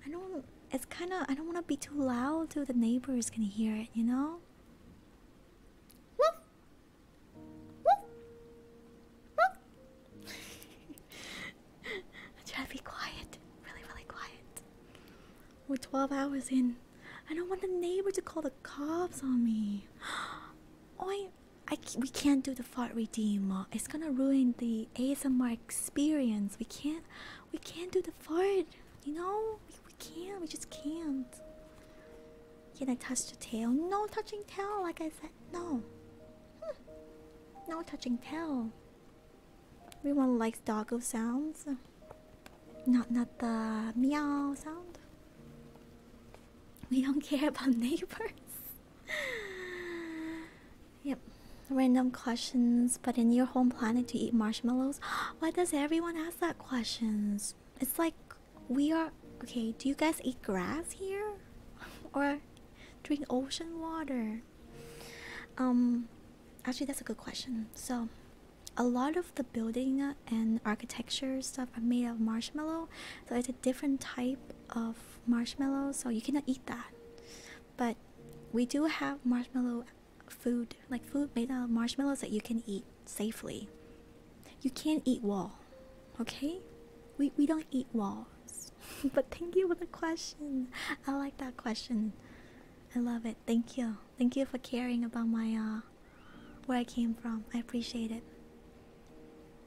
I don't. It's kind of. I don't want to be too loud so the neighbors can hear it, you know? I try to be quiet, really, really quiet. We're 12 hours in. I don't want the neighbor to call the cops on me. Oi, I, we can't do the fart redeem. It's gonna ruin the ASMR experience. We can't, we can't do the fart. You know, we, can't. We just can't. Can I touch your tail? No touching tail. Like I said, no. Hmm. No touching tail. Everyone likes dogo sounds. Not not the meow sound. We don't care about neighbors. yep. Random questions, but in your home planet to eat marshmallows? Why does everyone ask that questions? It's like we are okay. Do you guys eat grass here or drink ocean water? Um, actually, that's a good question. So, a lot of the building and architecture stuff are made of marshmallow, so it's a different type of marshmallow, so you cannot eat that. But we do have marshmallow food like food made out uh, of marshmallows that you can eat safely. You can't eat wall, okay? We we don't eat walls. but thank you for the question. I like that question. I love it. Thank you. Thank you for caring about my uh where I came from. I appreciate it.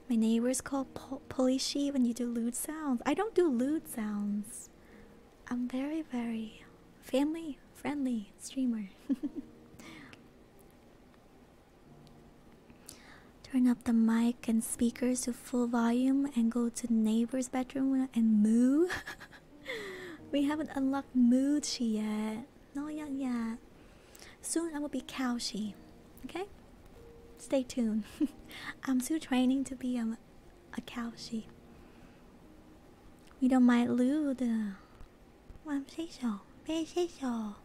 My neighbors call po polishi when you do lewd sounds. I don't do lewd sounds. I'm very, very family friendly streamer. Turn up the mic and speakers to full volume and go to neighbor's bedroom and moo. we haven't unlocked moochi yet. No, yet, yet. Soon I will be Kaoshi. Okay? Stay tuned. I'm still training to be a, a Kaoshi. We don't mind lewd. I'm Seashell. Where's Seashell?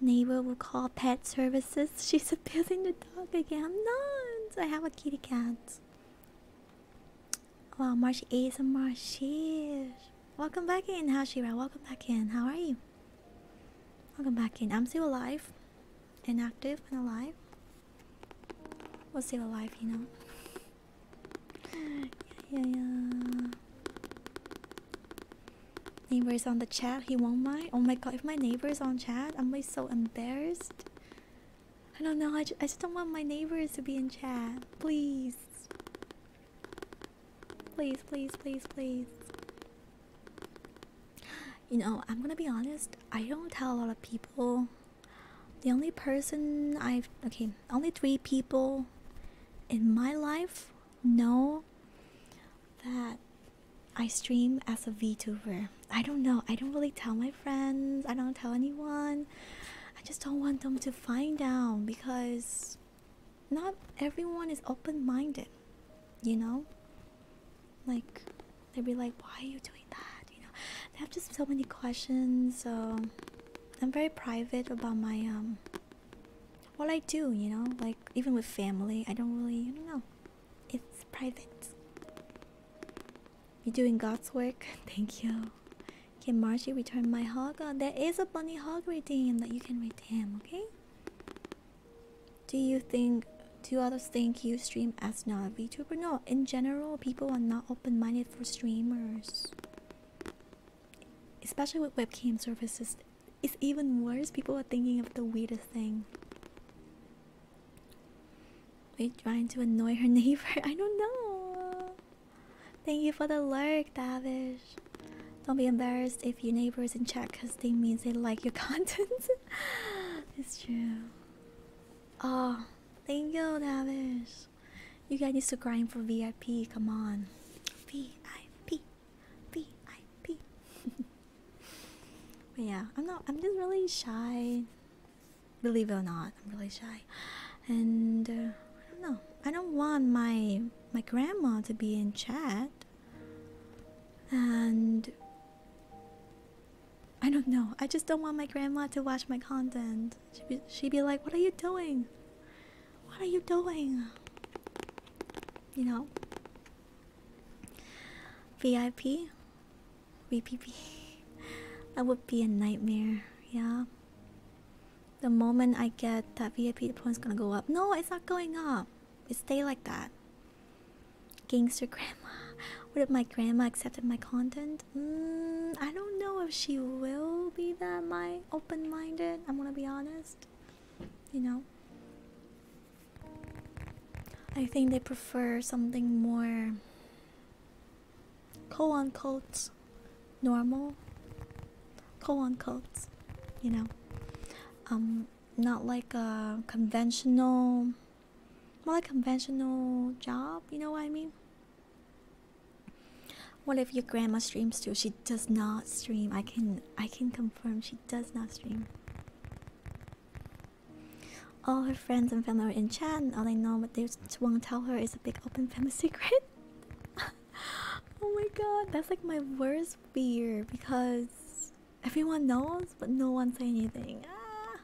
Neighbor will call pet services. She's abusing the dog again. I'm not. I have a kitty cat. Well, March 8th and March. Welcome back in, Hashira. Welcome back in. How are you? Welcome back in. I'm still alive and active and alive. We're still alive, you know yeah, yeah, yeah. Neighbors on the chat, he won't mind. Oh my god, if my neighbor's on chat, I'm like so embarrassed. I don't know, I, I just don't want my neighbors to be in chat. Please. Please, please, please, please. You know, I'm gonna be honest, I don't tell a lot of people. The only person I've. Okay, only three people in my life know that I stream as a VTuber. I don't know. I don't really tell my friends. I don't tell anyone. I just don't want them to find out because not everyone is open minded, you know? Like, they'd be like, why are you doing that? You know, they have just so many questions. So I'm very private about my um what I do, you know, like even with family, I don't really you know. It's private. You're doing God's work. Thank you. Can Margie return my hog? Oh, there is a bunny hog redeem that you can redeem, okay? Do you think do others think you stream as not a VTuber? No, in general people are not open minded for streamers especially with webcam services, it's even worse. People are thinking of the weirdest thing. Are trying to annoy her neighbor? I don't know. Thank you for the lurk, Davish. Don't be embarrassed if your neighbors in chat because they means they like your content. it's true. Oh, thank you, Davish. You guys need to grind for VIP. Come on, VIP, VIP. but yeah, I'm not. I'm just really shy. Believe it or not, I'm really shy, and uh, I don't know. I don't want my my grandma to be in chat, and I don't know. I just don't want my grandma to watch my content. She'd be, like, What are you doing? What are you doing? You know? VIP? VPP? that would be a nightmare, yeah? The moment I get that VIP, the point's gonna go up. No, it's not going up. It stay like that. Gangster grandma. What if my grandma accepted my content? Mm, I don't know if she will be that my open-minded, I'm gonna be honest. You know? I think they prefer something more quote unquote normal. Quote unquote, you know. Um not like a conventional more like conventional job, you know what I mean? What if your grandma streams too? She does not stream. I can I can confirm she does not stream. All her friends and family are in chat and all they know what they won't tell her is a big open family secret. oh my god, that's like my worst fear because everyone knows but no one say anything. Ah.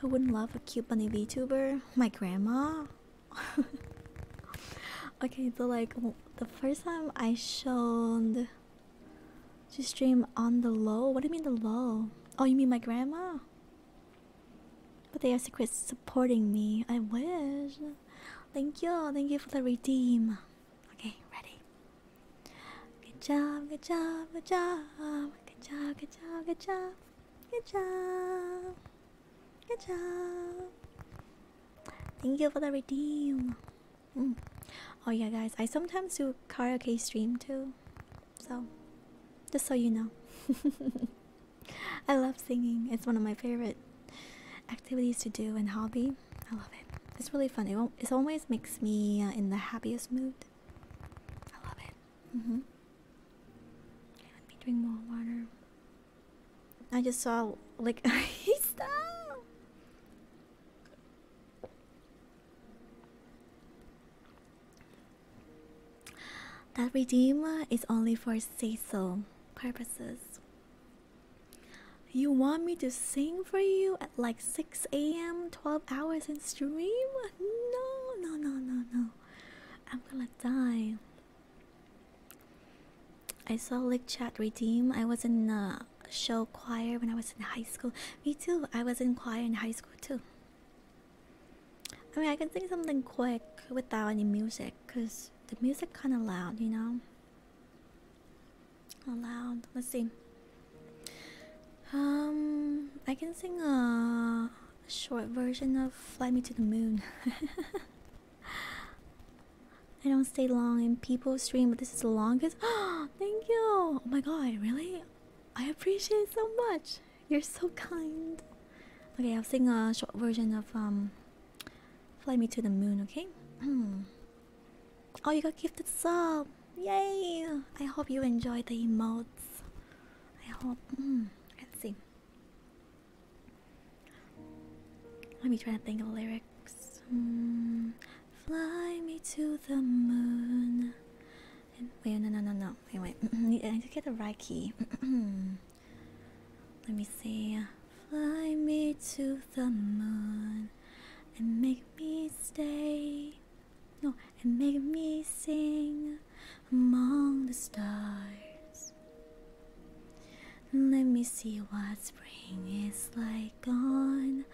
Who wouldn't love a cute bunny VTuber? My grandma? okay, so like the first time I showed to stream on the low. What do you mean the low? Oh, you mean my grandma? But they also quit supporting me. I wish. Thank you. Thank you for the redeem. Okay, ready. Good job, good job, good job. Good job, good job, good job. Good job. Good job. Thank you for the redeem. Mm. Oh yeah, guys, I sometimes do karaoke stream too. So, just so you know. I love singing. It's one of my favorite activities to do and hobby. I love it. It's really fun. It, it always makes me uh, in the happiest mood. I love it. -hmm. let me drink more water. I just saw like That redeem is only for say purposes. You want me to sing for you at like 6 a.m. 12 hours in stream? No, no, no, no, no. I'm gonna die. I saw Lick Chat Redeem. I was in a uh, show choir when I was in high school. Me too. I was in choir in high school too. I mean, I can sing something quick without any music because the music kind of loud, you know? loud. Let's see. Um, I can sing a short version of Fly Me to the Moon. I don't stay long in people stream, but this is the longest. Thank you. Oh my god, really? I appreciate so much. You're so kind. Okay, I'll sing a short version of um Fly Me to the Moon, okay? oh you got gifted sub. Yay! I hope you enjoy the emotes. I hope hmm, let's see. Let me try to think of the lyrics. Mm, fly me to the moon. And wait, no, no, no, no. Wait, wait. I need to get the right key. Let me see. Fly me to the moon and make me stay. No, and make me sing among the stars. Let me see what spring is like on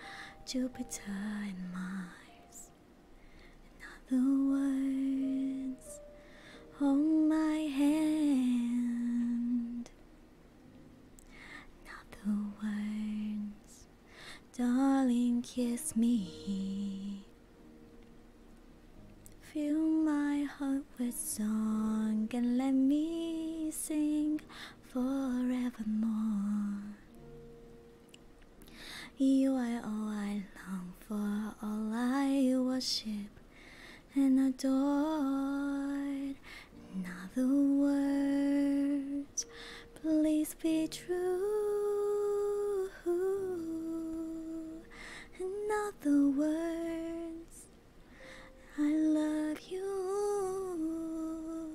Jupiter and Mars. In other words, hold my hand. In other words, darling, kiss me. Fill my heart with song and let me sing forevermore. You are all I long for, all I worship and adore. Not the words, please be true. not the words, I love you.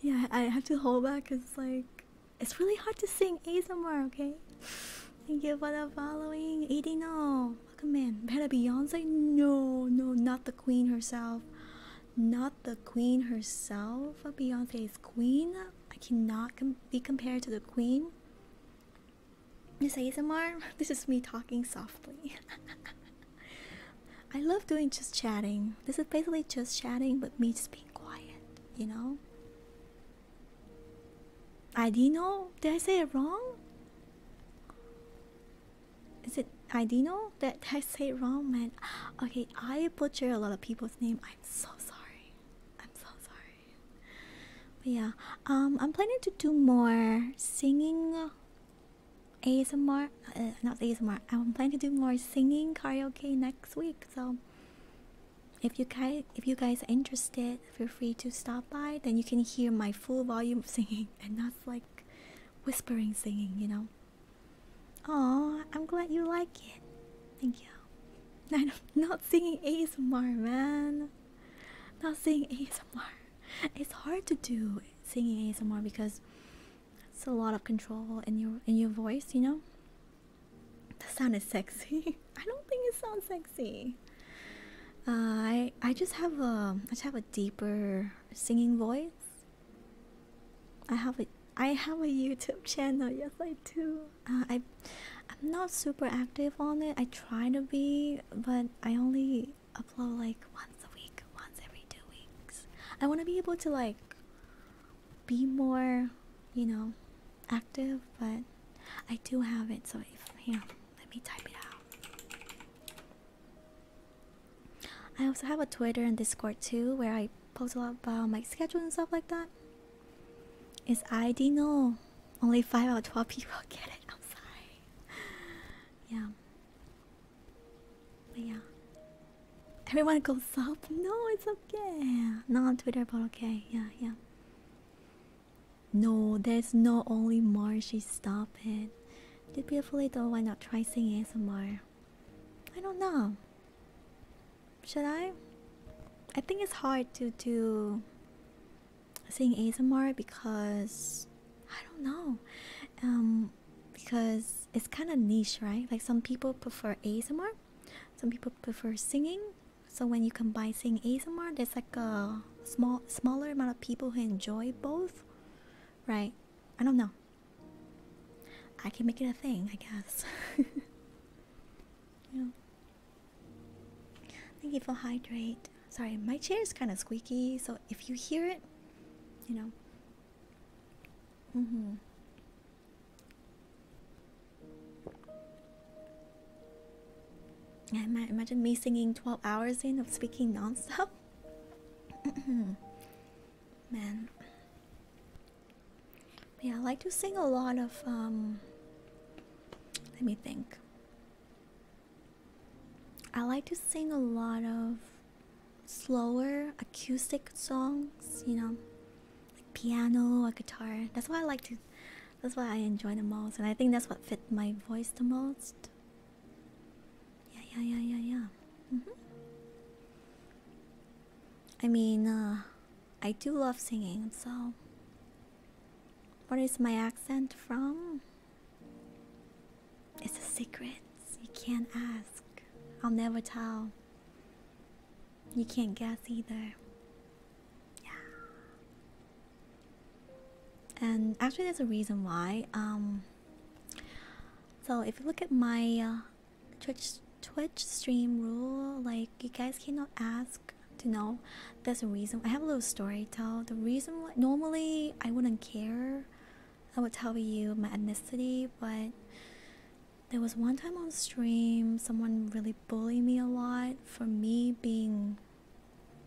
yeah, I have to hold back because it's like it's really hard to sing ASMR, okay? Thank you for the following. Edino, welcome in. Better Beyonce? No, no, not the queen herself. Not the queen herself. Beyonce is queen. I cannot be compared to the queen. This ASMR, this is me talking softly. I love doing just chatting. This is basically just chatting, but me just being quiet, you know? Idino? Did I say it wrong? Is it Idino? Did, did I say wrong, man? Okay, I butcher a lot of people's name. I'm so sorry. I'm so sorry. But yeah, um, I'm planning to do more singing ASMR. Uh, not ASMR. I'm planning to do more singing karaoke next week. So if you guys, if you guys are interested, feel free to stop by. Then you can hear my full volume of singing and not like whispering singing. You know. Oh, I'm glad you like it. Thank you. I'm not singing ASMR, man. Not singing ASMR. It's hard to do singing ASMR because it's a lot of control in your in your voice, you know? The sound is sexy. I don't think it sounds sexy. Uh, I I just have a I just have a deeper singing voice. I have a I have a YouTube channel. Yes, I do. Uh, I, I'm not super active on it. I try to be, but I only upload like once a week, once every two weeks. I want to be able to like be more, you know, active, but I do have it. So if here, let me type it out. I also have a Twitter and Discord too, where I post a lot about my schedule and stuff like that. It's I only 5 out of 12 people get it. I'm sorry. Yeah. yeah. Everyone goes up. No, it's okay. No Twitter, but okay. Yeah, yeah. No, there's not only more. She stop it. Did beautifully though. Why not try singing some more? I don't know. Should I? I think it's hard to do Singing ASMR because I don't know. Um because it's kind of niche, right? Like some people prefer ASMR, some people prefer singing. So when you combine singing ASMR, there's like a small smaller amount of people who enjoy both, right? I don't know. I can make it a thing, I guess. yeah. Thank you for hydrate. Sorry, my chair is kind of squeaky, so if you hear it, you know. Mm-hmm. I imagine me singing 12 hours in of speaking non-stop. Mm-hmm. Man. yeah, I like to sing a lot of um, let me think. I like to sing a lot of slower acoustic songs, you know, like piano or guitar. That's why I like to that's why I enjoy them most and I think that's what fit my voice the most. Yeah, yeah, yeah, yeah, yeah. Mm -hmm. I mean, uh, I do love singing, so What is my accent from? It's a secret. You can't ask. I'll never tell. You can't guess either. Yeah. And actually, there's a reason why. Um. So if you look at my uh, Twitch Twitch stream rule, like you guys cannot ask to know. That's a reason I have a little story to tell. The reason why normally I wouldn't care. I would tell you my ethnicity, but there was one time on stream someone really bullied me a lot for me being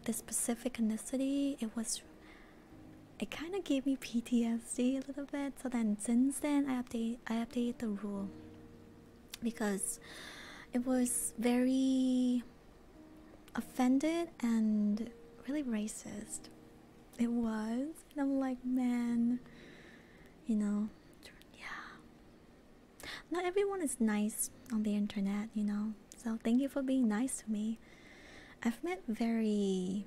this specific ethnicity. It was it kind of gave me PTSD a little bit. So then since then I update I updated the rule because it was very offended and really racist. It was. And I'm like, man, you know, yeah. Not everyone is nice on the internet, you know. So thank you for being nice to me. I've met very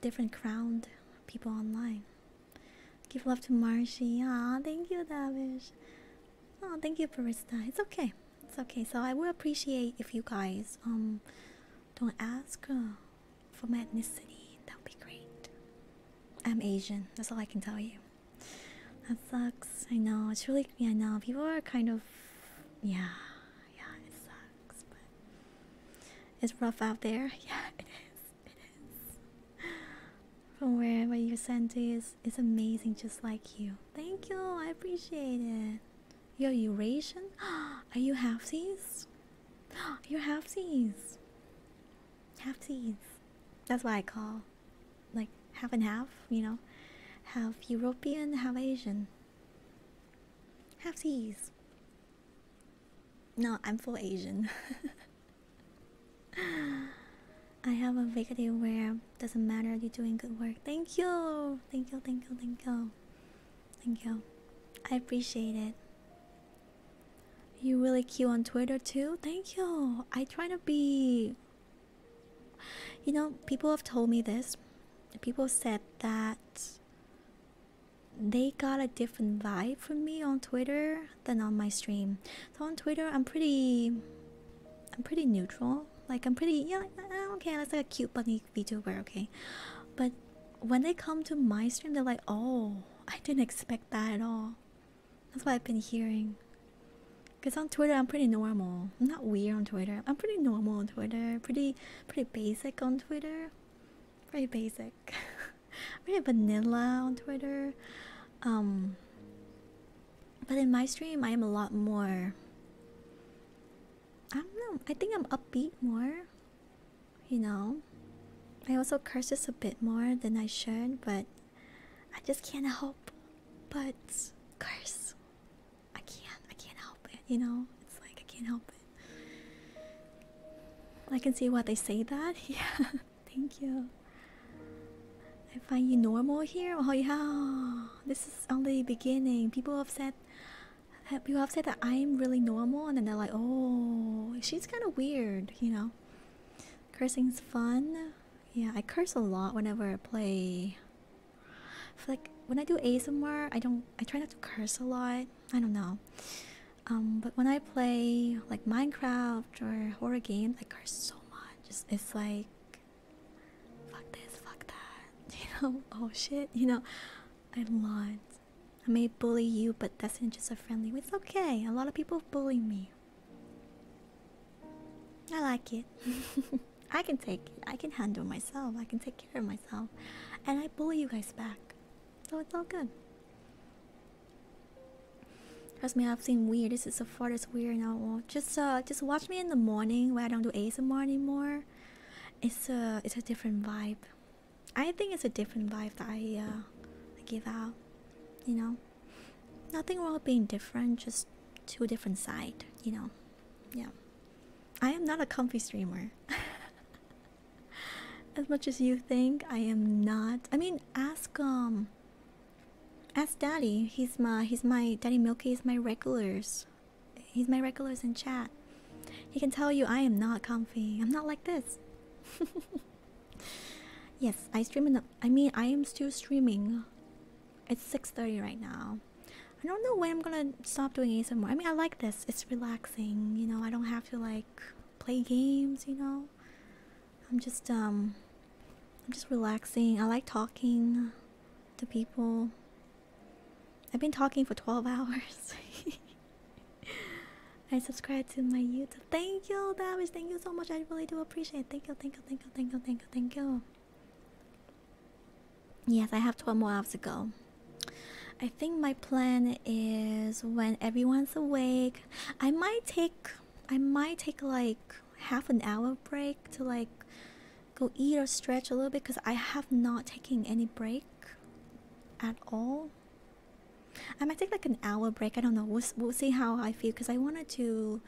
different crowned people online. Give love to Marshy. Ah, thank you, Davish. Oh, thank you, Barista. It's okay. It's okay. So I will appreciate if you guys um don't ask uh, for my ethnicity. That would be great. I'm Asian. That's all I can tell you. That sucks. I know. It's really. Yeah, I know. People are kind of. Yeah. Yeah, it sucks. But it's rough out there. Yeah, it is. It is. From wherever you sent is it's amazing just like you. Thank you, I appreciate it. You're Eurasian? Are you halfsies? You're halfsies. Halfsies. That's what I call like half and half, you know. Half European, half Asian. Halfsies. No, I'm full Asian. I have a big day where doesn't matter you're doing good work. Thank you, thank you, thank you, thank you, thank you. I appreciate it. You really cute on Twitter too. Thank you. I try to be. You know, people have told me this. People said that they got a different vibe from me on Twitter than on my stream. So on Twitter, I'm pretty, I'm pretty neutral. Like I'm pretty, yeah, eh, okay, that's like a cute bunny VTuber, okay. But when they come to my stream, they're like, oh, I didn't expect that at all. That's what I've been hearing. Cause on Twitter, I'm pretty normal. I'm not weird on Twitter. I'm pretty normal on Twitter. Pretty, pretty basic on Twitter. Pretty basic. pretty vanilla on Twitter. Um, but in my stream, I am a lot more. I don't know. I think I'm upbeat more. You know? I also curse just a bit more than I should, but I just can't help but curse. I can't. I can't help it, you know? It's like I can't help it. I can see why they say that. Yeah. Thank you. I find you normal here. Oh yeah, this is only beginning. People have said, people have said that I'm really normal, and then they're like, oh, she's kind of weird, you know. Cursing's fun. Yeah, I curse a lot whenever I play. like when I do a somewhere, I don't. I try not to curse a lot. I don't know. Um, but when I play like Minecraft or horror games, I curse so much just it's like fuck this, fuck that, you know, oh shit, you know, I am not. I may bully you, but that's in just a friendly way. It's okay. A lot of people bully me. I like it. I can take it. I can handle myself. I can take care of myself. And I bully you guys back. So it's all good. Trust me, I've seen weird. This is the far as weird now. Just uh, just watch me in the morning where I don't do ASMR anymore. It's a it's a different vibe. I think it's a different vibe that uh, I give out. You know, nothing wrong with being different. Just to a different side. You know, yeah. I am not a comfy streamer. as much as you think, I am not. I mean, ask um Ask Daddy. He's my he's my Daddy Milky is my regulars. He's my regulars in chat. He can tell you I am not comfy. I'm not like this. yes, I stream in I mean I am still streaming. It's 6:30 right now. I don't know when I'm gonna stop doing anymore. I mean I like this. It's relaxing, you know, I don't have to like play games, you know. I'm just um I'm just relaxing. I like talking to people. I've been talking for 12 hours. I subscribe to my YouTube. Thank you, Davish. Thank you so much. I really do appreciate it. thank you, thank you, thank you, thank you, thank you. Yes, I have 12 more hours to go. I think my plan is when everyone's awake, I might take I might take like half an hour break to like go eat or stretch a little bit because I have not taken any break at all. I might take like an hour break. I don't know. We'll, we'll see how I feel because I wanted to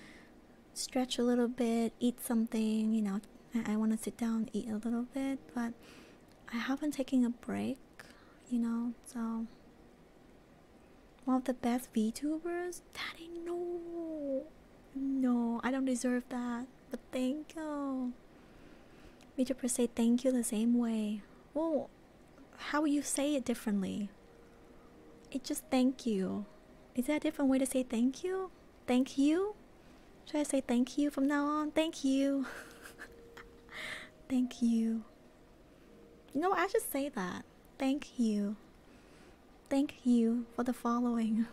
stretch a little bit, eat something, you know. I, I want to sit down, eat a little bit, but I haven't taken a break, you know, so one of the best VTubers? That ain't no. No, I don't deserve that. But thank you. VTubers say thank you the same way. Well, how you say it differently? It's just thank you. Is that a different way to say thank you? Thank you? Should I say thank you from now on? Thank you. thank you. You know, I should say that. Thank you. Thank you for the following.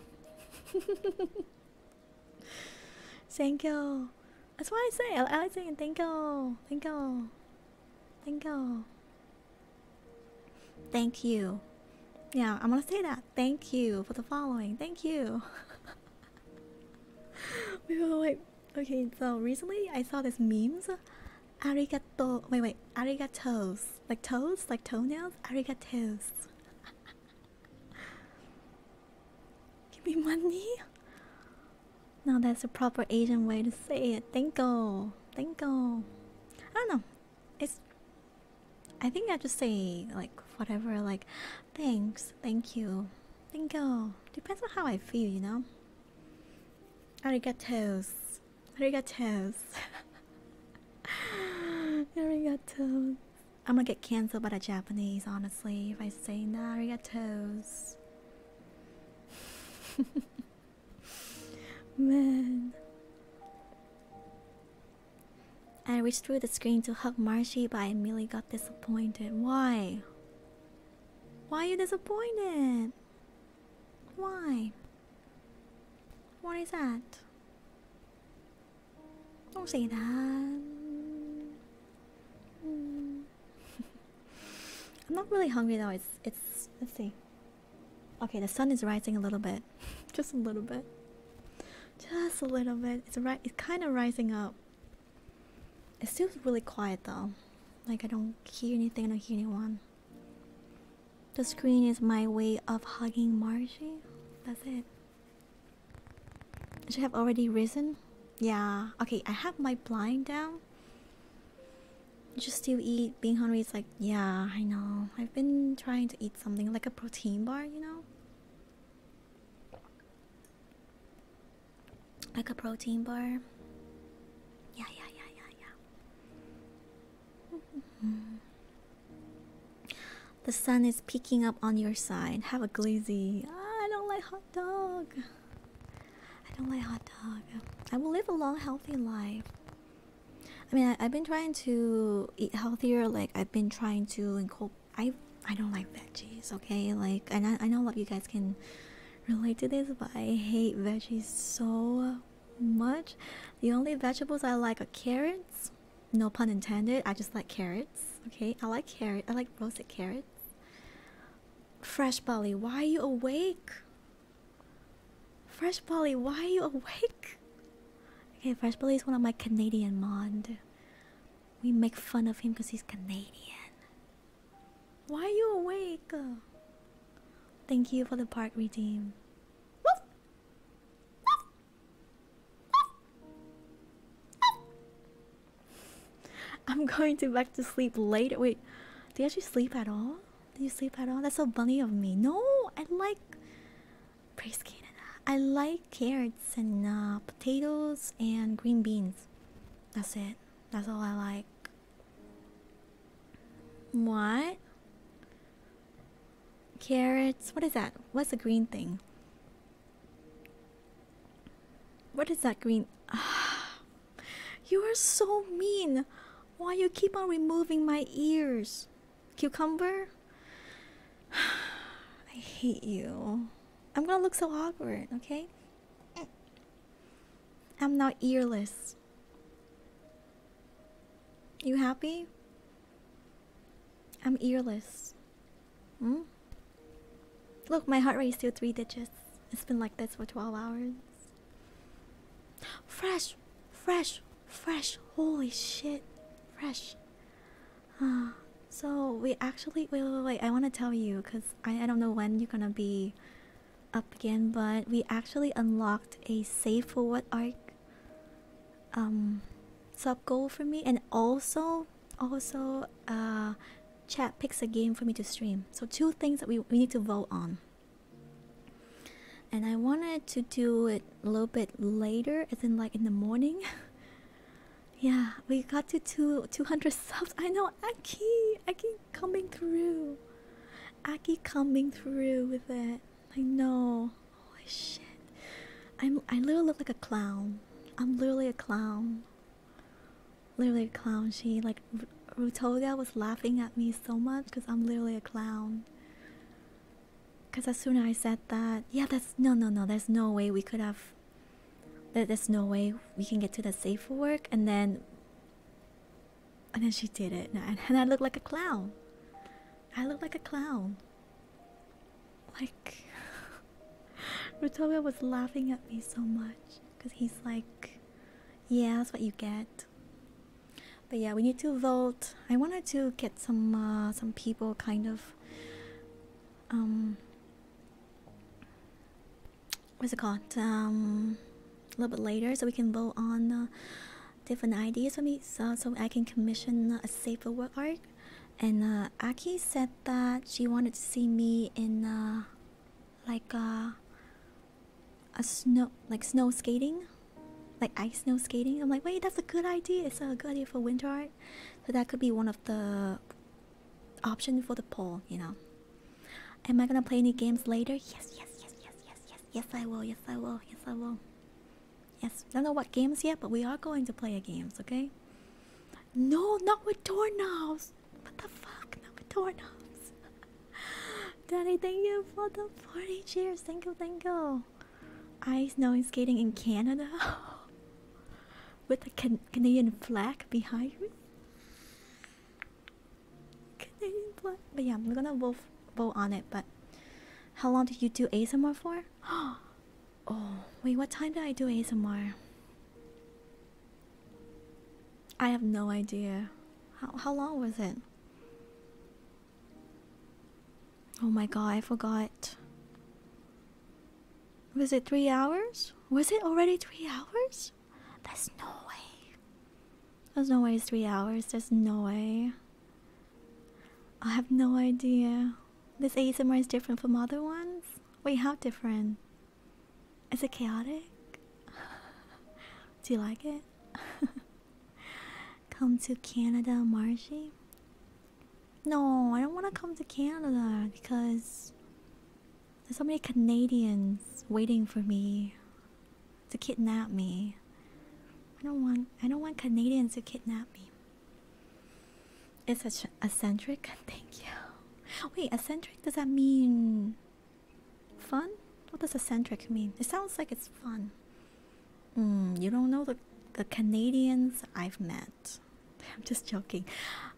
thank you. That's why I say I like saying thank you. Thank you. Thank you. Thank you. Yeah, I'm gonna say that. Thank you for the following. Thank you. we were like, okay, so recently I saw this memes. Arigato. Wait, wait. Arigatos. Like toes? Like toenails? Arigatos. Give me money? No, that's a proper Asian way to say it. Thank Thank Thanko. I don't know. It's I think I just say like whatever like thanks, thank you. Thank you. Depends on how I feel, you know. Arigatos. Arigatos. Arigatos. I'm gonna get cancelled by the Japanese, honestly, if I say nah, arigatos. Man. I reached through the screen to hug Marshy, but I immediately got disappointed. Why? Why are you disappointed? Why? What is that? Don't say that. I'm not really hungry though. It's it's let's see. Okay, the sun is rising a little bit. Just a little bit. Just a little bit. It's right it's kind of rising up. It's still really quiet though. Like I don't hear anything, I hear anyone. The screen is my way of hugging Margie. That's it. Should have already risen. Yeah. Okay, I have my blind down. Just to eat. Being hungry is like, yeah, I know. I've been trying to eat something like a protein bar, you know? Like a protein bar. Yeah, yeah, yeah, yeah, yeah. The sun is peeking up on your side. Have a glazy. I don't like hot dog. I don't like hot dog. I will live a long, healthy life. I mean, I, have been trying to eat healthier. Like I've been trying to incorporate. I I don't like veggies. Okay, like and I know a lot of you guys can relate to this, but I hate veggies so much. The only vegetables I like are carrots. No pun intended. I just like carrots. Okay, I like carrot. I like roasted carrots. Fresh Polly, why are you awake? Fresh Polly, why are you awake? Okay, Fresh Polly is one of my Canadian monde. We make fun of him because he's Canadian. Why are you awake? Thank you for the park redeem. I'm going to back to sleep late. Wait, do you actually sleep at all? Do you sleep at all? That's so funny of me. No, I like praise Canada. I like carrots and uh, potatoes and green beans. That's it. That's all I like. What? Carrots. What is that? What's the green thing? What is that green? you are so mean. Why you keep on removing my ears? Cucumber? I hate you. I'm gonna look so awkward, okay? I'm now earless. You happy? I'm earless. Hmm? Look, my heart rate is still three digits. It's been like this for 12 hours. Fresh! Fresh! Fresh! Holy shit! Fresh! Uh, so, we actually. Wait, wait, wait. I want to tell you because I, I don't know when you're gonna be up again, but we actually unlocked a safe for what arc um sub goal for me and also also uh chat picks a game for me to stream so two things that we, we need to vote on and i wanted to do it a little bit later as in like in the morning yeah we got to two, 200 subs i know aki aki coming through aki coming through with it I know. Holy shit. I'm I literally look like a clown. I'm literally a clown. Literally a clown. She like R Rutoga was laughing at me so much because I'm literally a clown. Cause as soon as I said that, yeah, that's no, no, no. There's no way we could have. there's no way we can get to the safe work, and then and then she did it, and, I looked like a clown. I looked like a clown. Like, Rutobia was laughing at me so much because he's like, yeah, that's what you get. But yeah, we need to vote. I wanted to get some uh, some people kind of um what's it called um a little bit later so we can vote on uh, different ideas for me so, so I can commission a safer work art. And uh, Aki said that she wanted to see me in uh, like uh, a snow, like snow skating, like ice snow skating. I'm like, wait, that's a good idea. It's a good idea for winter art. So that could be one of the option for the poll, you know. Am I gonna play any games later? Yes, yes, yes, yes, yes, yes, yes. I will. Yes, I will. Yes, I will. Yes, I don't know what games yet, but we are going to play games, okay? No, not with doorknobs! What the fuck? Not with doorknobs. Daddy, thank you for the 40 cheers. Thank you, thank you. Ice snowing skating in Canada with the Canadian flag behind me. Canadian flag. But yeah, I'm gonna vote, vote on it, but how long did you do ASMR for? Oh, oh, wait, what time did I do ASMR? I have no idea. How, how long was it? Oh my god, I forgot. Was it three hours? Was it already three hours? There's no way. There's no way it's three hours. There's no way. I have no idea. This ASMR is different from other ones. Wait, how different? Is it chaotic? Do you like it? come to Canada, Margie? No, I don't want to come to Canada because there's so many Canadians waiting for me to kidnap me. I don't want I don't want Canadians to kidnap me. It's such eccentric. Thank you. Wait, eccentric does that mean fun? What does eccentric mean? It sounds like it's fun. Mm, you don't know the, the Canadians I've met. I'm just joking.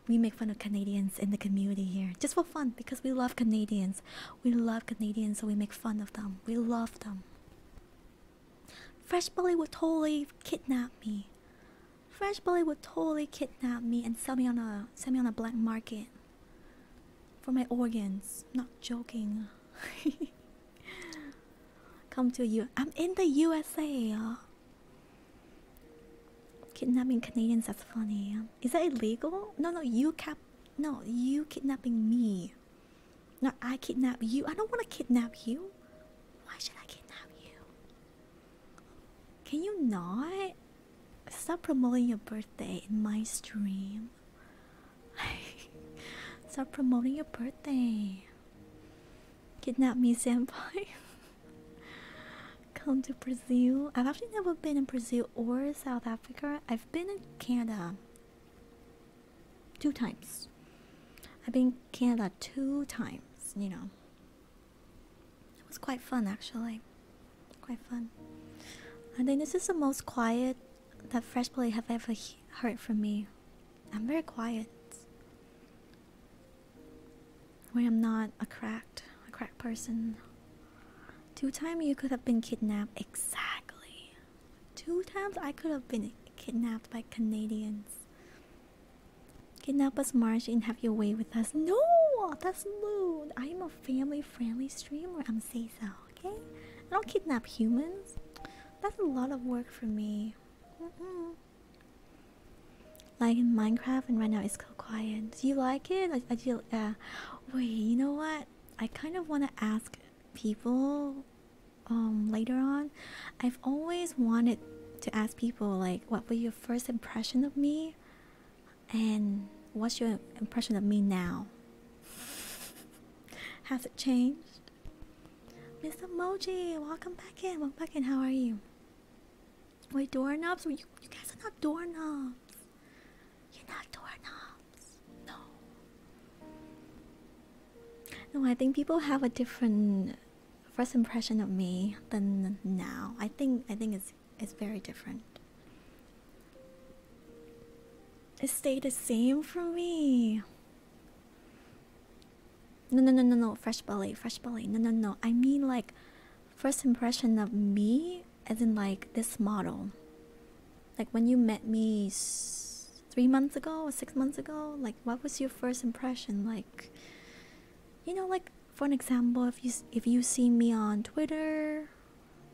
We make fun of Canadians in the community here just for fun because we love Canadians. We love Canadians, so we make fun of them. We love them. Fresh bully would totally kidnap me. Fresh bully would totally kidnap me and sell me on a sell me on a black market for my organs. Not joking. Come to you. I'm in the USA. Kidnapping Canadians. That's funny. Is that illegal? No, no. You cap. No, you kidnapping me. No, I kidnap you. I don't want to kidnap you. Why should I kidnap you? Can you not stop promoting your birthday in my stream? stop promoting your birthday. Kidnap me, senpai. Come to Brazil. I've actually never been in Brazil or South Africa. I've been in Canada two times. I've been Canada two times, you know. It was quite fun actually. Quite fun. I think this is the most quiet that Fresh Play have ever heard from me. I'm very quiet. I'm not a cracked, a cracked person. Two time you could have been kidnapped. Exactly. Two times I could have been kidnapped by Canadians. Kidnap us, March, and have your way with us. No, that's rude. I am a family-friendly streamer. I'm say so, okay? I don't kidnap humans. That's a lot of work for me. Like in Minecraft, and right now it's still quiet. Do you like it? I, I feel. Uh, wait, you know what? I kind of want to ask people um, later on i've always wanted to ask people like what was your first impression of me and what's your impression of me now has it changed mr moji welcome back in welcome back in how are you wait doorknobs you, you guys are not doorknobs you're not doorknobs no. No, I think people have a different first impression of me than now. I think I think it's it's very different. It stayed the same for me. No no no no no fresh belly, fresh belly. No no no. I mean like first impression of me as in like this model. Like when you met me three months ago or six months ago like what was your first impression like you know like for an example if you if you see me on twitter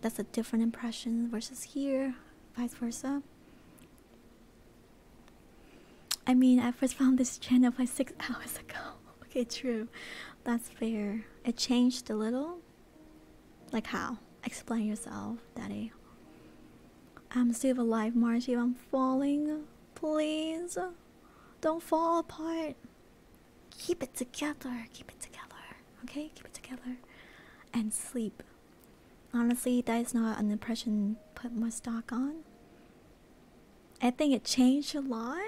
that's a different impression versus here vice versa i mean i first found this channel like six hours ago okay true that's fair it changed a little like how Explain yourself, Daddy. I'm still alive, Margie. I'm falling. Please. Don't fall apart. Keep it together. Keep it together. Okay? Keep it together. And sleep. Honestly, that is not an impression put my stock on. I think it changed a lot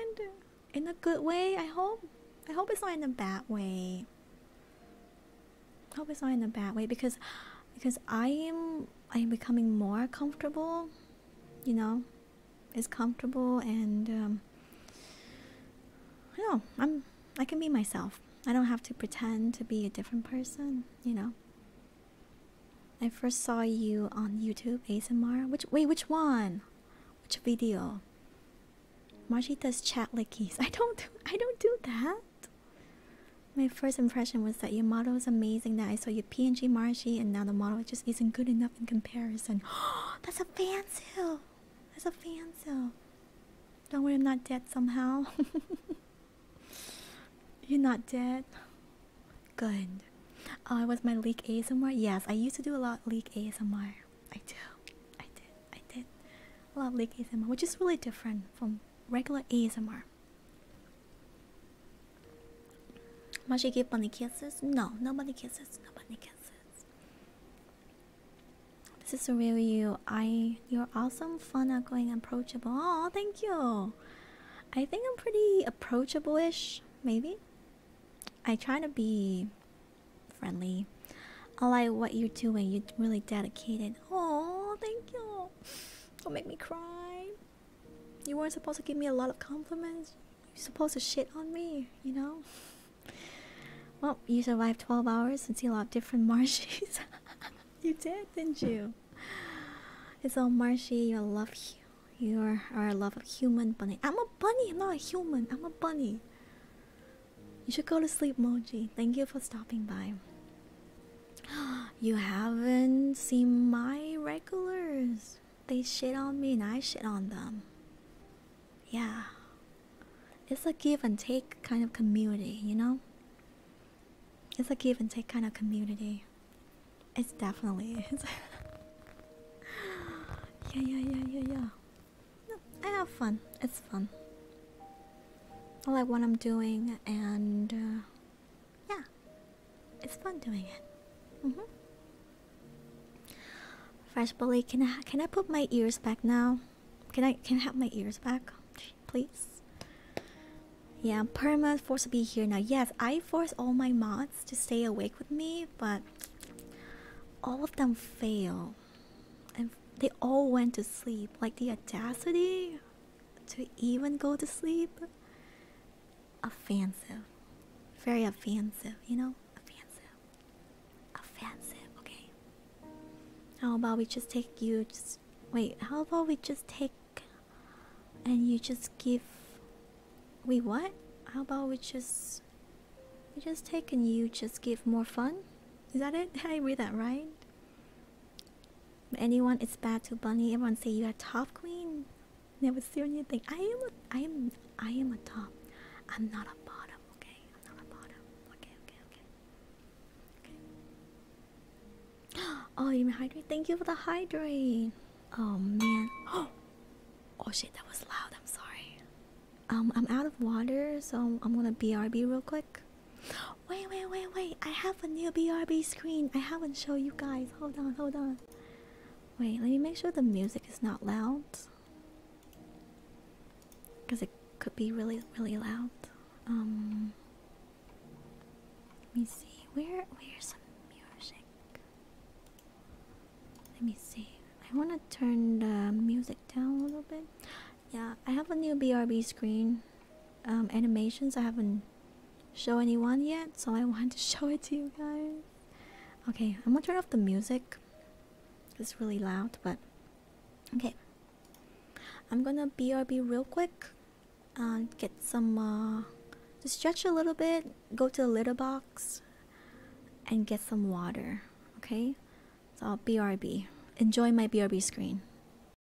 in a good way, I hope. I hope it's not in a bad way hope it's not in a bad way because because I am I am becoming more comfortable, you know, it's comfortable and I um, know I'm I can be myself. I don't have to pretend to be a different person, you know. I first saw you on YouTube ASMR. Which wait, which one? Which video? Marshita's chat lickies. I don't do I don't do that. My first impression was that your model was amazing. That I saw your PNG Marshy, and now the model just isn't good enough in comparison. That's a fan sale. That's a fan sale. Don't worry, I'm not dead somehow. You're not dead. Good. Oh, it was my leak ASMR. Yes, I used to do a lot leak ASMR. I do. I did. I did lovely ASMR, which is really different from regular ASMR. Must she give bunny kisses? No, nobody kisses. Nobody kisses. This is a real you. I you're awesome, fun, outgoing, approachable. Oh, thank you. I think I'm pretty approachable-ish, maybe. I try to be friendly. I like what you're doing. You're really dedicated. Oh, thank you. Don't make me cry. You weren't supposed to give me a lot of compliments. You're supposed to shit on me, you know? Well, you survived 12 hours and see a lot of different marshes. you did, didn't you? It's all marshy. You love you. You are, are a love of human bunny. I'm a bunny. I'm not a human. I'm a bunny. You should go to sleep, Moji. Thank you for stopping by. You haven't seen my regulars. They shit on me and I shit on them. Yeah. It's a give and take kind of community, you know? It's a give and take kind of community. It's definitely yeah, yeah, yeah, yeah, yeah. I have fun. It's fun. I like what I'm doing, and uh, yeah, it's fun doing it. Mm-hmm. Fresh bully, can I can I put my ears back now? Can I can I have my ears back, please? Yeah, perma force to be here now. Yes, I force all my mods to stay awake with me, but all of them fail, and they all went to sleep. Like the audacity to even go to sleep offensive very offensive you know offensive offensive okay how about we just take you just wait how about we just take and you just give we what how about we just we just take and you just give more fun is that it i read that right anyone it's bad to bunny everyone say you are top queen never see anything i am a, i am i am a top i'm not a bottom okay i'm not a bottom okay okay okay oh you mean hydrate thank you for the hydrate oh man oh oh shit that was loud i'm sorry um i'm out of water so i'm gonna brb real quick Wait, wait, wait, wait. I have a new BRB screen. I haven't shown you guys. Hold on, hold on. Wait, let me make sure the music is not loud. Because it could be really, really loud. Um Let me see. Where where's some music? Let me see. I wanna turn the music down a little bit. Yeah, I have a new BRB screen. Um, animations. I haven't shown anyone yet, so I wanted to show it to you guys. Okay, I'm gonna turn off the music. It's really loud, but okay. I'm gonna BRB real quick. Uh, get some, uh, stretch a little bit, go to the litter box, and get some water. Okay, so i BRB. Enjoy my BRB screen.